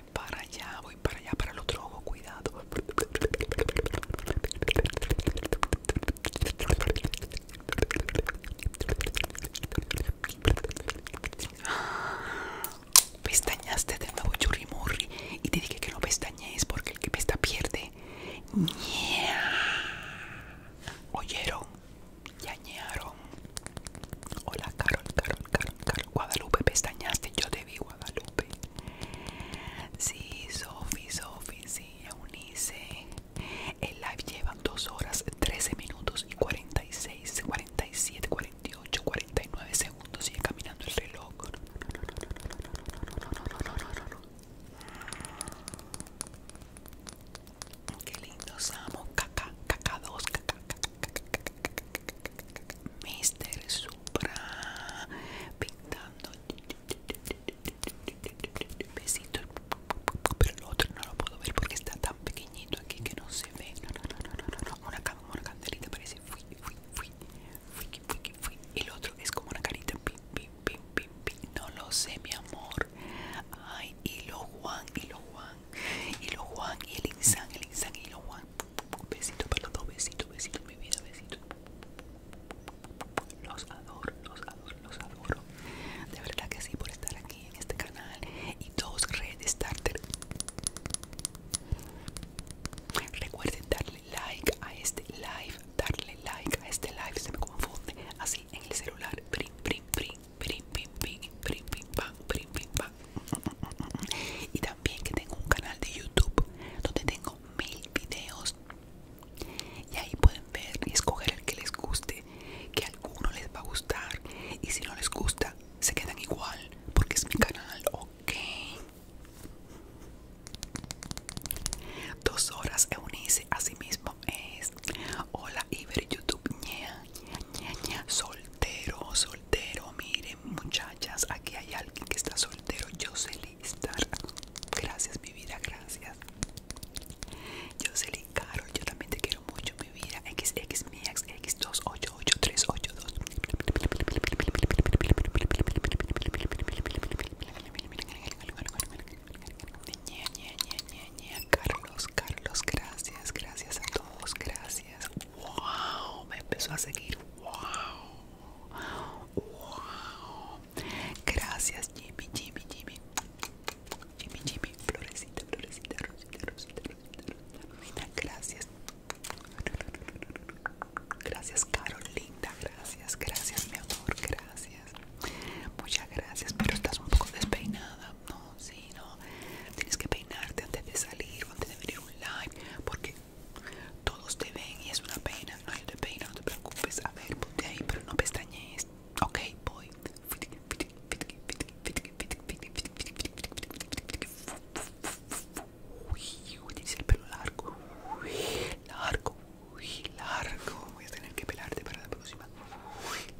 Speaker 2: voy para allá, voy para allá, para el otro ojo, cuidado. Pestañaste de nuevo churrimurri y te dije que no pestañees porque el que pesta pierde. ¿Oyeron? Yañearon. Hola, Carol, Carol, Carol, Carol. Guadalupe, pestañaste. Yo te vi, Guadalupe. Sí, Sofi, Sofi, sí, El live lleva 2 horas, 13 minutos y 46, 47, 48, 49 segundos. Sigue caminando el reloj. Qué lindo, no, Caca, caca, dos, Mister Supra pintando besito pero el otro no lo puedo ver porque está tan pequeñito aquí que no se ve no no no no no, no. una parece el otro es como una carita no lo sé mi amor ay y lo Juan y lo Juan y lo Juan y el no, el y lo Juan un Besito para los dos, besito, besito, mi vida, besito. Los adoro, los adoro, los adoro. De verdad que sí, por estar aquí en este canal. Y dos Red starter. Recuerden darle like a este live, darle like a este live, se me confunde. Así en el celular. pim, pam, pim, pam. Y también que tengo un canal de YouTube donde tengo mil videos. Y ahí pueden ver y escoger el que les guste, que alguno les va a gustar. Y si no les gusta, se quedan igual, porque es mi canal, ok. Dos horas Eunice, así mismo es. Hola Iber YouTube, ña, soltero, soltero, mire muchachas, aquí hay alguien que está soltero. Jocelyn Star. Gracias, mi vida, gracias. Jocelyn Carol, yo también te quiero mucho, mi vida. xxmixx 288382 Carlos, Carlos, gracias, gracias a todos, gracias. Wow, me empezó a seguir. Wow. Gracias Jimmy, Jimmy, Jimmy. Jimmy, Jimmy, florecita, florecita, rosita, rosita, rosita, rosita. Gracias. Gracias, Carolina Gracias, gracias, mi amor. Gracias. Muchas gracias, pero estás un poco despeinada. No, sí, no. Tienes que peinarte antes de salir, o antes de venir online. un live, porque todos te ven y es una pena. No, hay de pena, no te preocupes. A ver, ponte ahí, pero no pestañees. Ok, voy. Uy, dice el pelo largo. Uy, largo. Uy, largo. Voy a tener que pelarte para la próxima.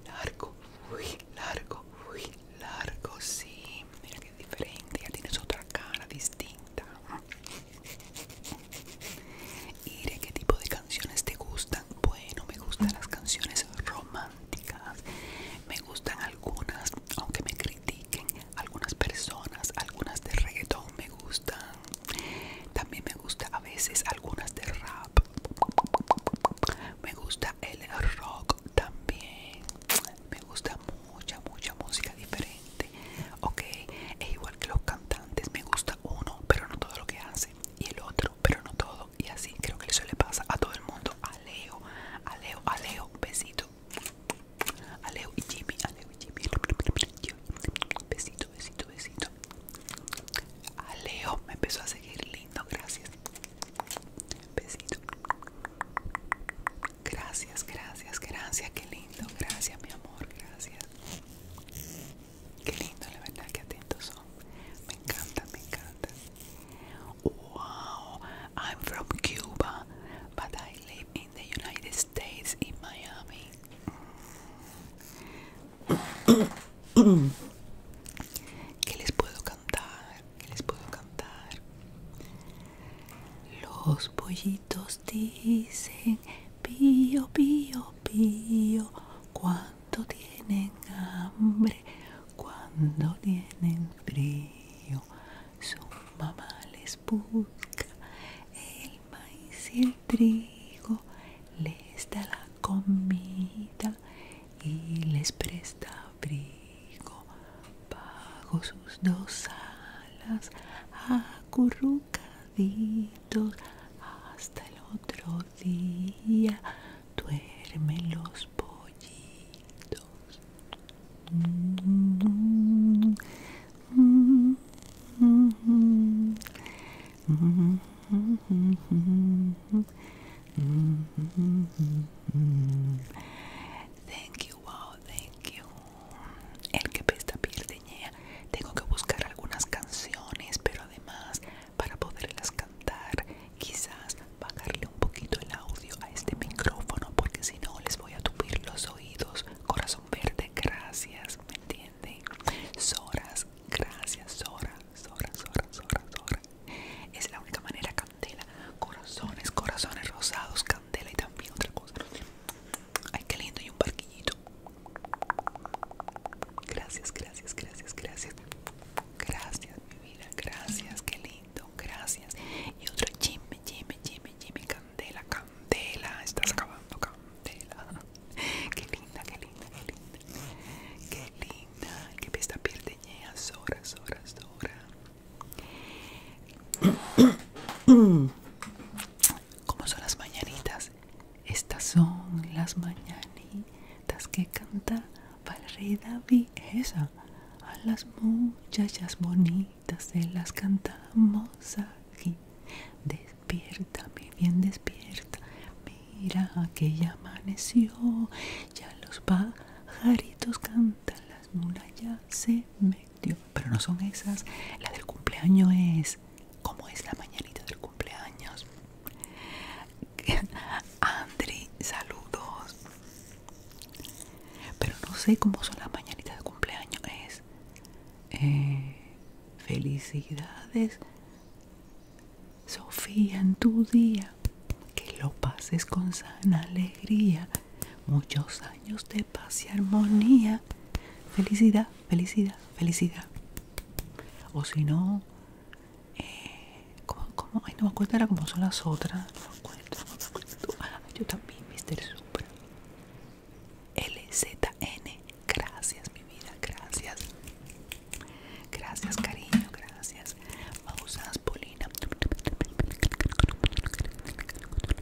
Speaker 2: largo. Uy, largo. Uy, largo. Sí, mira diferente, ya tienes otra cara distinta. y de ¿qué tipo de canciones te gustan? Bueno, me gustan las canciones románticas, me gustan algunas, aunque me critiquen, algunas personas, algunas de reggaeton me gustan, también me gusta a veces algunas de rap, me gusta el rock también, me gusta mucha, mucha música diferente, ok, es igual que los cantantes, me gusta uno, pero no todo lo que hace, y el otro, pero no todo, y así creo que eso le pasa a todo el mundo, a Leo, a Leo, a Leo, besito, a y Jimmy, a Leo y Jimmy, besito, besito, besito, a me empezó a seguir lindo, gracias, besito. Gracias, gracias, gracias, qué lindo, gracias mi amor, gracias. Qué lindo, la verdad ¡Qué atentos son. Me encanta, me encanta. Wow, I'm from Cuba, but I live in the United States in Miami. (coughs) ¿Qué les puedo cantar? ¿Qué les puedo cantar? Los pollitos dicen pío, pío, pío, cuánto tienen hambre, cuando tienen frío, su mamá les busca el maíz y el trigo, les da la comida y les presta frío pago sus dos años acurrucaditos hasta el otro día, duermen los pollitos
Speaker 1: wow, thank you.
Speaker 2: El que pesta Tengo que buscar algunas canciones, pero además, para poderlas cantar, quizás bajarle un poquito el audio a este micrófono, porque si no les voy a tupir los oídos. Corazón verde, gracias, ¿me entienden? Soras, gracias, soras, soras, soras, soras. Es la única manera, Candela. Corazones, corazones rosados, candela y también otra cosa. Ay, qué lindo, y un barquillito. Gracias, gracias, gracias, gracias. Gracias, mi vida, gracias, qué lindo, gracias. Y otro Jimmy, Jimmy, Jimmy, Jimmy, candela, candela. Estás acabando, candela. Qué linda, qué linda, qué linda. Qué linda, qué pesta pierdeñea, horas horas horas ¿Cómo son las mañanitas. Estas son las mañanitas que canta rey David. Esa. A las muchachas bonitas se las cantamos aquí. Despierta, mi bien despierta. Mira que ya amaneció. Ya los pajaritos cantan, las murallas se metió pero no son esas. La del cumpleaños es ¿Cómo es la mañanita del cumpleaños. (laughs) Andri, saludos. Pero no sé cómo son las mañanitas del cumpleaños. Es eh, felicidades, Sofía, en tu día. Que lo pases con sana alegría muchos años de paz y armonía, felicidad, felicidad, felicidad. O si no, eh, como ¿cómo, Ay, no me acuerdo ahora como son las otras. No me acuerdo, no me acuerdo. Ay, yo también, Mr. Supra. LZN, gracias, mi vida, gracias. Gracias, cariño, gracias. Pausas, Polina.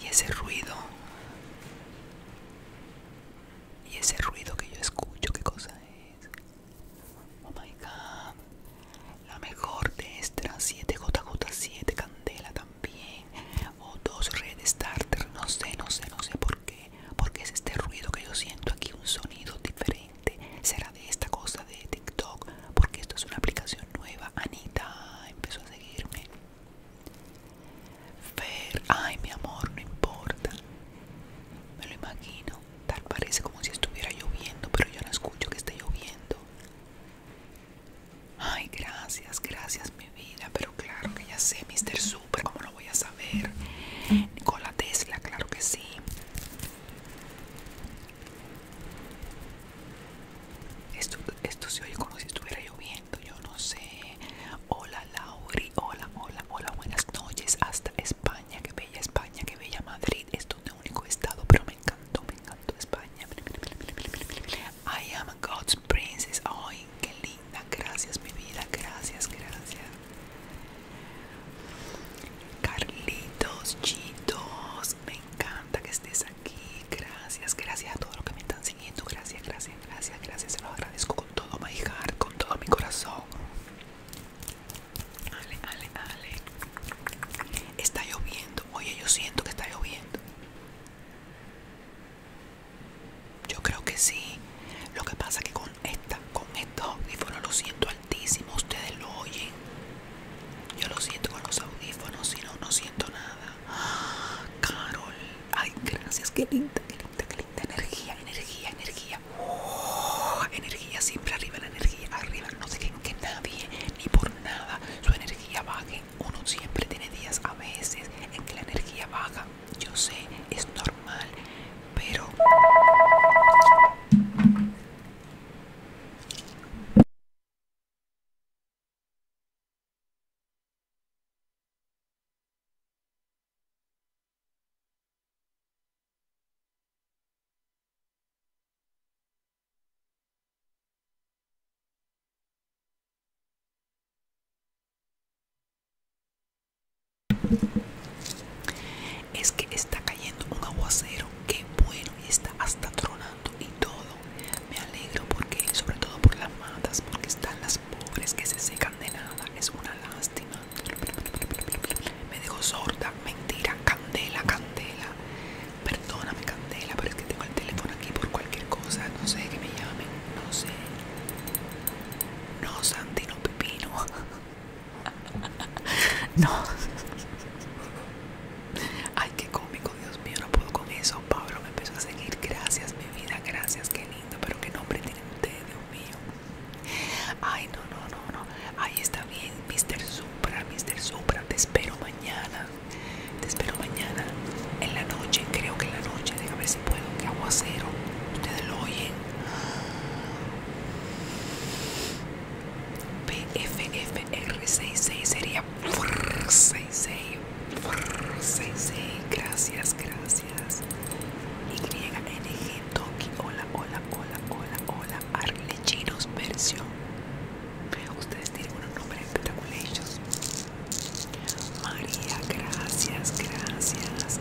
Speaker 2: y ese ruido y ese ruido que yo escucho qué cosa es oh my god la mejor de estas, 7 jj7 candela también o dos red starter no sé no sé no sé por qué porque es este ruido que yo siento aquí un sonido diferente será de esta cosa de tiktok porque esto es una aplicación nueva anita empezó a seguirme Fer, ay mi amor, no importa. Me lo imagino. Tal parece como si estuviera lloviendo, pero yo no escucho que esté lloviendo. Ay, gracias, gracias mi vida. Pero claro que ya sé, Mr. Super, ¿cómo lo voy a saber? Nicola Tesla, claro que sí. Esto, se oye como si estuviera lloviendo, yo no sé. Hola Lauri, hola, hola, hola, buenas noches. Hasta España, qué bella España, qué bella Madrid. Esto es un único estado, pero me encantó, me encantó España. I am a God's princess. Ay, qué linda. Gracias, mi vida. Gracias, gracias. Carlitos, chitos, me encanta que estés aquí. Gracias, gracias a todos los que me están Gracias, gracias, gracias, gracias. Se los agradezco con todo my heart, con todo mi corazón. Ale, ale, ale. Está lloviendo. Oye, yo siento que está lloviendo. Yo creo que sí. Lo que pasa es que con esta, con estos audífonos lo siento altísimo. Ustedes lo oyen. Yo lo siento con los audífonos, si no, no siento nada. (gasps) Carol, ay, gracias, qué linda, qué linda, qué linda energía, energía, energía, oh, energía, siempre arriba la energía, arriba, no se creen que nadie ni por nada su energía baje. Uno siempre tiene días a veces en que la energía baja, yo sé, es normal, pero. Es que está cayendo un aguacero, qué bueno, y está hasta tronando y todo. Me alegro porque, sobre todo por las matas, porque están las pobres que se secan de nada. Es una lástima. Me digo sorda, mentira, candela, candela. Perdóname, candela, pero es que tengo el teléfono aquí por cualquier cosa. No sé que me llamen, no sé. No, Santi, no, Pepino. (laughs) No. Ay, que cómico. Dios mío, no puedo con eso. Pablo me empezó a seguir. Gracias, mi vida, gracias, qué lindo. Pero qué nombre tiene ustedes, Dios mío. Ay, no, no, no, no. Ahí está bien, Mr. Supra, Mr. Supra. Te espero mañana. Te espero mañana. En la noche, creo que en la noche. Déjame ver si puedo. Que cero Ustedes lo oyen. PFFR66 sería 66 Gracias, gracias, gracias. YNG Toki, hola, hola, hola, hola, hola. Arlechinos versión. Ustedes tienen unos nombres espectaculares. María, gracias, gracias.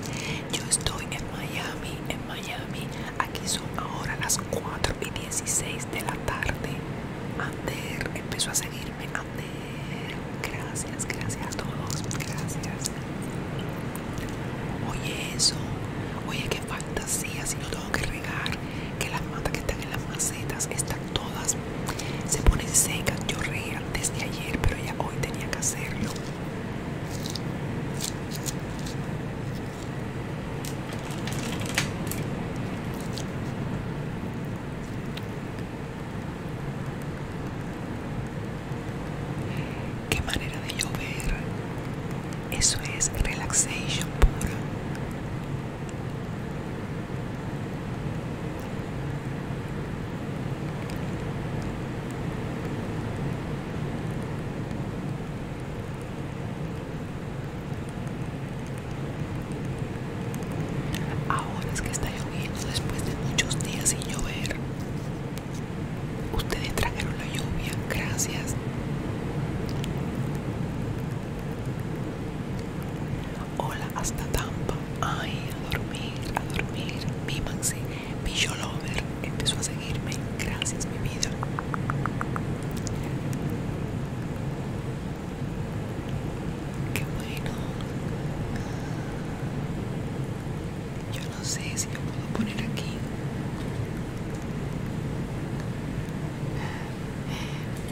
Speaker 2: Yo estoy en Miami, en Miami. Aquí son ahora las 4 y 16 de la tarde. Ander empezó a seguirme gracias, gracias a todos, pues, gracias. Oye eso, oye qué fantasía, si no tengo que regar, que las matas que están en las macetas están todas, se ponen secas, yo reía desde ayer, pero ya hoy tenía que hacerlo. Qué manera de llover. Eso es relaxation puro. Ahora es que está lloviendo después de muchos días sin llover. Ustedes trajeron la lluvia, gracias. Hola, hasta Tampa. Ay, a dormir, a dormir. Mímanse. Mi Lover empezó a seguirme. Gracias, mi vida. Qué bueno. Yo no sé si lo puedo poner aquí.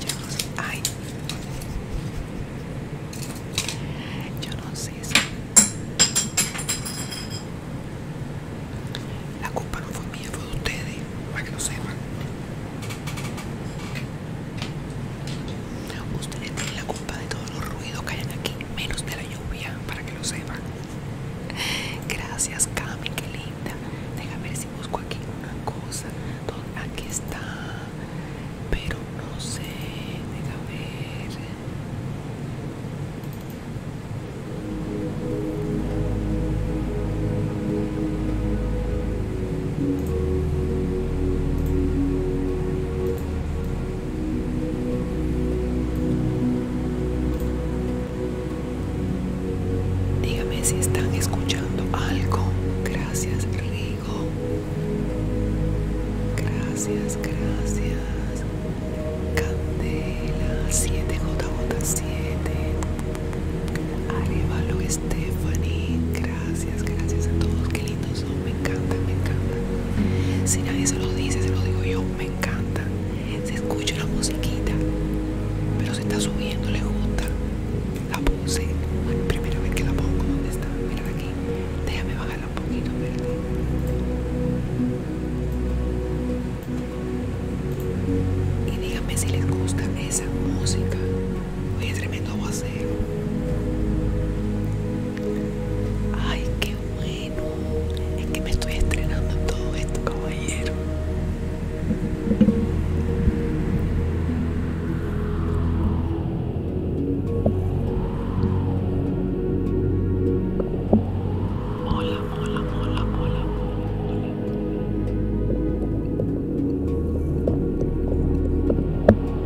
Speaker 2: Yo no sé. Ay. Yo no sé si. La culpa no fue mía, fue de ustedes, para que lo sepan. Ustedes tiene la culpa de todos los ruidos que hayan aquí, menos de la lluvia, para que lo sepan. Gracias, Cami, qué linda. Deja ver si busco aquí una cosa. Aquí está, pero no sé. Déjame ver. Dígame si están escuchando algo. Gracias, Rigo. Gracias, gracias. Candela 7JJ7. Arevalo Stephanie, gracias, gracias a todos, qué lindos son, me encanta, me encanta. Si nadie se lo dice, se lo digo yo, me encanta. Se escucha la musiquita, pero se está subiendo, le gusta. La puse, primera vez que la pongo, ¿dónde está? Mira aquí, déjame bajarla un poquito, espérate. Y díganme si les gusta esa música a tremendo aguacero. Ay, qué bueno. Es que me estoy estrenando todo esto, caballero. Mola, hola, hola, hola, mola.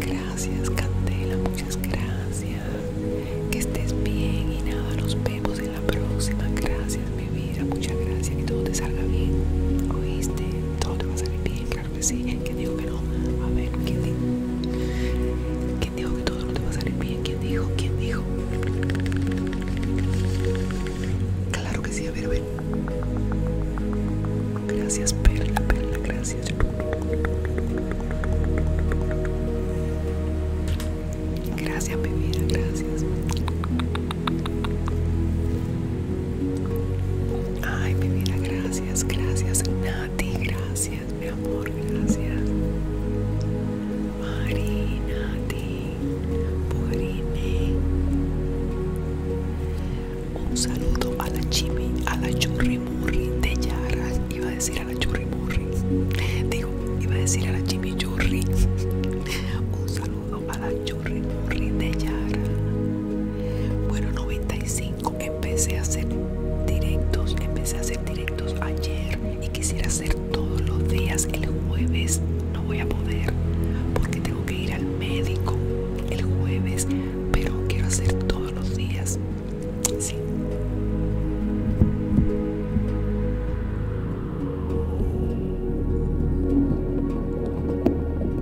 Speaker 2: Gracias, Candela, muchas gracias. Que estés bien y nada, nos vemos en la próxima. Gracias, mi vida, muchas gracias. Que todo te salga bien. Oíste, todo te va a salir bien que sí. ¿Quién dijo que no? A ver, ¿quién dijo? ¿Quién dijo que todo no te va a salir bien? ¿Quién dijo? ¿Quién dijo? Claro que sí, a ver, a ver. Gracias, Perla, Perla, gracias. Gracias, bebida, gracias. Ay, mi vida, gracias, gracias, Nati, gracias, mi amor, gracias. Mari, Nati, Un saludo a la Chimi, a la Churrimurri de Yara. Iba a decir a la Churrimurri. Digo, iba a decir a la Churri Un saludo a la churri de Yara. Bueno, 95. Empecé a hacer directos. Empecé a hacer directos ayer y quisiera hacer todos los días. El jueves no voy a poder porque tengo que ir al médico el jueves, pero quiero hacer todos los días.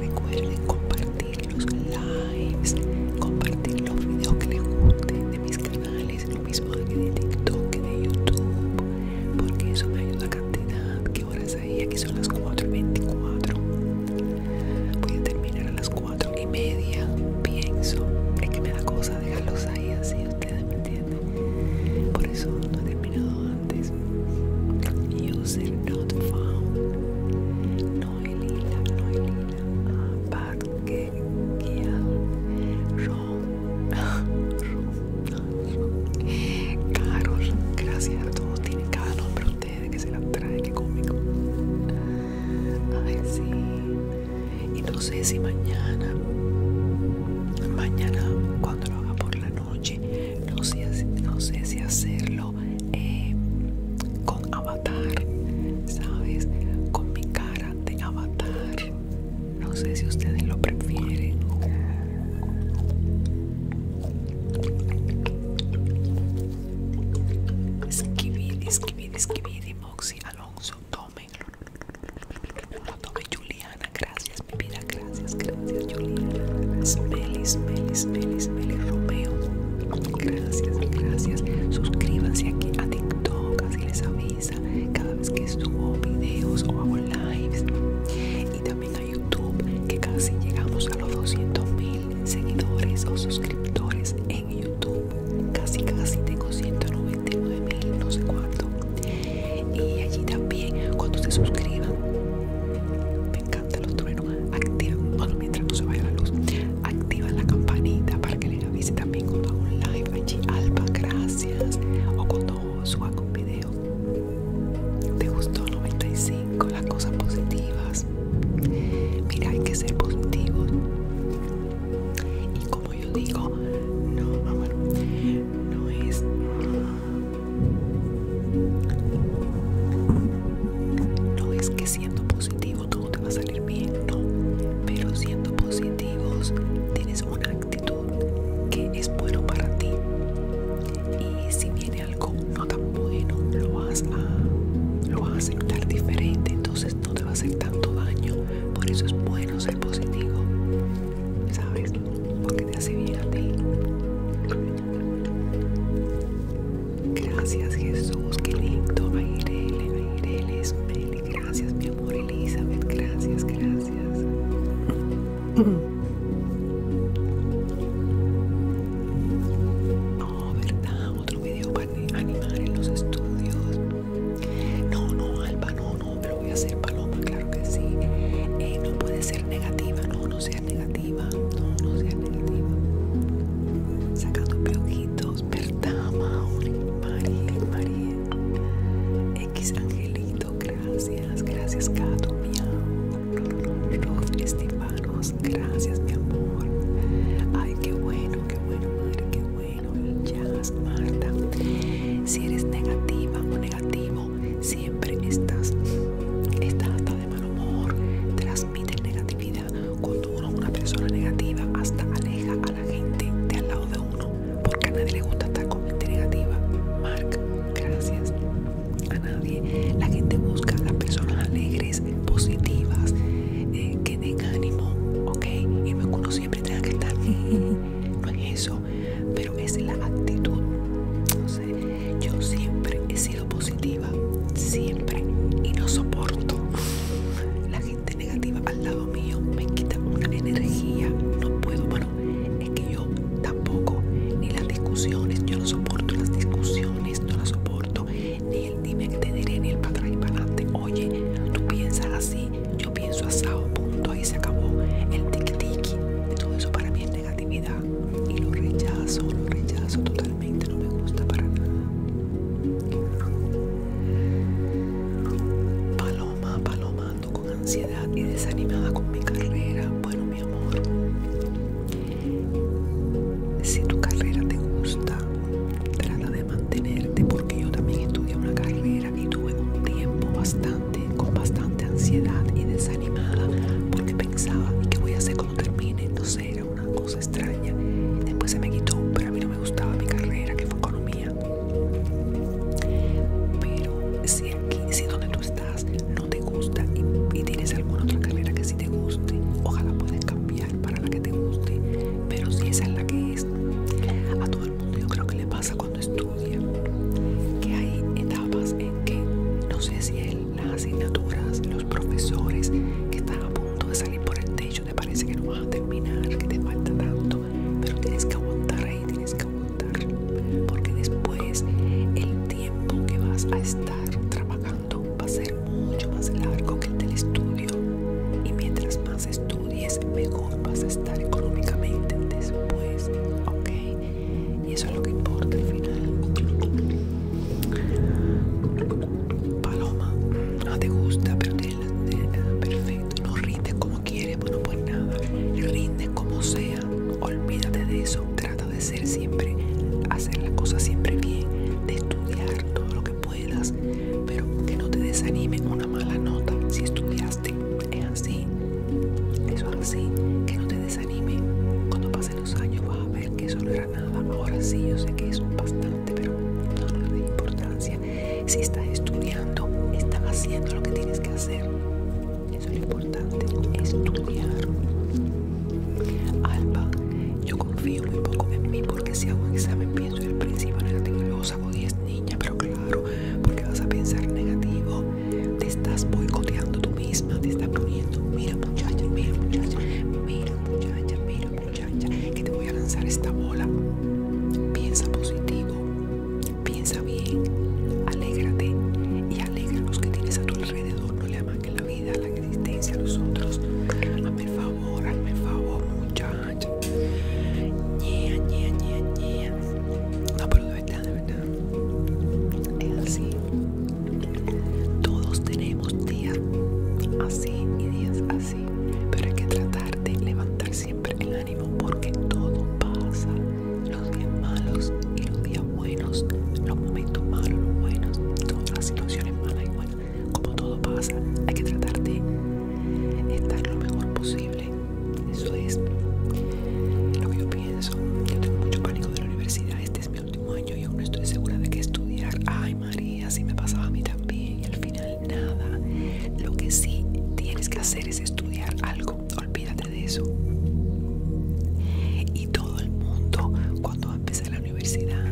Speaker 2: Recuerden compartir los likes, compartir los videos que les gusten de mis canales, lo mismo que de TikTok, de YouTube, porque eso me ayuda a cantidad. ¿Qué horas hay? Aquí son las 4:24. Voy a terminar a las 4 y media, pienso. Es que me da cosa dejarlos ahí así, ustedes me entienden. Por eso no he terminado antes. User not found. No no Parquequial, Ron, Ron, Carol, gracias a todos, tienen cada nombre ustedes que se la trae que cómico. Ay, sí. Y no sé si mañana, mañana cuando lo haga por la noche, no sé, no sé si hacerlo eh, con Avatar, ¿sabes? Con mi cara de Avatar. No sé si ustedes lo prefieren. esquividi esquividi skibidi, Moxie Alonso, tomen. No tomen, Juliana, gracias, mi vida, gracias, gracias, Juliana. Smelly, smelly, smelly, smelly, Romeo. Gracias, gracias. Suscríbanse aquí a TikTok, así les avisa cada vez que subo videos o hago lives. Y también a YouTube, que casi llegamos a los 200 mil seguidores o suscriptores en YouTube. Casi, casi tengo 199 mil, no sé cuánto. Y allí también, cuando se suscriban, me encantan los truenos activa, mientras se vaya la luz, activa la campanita para que le avise también cuando hago un live. Allí, Alba, gracias. O cuando suba un video. ¿Te gustó 95? Las cosas positivas. Mira, hay que ser positivos. Y como yo digo, no, no es. No es que siendo positivo todo te va a salir bien, no. Pero siendo positivos, tienes una actitud que es bueno para ti. Y si viene algo no tan bueno, lo vas a, lo vas a aceptar diferente, entonces no te va a hacer tanto daño. Por eso es bueno ser positivo, ¿sabes? Porque te hace bien a ti. Gracias Jesús, qué lindo. Airele, es bello. Gracias mi amor Elizabeth. Gracias, gracias.
Speaker 1: No, ¿verdad? Otro video para animar en
Speaker 2: los estudios. No, no, Alba, no, no, pero voy a hacer paloma, claro que sí. Eh, no puede ser negativa, no, no sea negativa, no, no sea negativa. Sacando peojitos. Pertama, María, María, X Angelito, gracias, gracias Cato, miau, Rod Estivanos, gracias mi amor, ay qué bueno, qué bueno madre, qué bueno, Ya, Marta, si eres negativa o negativo, siempre estás, estás hasta de mal humor, Transmite negatividad cuando uno es una persona negativa, hasta aleja a la gente de al lado de uno, porque a nadie le gusta estar con gente negativa. Mark, gracias. A nadie. La gente busca a las personas alegres, positivas, eh, que den ánimo, ¿ok? Y no es que uno siempre tenga que estar. (laughs) no es eso, pero es la actitud. yo siempre he sido positiva siempre y no soporto la gente negativa al lado mío me quita una energía no puedo bueno es que yo tampoco ni las discusiones yo no soporto las discusiones no las soporto ni el dime que te diré ni el para atrás y para adelante oye tú piensas así yo pienso asado punto ahí se acabó el tic de todo eso para mí es negatividad y lo rechazo lo rechazo totalmente no me gusta para nada. Paloma, Paloma, con ansiedad y desanimada con mi carrera. Bueno, mi amor, si tu carrera te gusta, trata de mantenerte porque yo también estudié una carrera y tuve un tiempo bastante, con bastante ansiedad y desanimada porque pensaba, que qué voy a hacer cuando termine? No una cosa extraña. Después se me quitó, pero a mí no me gustaba mi carrera, que fue economía. Pero si aquí, si donde tú estás no te gusta y, tienes alguna otra carrera que sí te guste, ojalá puedas cambiar para la que te guste. Pero si esa es la que es, a todo el mundo yo creo que le pasa cuando estudia, que hay etapas en que no sé si él, las asignaturas, los profesores que están a punto de salir por el techo me parece que no vas a terminar, que te falta tanto, pero tienes que aguantar ahí, tienes que aguantar, porque después el tiempo que vas a estar trabajando va a ser mucho más largo que el del estudio y mientras más estudies mejor vas a estar económicamente después, ¿ok? Y eso es lo que importa al final. Paloma, no te gusta, pero te, perfecto. No rindes como quieres, bueno, pues nada. rinde como sea, olvídate de eso. Trata de ser siempre, hacer las cosas siempre bien, de estudiar todo lo que puedas, pero que no te desanime una mala nota. Si estudiaste, es así, eso es así, que no te desanime. Cuando pasen los años vas a ver que eso no Nada Ahora sí, yo sé que es bastante, pero no es de importancia. Si estás estudiando, estás haciendo lo que tienes que hacer. Eso es lo importante, estudiar. Alba, yo confío muy poco en mí porque si hago un examen pienso en el principio negativo y niña, pero claro, porque vas a pensar negativo. Te estás boicoteando tú misma, te estás poniendo, mira muchacha, mira muchacha, mira muchacha, mira que te voy a lanzar esta bola. Piensa positivo, piensa bien, alégrate y alegra los que tienes a tu alrededor. No le que la vida, la existencia a los otros. Hazme favor, hazme favor, muchacha. ñea, ñea, ñea, ñea, No, verdad, de verdad. Es así. Todos tenemos días así y días así pero hay que tratar de levantar siempre el ánimo porque todo pasa, los días malos y los días buenos, los momentos malos, los buenos, todas las situaciones malas y buenas, como todo pasa, hay que tratar de estar lo mejor posible, eso es lo que yo pienso, yo tengo mucho pánico de la universidad, este es mi último año y aún no estoy segura de que estudiar, ay María, si me pasaba a mí también y al final nada. Lo que sí tienes que hacer es estudiar algo. Olvídate de eso. Y todo el mundo cuando va a empezar la universidad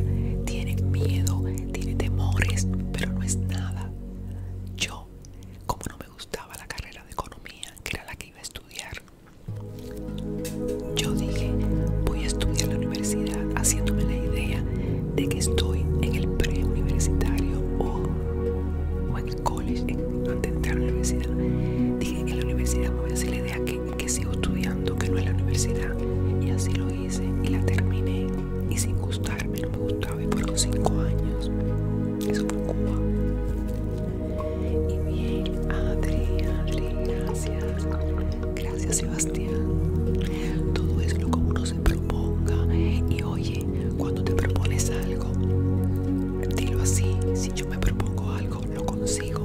Speaker 2: tiene miedo, tiene temores, pero no es nada. Yo, como no me gustaba la carrera de economía, que era la que iba a estudiar, yo dije, voy a estudiar la universidad haciéndome la idea de que estoy en el preuniversitario o, o en el college, antes de entrar a la universidad. Dije, que la universidad me voy a hacer la idea que, sigo estudiando, que no es la universidad. Y así lo hice y la terminé. Y sin gustarme, no me gustaba. Y los cinco años. Eso fue Cuba. Y bien, Adri, gracias. Gracias Sebastián. Todo es lo que uno se proponga. Y oye, cuando te propones algo, dilo así. Si yo me propongo algo, lo consigo.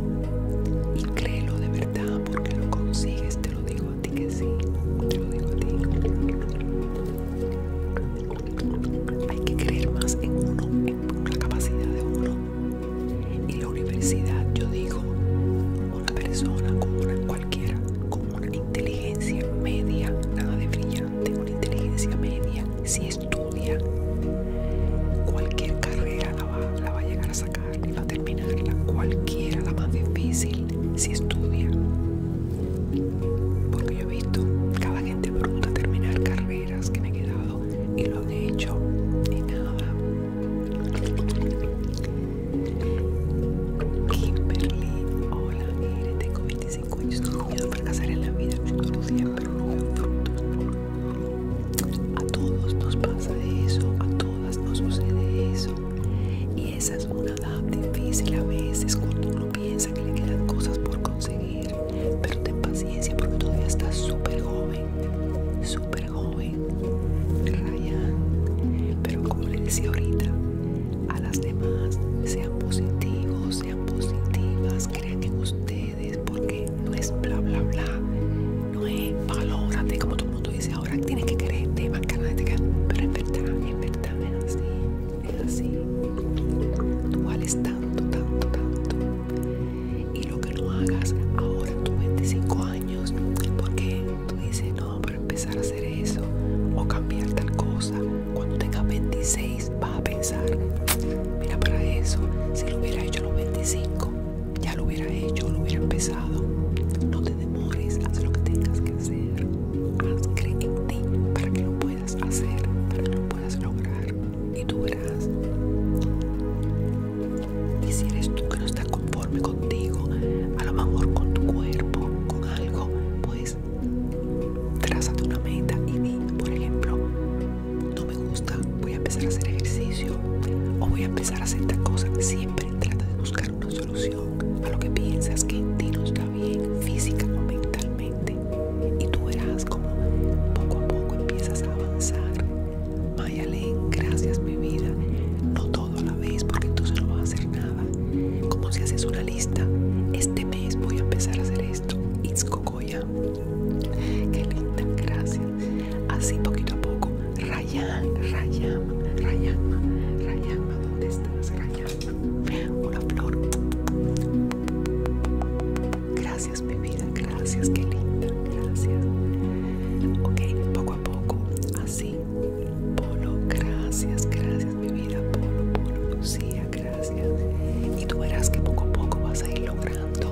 Speaker 2: Y créelo de verdad porque lo consigues. Te lo digo a ti que sí. Te lo digo a ti. Hay que creer más en uno, en la capacidad de uno. Y la universidad, yo digo, una persona como cualquiera, como una inteligencia media, nada de brillante, una inteligencia media, si estudia cualquier carrera la va, a llegar a sacar, va a terminarla, cualquiera, la más difícil, si estudia. Porque yo he visto cada gente pregunta, terminar carreras que me he quedado y lo he hecho y nada. Kimberly, hola, mire, tengo 25 años, no miedo fracasar en la vida, no siempre A todos nos pasa eso, a todas nos sucede eso. Y esa es una edad difícil a veces cuando uno piensa que le quedan cosas por conseguir. Pero ten paciencia porque todavía estás súper joven, súper joven Ryan. Pero como les decía ahorita, a las demás sean positivos, sean positivas, crean en ustedes, porque no es bla bla bla, no es valórate como todo mundo dice ahora, tienes que creerte, más te de pero es verdad, es verdad, es así, es así. Tú vales tanto, tanto, tanto. Y lo que no hagas ahora, tus 25 años, porque tú dices, no, empezar a hacer eso o cambiar tal cosa. Cuando tengas 26 va a pensar, mira para eso, si lo hubiera hecho a los 25, ya lo hubiera hecho, lo hubiera empezado. No te demores, haz lo que tengas que hacer. Haz, cree en ti para que lo puedas hacer, para que lo puedas lograr. Y tú verás. Y si eres tú que no estás conforme contigo, a lo mejor con tu cuerpo, con algo, pues trázate una meta y di, por ejemplo, no me gusta, voy a empezar a hacer ejercicio o voy a empezar a hacer esta cosa. Siempre trata de buscar una solución a lo que piensas que en ti no está bien, física o mentalmente. Y tú verás como poco a poco empiezas a avanzar. Mayalen, gracias mi vida. No todo a la vez porque entonces no vas a hacer nada. Como si haces una lista. Este mes voy a empezar a hacer esto. It's Cocoya. Qué linda, gracias. Así poquito a poco. Rayan, Rayan, Rayan, Rayan, ¿dónde estás? Rayan. Hola, Flor. Gracias, mi vida, gracias, qué linda, gracias. Ok, poco a poco, así Polo, gracias, gracias mi vida, Polo, Polo, Lucía, gracias. Y tú verás que poco a poco vas a ir logrando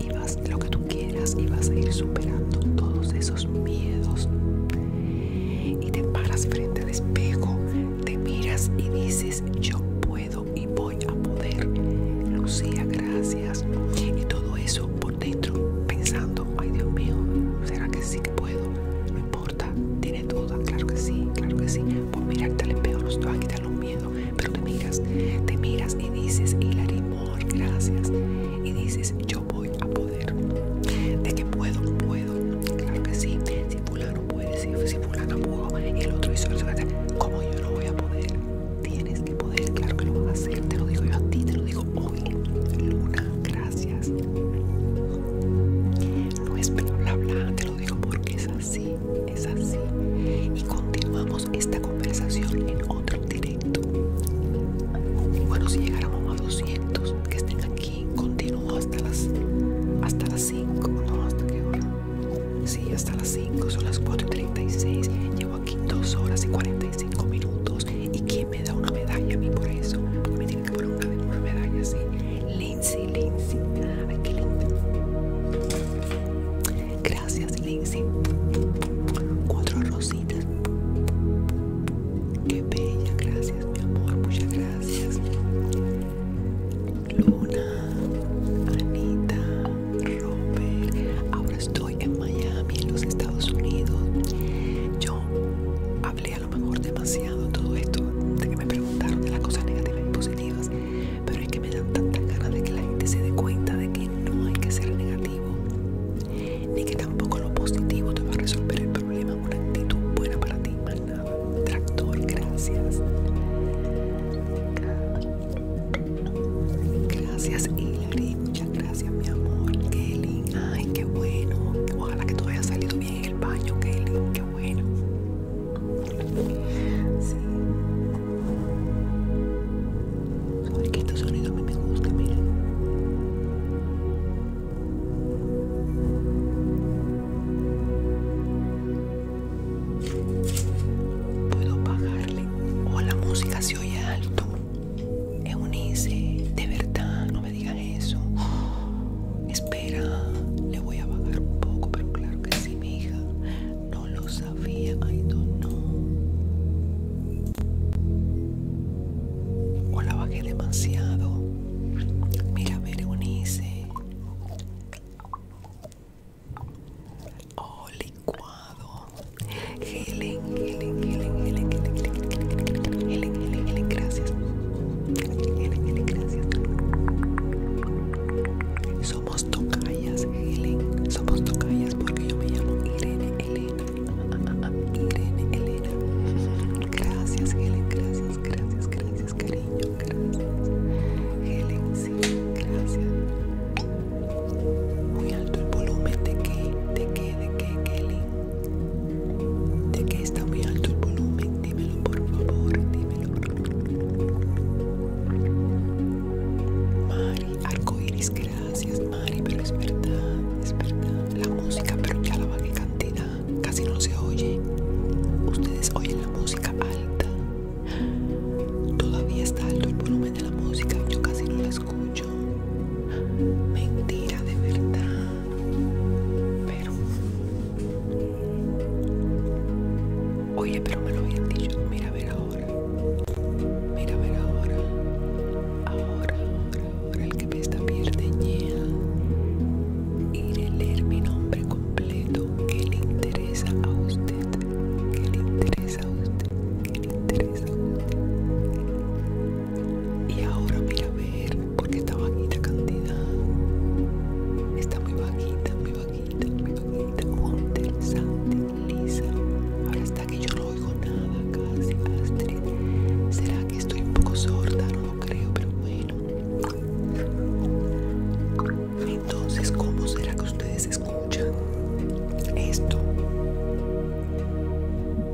Speaker 2: y vas lo que tú quieras y vas a ir superando todos esos miedos. Y te paras frente al espejo, te miras y dices, yo puedo y voy a poder. Lucía, gracias. Y todo eso por dentro pensando, ay Dios mío, ¿será que sí que puedo? importa. tiene duda? Claro que sí, claro que sí. Por mirarte le pegó nos te va a quitar los miedos. Pero te miras, te miras y dices, Hilary amor gracias. Y dices, yo voy a poder. ¿De que puedo? Puedo. Claro que sí. Si fulano puede, si, si fulano pudo el otro hizo como yo no voy a poder? Tienes que poder, claro que lo vas a hacer. Te lo digo yo a ti, te lo digo Luna, gracias. No es bla bla te lo digo porque es así, es así. Y continuamos esta conversación en otro directo. Bueno, si llegáramos a 200 que estén aquí, continuo hasta las, hasta las 5, ¿no? ¿Hasta qué hora? Sí, hasta las 5, son las 4.36, Llevo aquí 2 horas y 45 minutos y me da una medalla a mí por eso. me tiene que poner una, una medalla así. Lindsay, Lindsay. Ay, qué lindo. Gracias, Lindsay. Cuatro rositas. Qué bella, gracias, mi amor. Muchas gracias. Luna, Anita, Robert. Ahora estoy en Miami, en los Estados Unidos. Yo hablé a lo mejor demasiado todo esto de que me preguntaron de las cosas negativas y positivas, pero es que me dan tanta ganas de que la gente se dé cuenta de que no hay que ser negativo, ni que tampoco lo positivo te va a resolver el problema. Una actitud buena para ti, más nada. Tractor, gracias. Gracias Hilary, muchas gracias mi amor. Kelly, ay, qué bueno. Ojalá que todo haya salido bien el baño, Kelly, qué bueno. Sí. que este sonido a mí me gusta, mira Puedo pagarle. O la música se oye alto. es Eunice, de verdad, digan eso. espera, le voy a bajar un poco, pero claro que sí, mi hija. No lo sabía, no no, O la bajé demasiado. Mira, Berenice. Oh, licuado. Helen, Helen, Helen, Helen, Helen, Helen, Helen, Helen, Helen, gracias. Helen, Helen, gracias. Somos tocayas, Helen. Somos tocayas porque yo me llamo Irene Elena. Irene Elena. Gracias, Helen. Gracias, gracias, gracias, cariño. Gracias. Helen, sí, gracias. Muy alto el volumen de qué? de qué? de qué Helen de que está muy alto el volumen dímelo por favor dímelo Mari arcoiris gracias Mari pero es verdad es verdad la música pero ya la a cantidad casi no se oye ustedes oyen la música alta todavía está alto el volumen de la música yo casi no la escucho mentira de verdad pero. Oye, pero me lo habían dicho. Mira, a ver ahora. Mira, a ver ahora. Ahora, ahora, ahora. El que me está pierde niega Iré a leer mi nombre completo. Que le interesa a usted? Que le interesa a usted? ¿Qué le interesa a usted? y ahora mira a ver porque está bajita cantidad está muy bajita muy bajita muy bajita muy interesante lisa ahora está que yo no oigo nada casi Astrid será que estoy un poco sorda no lo creo pero bueno entonces cómo será que ustedes escuchan esto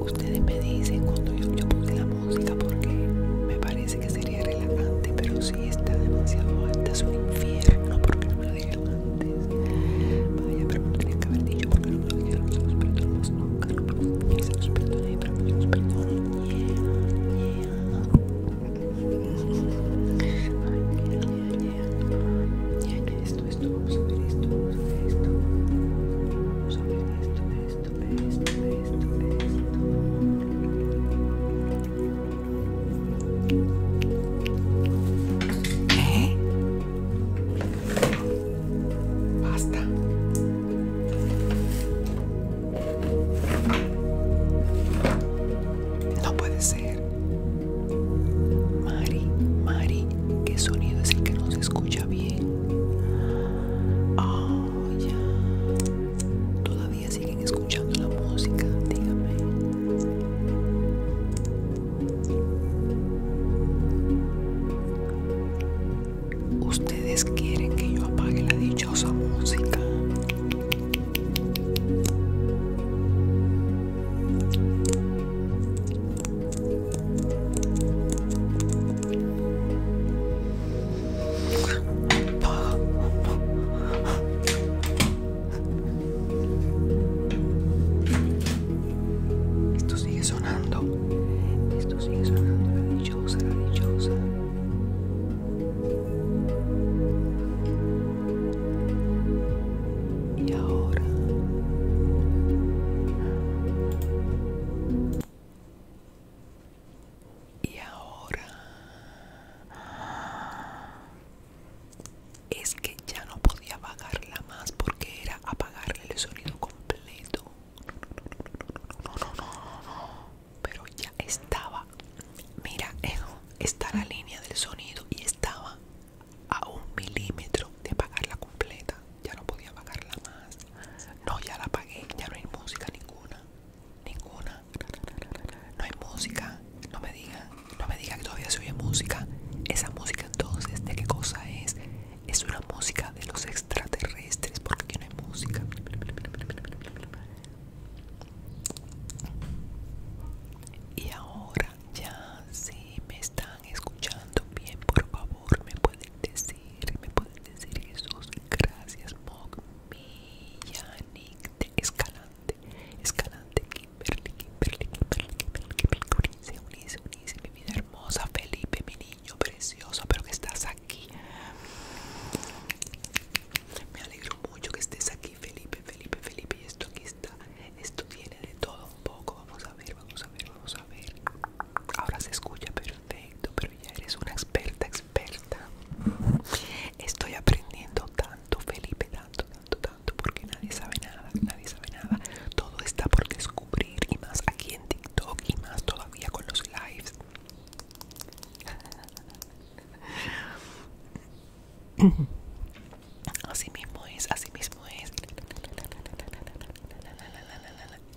Speaker 2: Ustedes me dicen cuando yo, yo la música porque me parece que sería relajante, pero si está demasiado alta es un infierno porque no me lo dijeron antes ya pero tenía que haber dicho porque no me lo nunca, esto, esto, vamos a ver esto, esto, esto, esto, esto, Basta. No puede ser. Mari, Mari, ¿qué sonido es el que no se escucha bien? Oh, ya. Todavía siguen escuchando la música, dígame. Ustedes quieren que yo apague la dichosa música. Esto sigue sonando. Esto sigue sonando, la dichosa, la dichosa. Y ahora. Y ahora. Es que ya no podía apagarla más porque era apagarle el sonido completo. No, no, no, no, Pero ya estaba. Mira, eso está la línea del sonido y estaba a un milímetro de apagarla completa. Ya no podía apagarla más. No, ya la apagué. Ya no hay música ninguna. Ninguna. No hay música. No me diga, No me diga que todavía se oye música. Esa música entonces, ¿de qué cosa es? es una música de los extraterrestres porque no hay música y ahora ya si me están escuchando bien por favor me pueden decir me pueden decir Jesús gracias Mog. Escalante Escalante Kimberly Kimberly Kimberly Kimberly precioso, pero que estás aquí. Me alegro mucho que estés aquí, Felipe, Felipe, Felipe. esto aquí está. Esto tiene de todo un poco. Vamos a ver, vamos a ver, vamos a ver. Ahora se escucha perfecto, pero ya eres una experta, experta. Estoy aprendiendo tanto, Felipe, tanto, tanto, tanto, porque nadie sabe nada, nadie sabe nada. Todo está por descubrir y más aquí en TikTok y más todavía con los lives. (laughs) Así mismo es, así mismo es.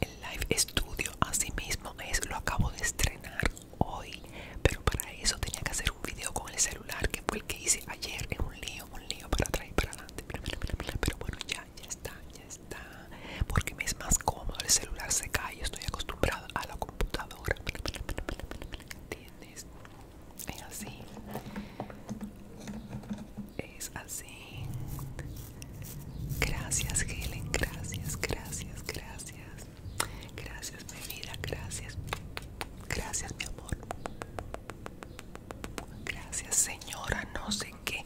Speaker 2: El live estudio así mismo es, lo acabo de estrenar hoy, pero para eso tenía que hacer un video con el celular que fue el que hice ayer, es un lío, un lío para atrás y para adelante. Pero bueno, ya ya está, ya está. Porque me es más cómodo, el celular se cae, estoy acostumbrado a la computadora. ¿Entiendes? Es así. Es así. Gracias, Helen. Gracias, gracias, gracias. Gracias, mi vida. Gracias. Gracias, mi amor. Gracias, señora. No sé que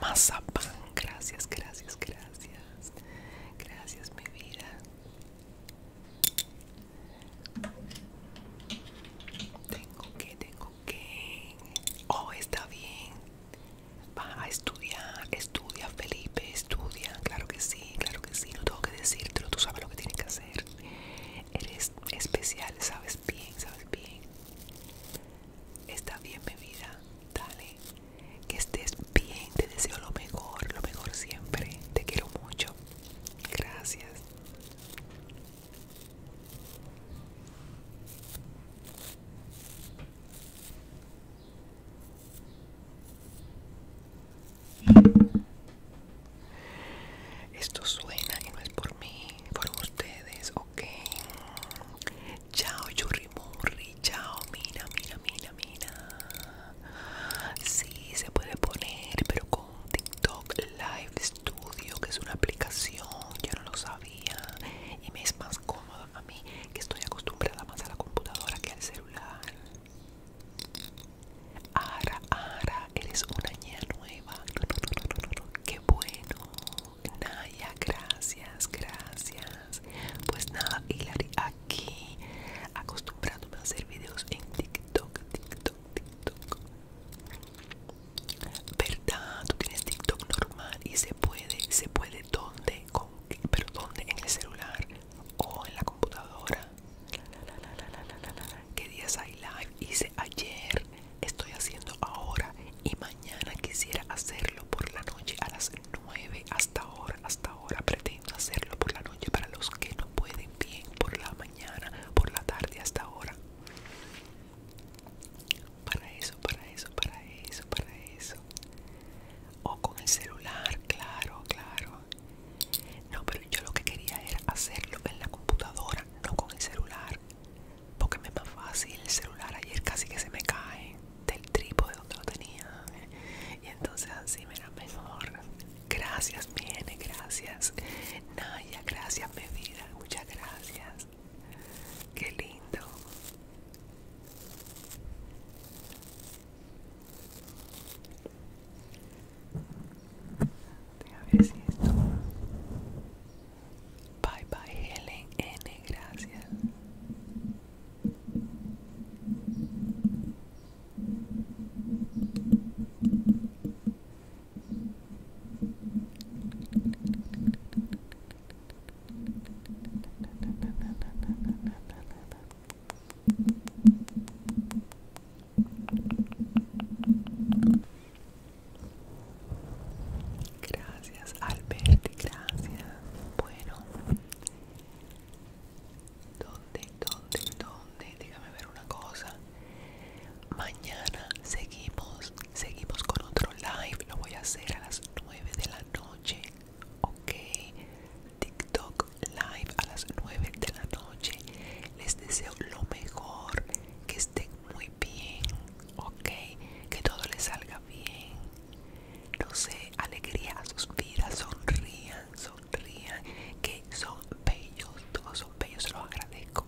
Speaker 2: más pan, Gracias, gracias, gracias. Gracias, mi vida. Tengo que, tengo que. Oh, está bien. Va a estudiar, estudia, Felipe, estudia. Claro que sí, claro que sí. No tengo que decírtelo, tú sabes lo que tienes que hacer. Eres especial, sabes bien, sabes bien está bien mi vida, dale, que estés bien, te deseo lo mejor, lo mejor siempre, te quiero mucho, gracias. Esto suena y no es por mí, por ustedes Ok. Chao, Yurrimurri. Chao, mina, mina, mina, mina Sí, se puede poner, pero con TikTok Live Studio, que es una aplicación. Yo no lo sabía. Y me es más cómodo a mí, que estoy acostumbrada más a la computadora que al celular. Ara, Ara, eres una niña nueva. No, no, Qué bueno. Naya, gracias, gracias. Pues nada, Hilary, aquí acostumbrándome a hacer videos en TikTok, TikTok, TikTok. ¿Verdad? Tú tienes TikTok normal y se puede, se puede donde pero dónde en el celular o en la computadora. ¿Qué días hay live? Hice ayer estoy haciendo ahora y mañana quisiera hacerlo por la noche a las 9 hasta ahora, hasta ahora pretendo hacerlo por la noche para los que no pueden bien por la mañana, por la tarde hasta ahora. Para eso, para eso, para eso, para eso. O con el celular, claro, claro. No, pero yo lo que quería era hacerlo en la computadora, no con el celular porque me es más fácil el celular ayer casi que se me cae del trípode donde lo tenía y entonces así me era mejor gracias Miene, gracias Naya, gracias mi vida, muchas gracias qué lindo Bye bye Helen N, gracias. Gracias, Alberti, gracias. Bueno, ¿dónde, dónde, dónde? Déjame ver una cosa. Mañana seguimos, seguimos con otro live. Lo voy a hacer a las 9 de la noche, ¿ok? TikTok live a las 9 de la noche. Les deseo lo mejor, que estén muy bien, ok, que todo le salga bien. No sé, alegría a sus vidas, sonrían, sonrían, que son bellos, todos son bellos, se los agradezco.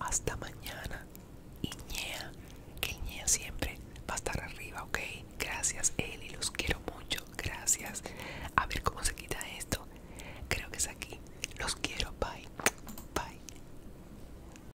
Speaker 2: Hasta mañana. Iñea, ñea, que ñea siempre va a estar arriba, ok. Gracias, Eli, los quiero mucho, gracias. A ver cómo se quita esto. Creo que es aquí. Los quiero, bye. Bye.